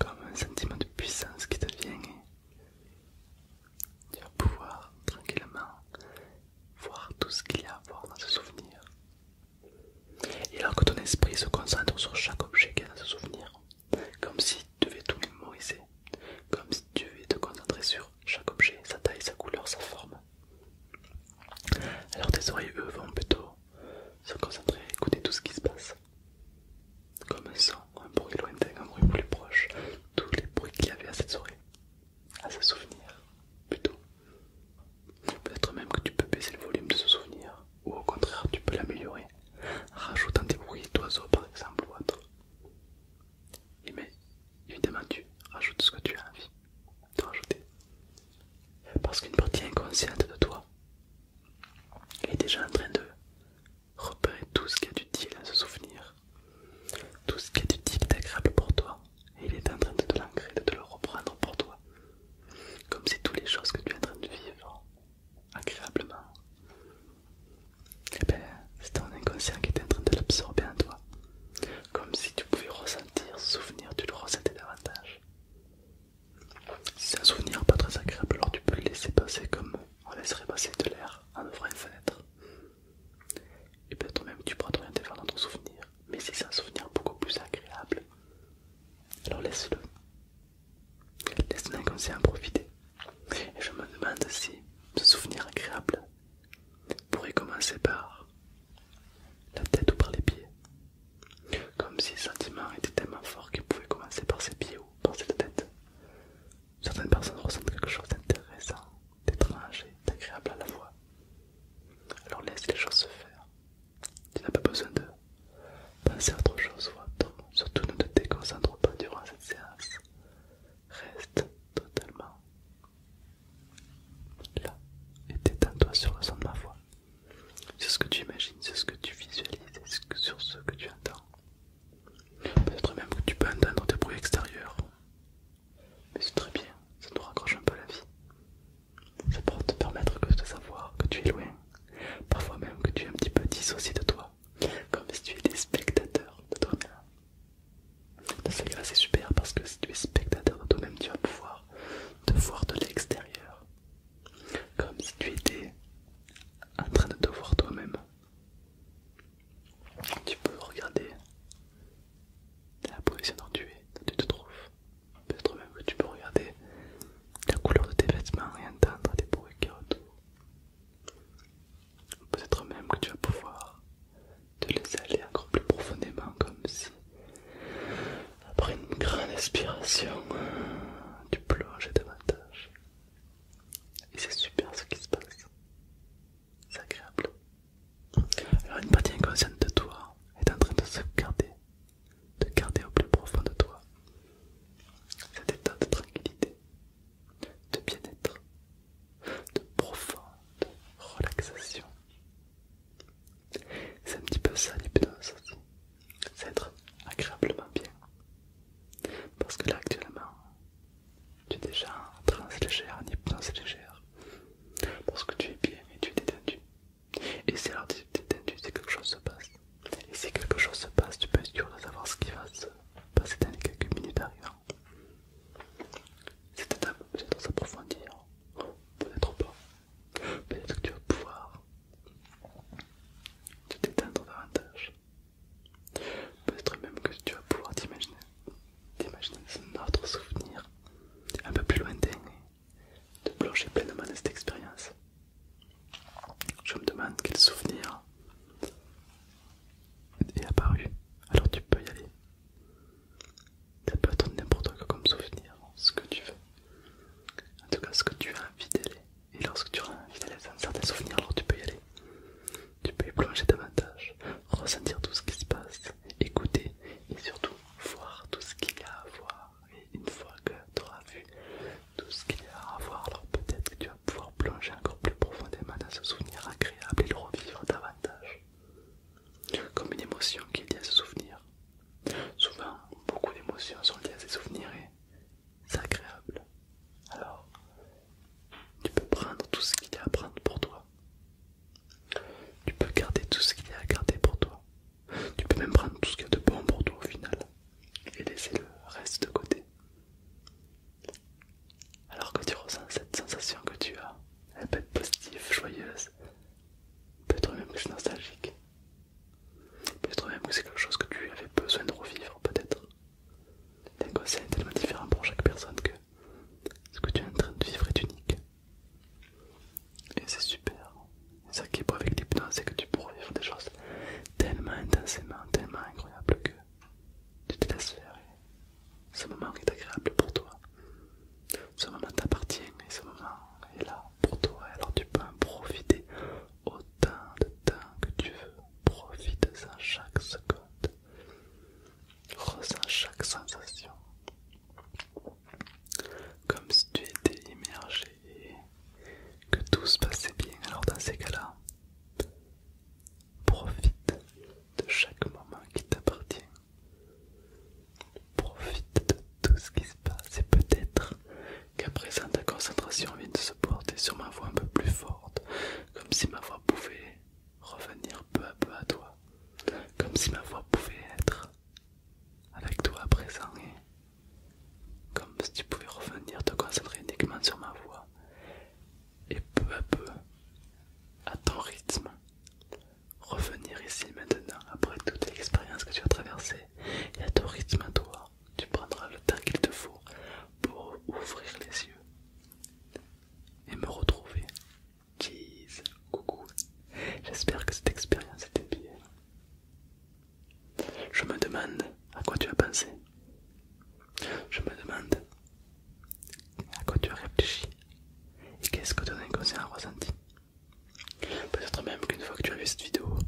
Comme un sentiment de puissance qui te vient tu vas pouvoir tranquillement voir tout ce qu'il y a à voir dans ce souvenir. Et alors que ton esprit se concentre sur chaque objet qu'il y a dans ce souvenir, comme si tu devais tout mémoriser, comme si tu devais te concentrer sur chaque objet, sa taille, sa couleur, sa forme. Alors tes oreilles, eux, vont plutôt se concentrer, écouter tout ce qui se passe comme un son, un bruit lointain, un bruit plus proche, tous les bruits qu'il y avait à cette soirée, à ce souvenir, plutôt. Peut-être même que tu peux baisser le volume de ce souvenir, ou au contraire tu peux l'améliorer, rajoutant des bruits d'oiseaux par exemple ou autre. Et mais évidemment tu rajoutes ce que tu as envie de rajouter. Parce qu'une partie inconsciente de toi est déjà en train de repérer tout ce qui est utile à ce souvenir, tout ce qui est utile et agréable pour toi, et il est en train de te l'ancrer, de te le reprendre pour toi, comme si toutes les choses que tu es en train de vivre agréablement, eh ben, c'est ton inconscient qui est en train de l'absorber en toi, comme si tu pouvais ressentir, ce souvenir, tu le ressentais davantage. c'est un souvenir pas très agréable, alors tu peux le laisser passer comme on laisserait passer de l'air en ouvrant une fenêtre. Et peut-être même tu pourras t'orienter vers ton souvenir, mais si c'est un souvenir beaucoup plus agréable. Alors laisse-le. Laisse en profiter. Et je me demande si ce souvenir agréable pourrait commencer par la tête ou par les pieds. Comme si le sentiment était tellement fort qu'il pouvait commencer par ses pieds ou par cette tête certaines personnes ressentent quelque chose d'intéressant, d'étrange et d'agréable à la voix Alors laisse les choses se faire. Tu n'as pas besoin de penser à autre chose ou Surtout ne te déconcentre pas durant cette séance. Reste totalement là et détends-toi sur le son de ma voix. Sur ce que tu imagines, sur ce que tu visualises, sur ce que tu entends. Peut-être même que tu peux entendre des bruits extérieurs. Mais c'est très bien, ça nous raccroche un peu la vie. Ça peut te permettre de savoir que tu es loin, parfois même que tu es un petit peu dissocié de toi, comme si tu étais spectateur de toi-même. c'est super parce que si tu es spectateur de toi-même, tu vas pouvoir te voir de l'extérieur, comme si tu étais en train de te voir toi-même. Tu peux regarder la position dont tu es, tu te trouves. Peut-être même que tu peux regarder la couleur de tes vêtements et entendre des bruits qui autour. Peut-être même que tu vas pouvoir te laisser aller encore plus profondément, comme si, après une grande inspiration, tu plonges davantage et c'est super ce qui se passe. C'est agréable. Alors une partie inconsciente de toi est en train de se garder, de garder au plus profond de toi cet état de tranquillité, de bien-être, de profonde relaxation. C'est un petit peu ça l'hypnose aussi, c'est être agréablement bien parce que là actuellement, tu es déjà en transe légère, en hypnose légère. Parce que tu es bien et tu es détendu. Et si alors tu es détendu, c'est quelque chose se passe. Et si quelque chose se passe, tu peux être sûr de savoir ce qui va se passer dans les quelques minutes arrivant. Cette étape peut-être s'approfondir, peut-être pas. Peut-être que tu vas pouvoir te détendre davantage. Peut-être même que tu vas pouvoir t'imaginer un autre souvenir un peu plus lointain et de plonger pleinement dans cette expérience. Je me demande quel souvenir est apparu, alors tu peux y aller. Ça peut être n'importe quoi comme souvenir, ce que tu veux. En tout cas, ce que tu as envie d'aller. Et lorsque tu as envie d'aller dans certains souvenirs, alors tu peux y aller tu peux y plonger davantage, ressentir tout ce qui se passe, écouter et surtout voir tout ce qu'il y a à voir. Et une fois que tu auras vu tout ce qu'il y a à voir, alors peut-être que tu vas pouvoir plonger encore plus profondément dans ce souvenir agréable et le revivre davantage. Comme une émotion qui est liée à ce souvenir. Souvent, beaucoup d'émotions sont liées à ces souvenirs et c'est agréable. Alors, tu peux prendre tout ce qu'il y a à prendre pour toi. Tu peux garder tout ce qu'il y a à garder pour toi. Tu peux même prendre tout ce qui est a de bon pour toi au final et laisser le reste de côté. Alors que tu ressens cette sensation que tu as, elle peut être positive, joyeuse, peut-être même que c'est nostalgique, peut-être même que c'est quelque chose que tu avais besoin de revivre peut-être conseil est tellement différent pour chaque personne que ce que tu es en train de vivre est unique. Et c'est super. C'est ça qui est beau avec l'hypnose, c'est que tu pourras vivre des choses tellement intensément, tellement incroyables que tu te laisses faire. ce moment est agréable pour toi. Ce moment t'appartient et ce moment est là pour toi. Alors tu peux en profiter autant de temps que tu veux. Profite-en chaque seconde. Ressens chaque sensation comme si tu étais immergé et que tout se passait bien. Alors dans ces cas-là, profite de chaque moment qui t'appartient. Profite de tout ce qui se passe et peut-être qu'à présent ta concentration vient de se porter sur ma voix un peu plus forte, comme si ma voix pouvait revenir peu à peu à toi, comme si ma voix pouvait être avec toi à présent comme si tu pouvais revenir te concentrer uniquement sur ma voix et peu à peu à ton rythme revenir ici maintenant après toute l'expérience que tu as traversée et à ton rythme à toi tu prendras le temps qu'il te faut pour ouvrir les yeux et me retrouver. Jeez, coucou. J'espère que cette expérience était bien. Je me demande à quoi tu as pensé. Je me demande à quoi tu as réfléchi et qu'est-ce que ton inconscient a ressenti. Peut-être même qu'une fois que tu as vu cette vidéo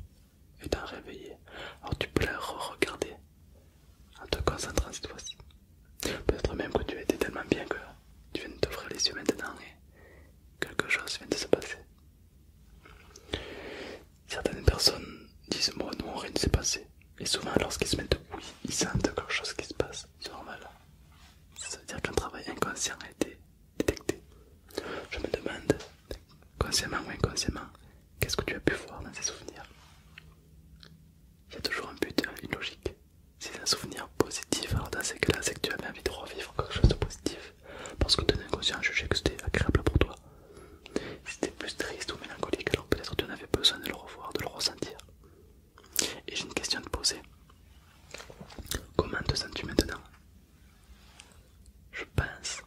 et t'en réveillé, alors tu peux la re-regarder en te concentrant cette fois-ci. Peut-être même que tu as été tellement bien que tu viens de t'ouvrir les yeux maintenant et quelque chose vient de se passer. Certaines personnes disent moi non rien ne s'est passé. Et souvent lorsqu'ils se mettent oui, ils sentent quelque chose qui se passe. C'est normal. Ça veut dire qu'un travail inconscient a été détecté. Je me demande, consciemment ou inconsciemment, qu'est-ce que tu as pu voir dans ces souvenirs il y a toujours un but, une hein, logique. Si c'est un souvenir positif, alors dans ces cas-là, c'est que tu avais envie de revivre quelque chose de positif parce que ton inconscient jugeait que c'était agréable pour toi. Si c'était plus triste ou mélancolique, alors peut-être tu en avais besoin de le revoir, de le ressentir. Et j'ai une question à te poser. Comment te sens-tu maintenant Je pense,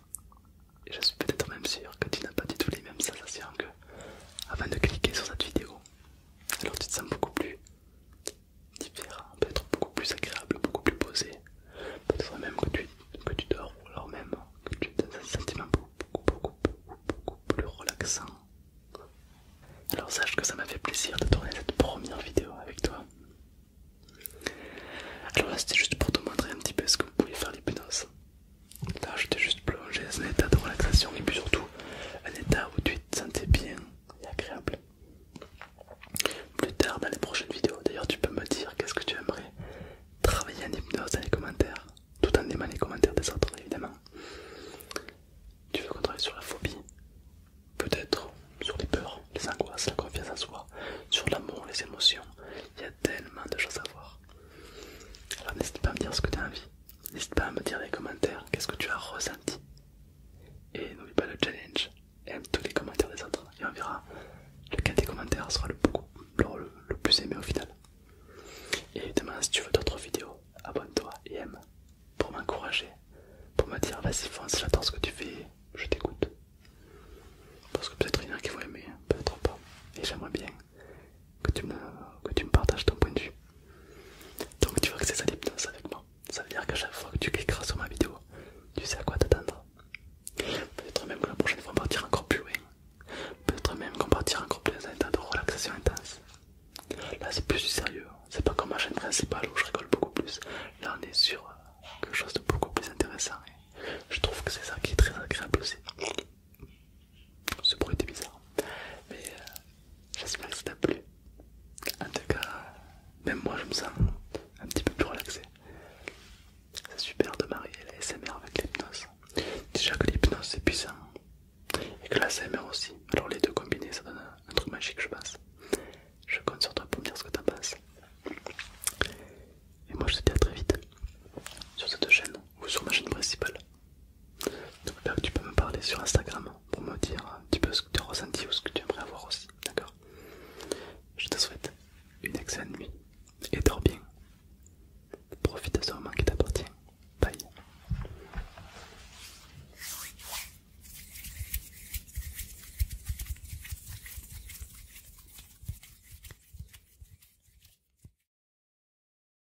et je suis peut-être même sûr que tu n'as pas du tout les mêmes sensations que avant de cliquer sur cette vidéo. Alors tu te sens beaucoup plus différent, peut-être beaucoup plus agréable, beaucoup plus posé. Peut-être même que tu, dors ou alors même que tu dans un sentiment beaucoup, plus relaxant. Alors sache que ça m'a fait plaisir de tourner cette première vidéo avec toi. Alors là c'était juste pour te montrer un petit peu ce que vous pouvez faire l'hypnose. Là, je t'ai juste plongé dans un état de relaxation et puis surtout un état où tu te sentais bien et agréable. Plus tard dans les prochaines vidéos, d'ailleurs, tu peux me dire qu'est-ce que tu aimerais travailler en hypnose dans les commentaires, tout en aimant les commentaires des autres, évidemment. Tu veux qu'on travaille sur la phobie, peut-être sur les peurs, les angoisses, la confiance en soi, sur l'amour, les émotions. Il y a tellement de choses à voir. Alors n'hésite pas à me dire ce que tu as envie. N'hésite pas à me dire dans les commentaires qu'est-ce que tu as ressenti. Et n'oublie pas le challenge. Aime tous les commentaires des autres. Et on verra lequel des commentaires sera le, le, plus aimé au final. Et demain, si tu veux d'autres vidéos, abonne-toi et aime pour m'encourager, pour me dire vas-y fonce, j'adore ce que tu fais, je t'écoute. Parce que peut-être il y en a qui vont aimer, peut-être pas. Et j'aimerais bien que tu, me, que tu me partages ton point de vue. Donc tu vois que c'est ça l'hypnose avec moi. Ça veut dire qu'à chaque fois que tu cliqueras sur ma vidéo, tu sais à quoi t'attendre. Peut-être même que la prochaine fois on partira encore plus loin. Peut-être même qu'on partira encore plus dans un état de relaxation intense. Là c'est plus du sérieux, hein. c'est pas comme ma chaîne principale où je rigole beaucoup plus. Là on est sur euh, quelque chose de beaucoup plus intéressant. Hein. je trouve que c'est ça qui est très agréable aussi. Ce bruit était bizarre. Mais euh, j'espère que ça t'a plu. En tout cas, même moi je me sens un petit peu plus relaxé. C'est super de marier la SMR avec l'hypnose. Déjà que l'hypnose c'est puissant. Et que la SMR aussi. Alors les deux combinés ça donne un truc magique je pense. Je compte sur toi pour me dire ce que t'en penses. Et moi je te dis à très vite sur cette chaîne ou sur ma chaîne principale. Donc que tu peux me parler sur Instagram pour me dire un petit peu ce que tu as ressenti ou ce que tu aimerais avoir aussi, d'accord Je te souhaite une excellente nuit et dors bien. Profite de ce moment qui t'appartient. Bye.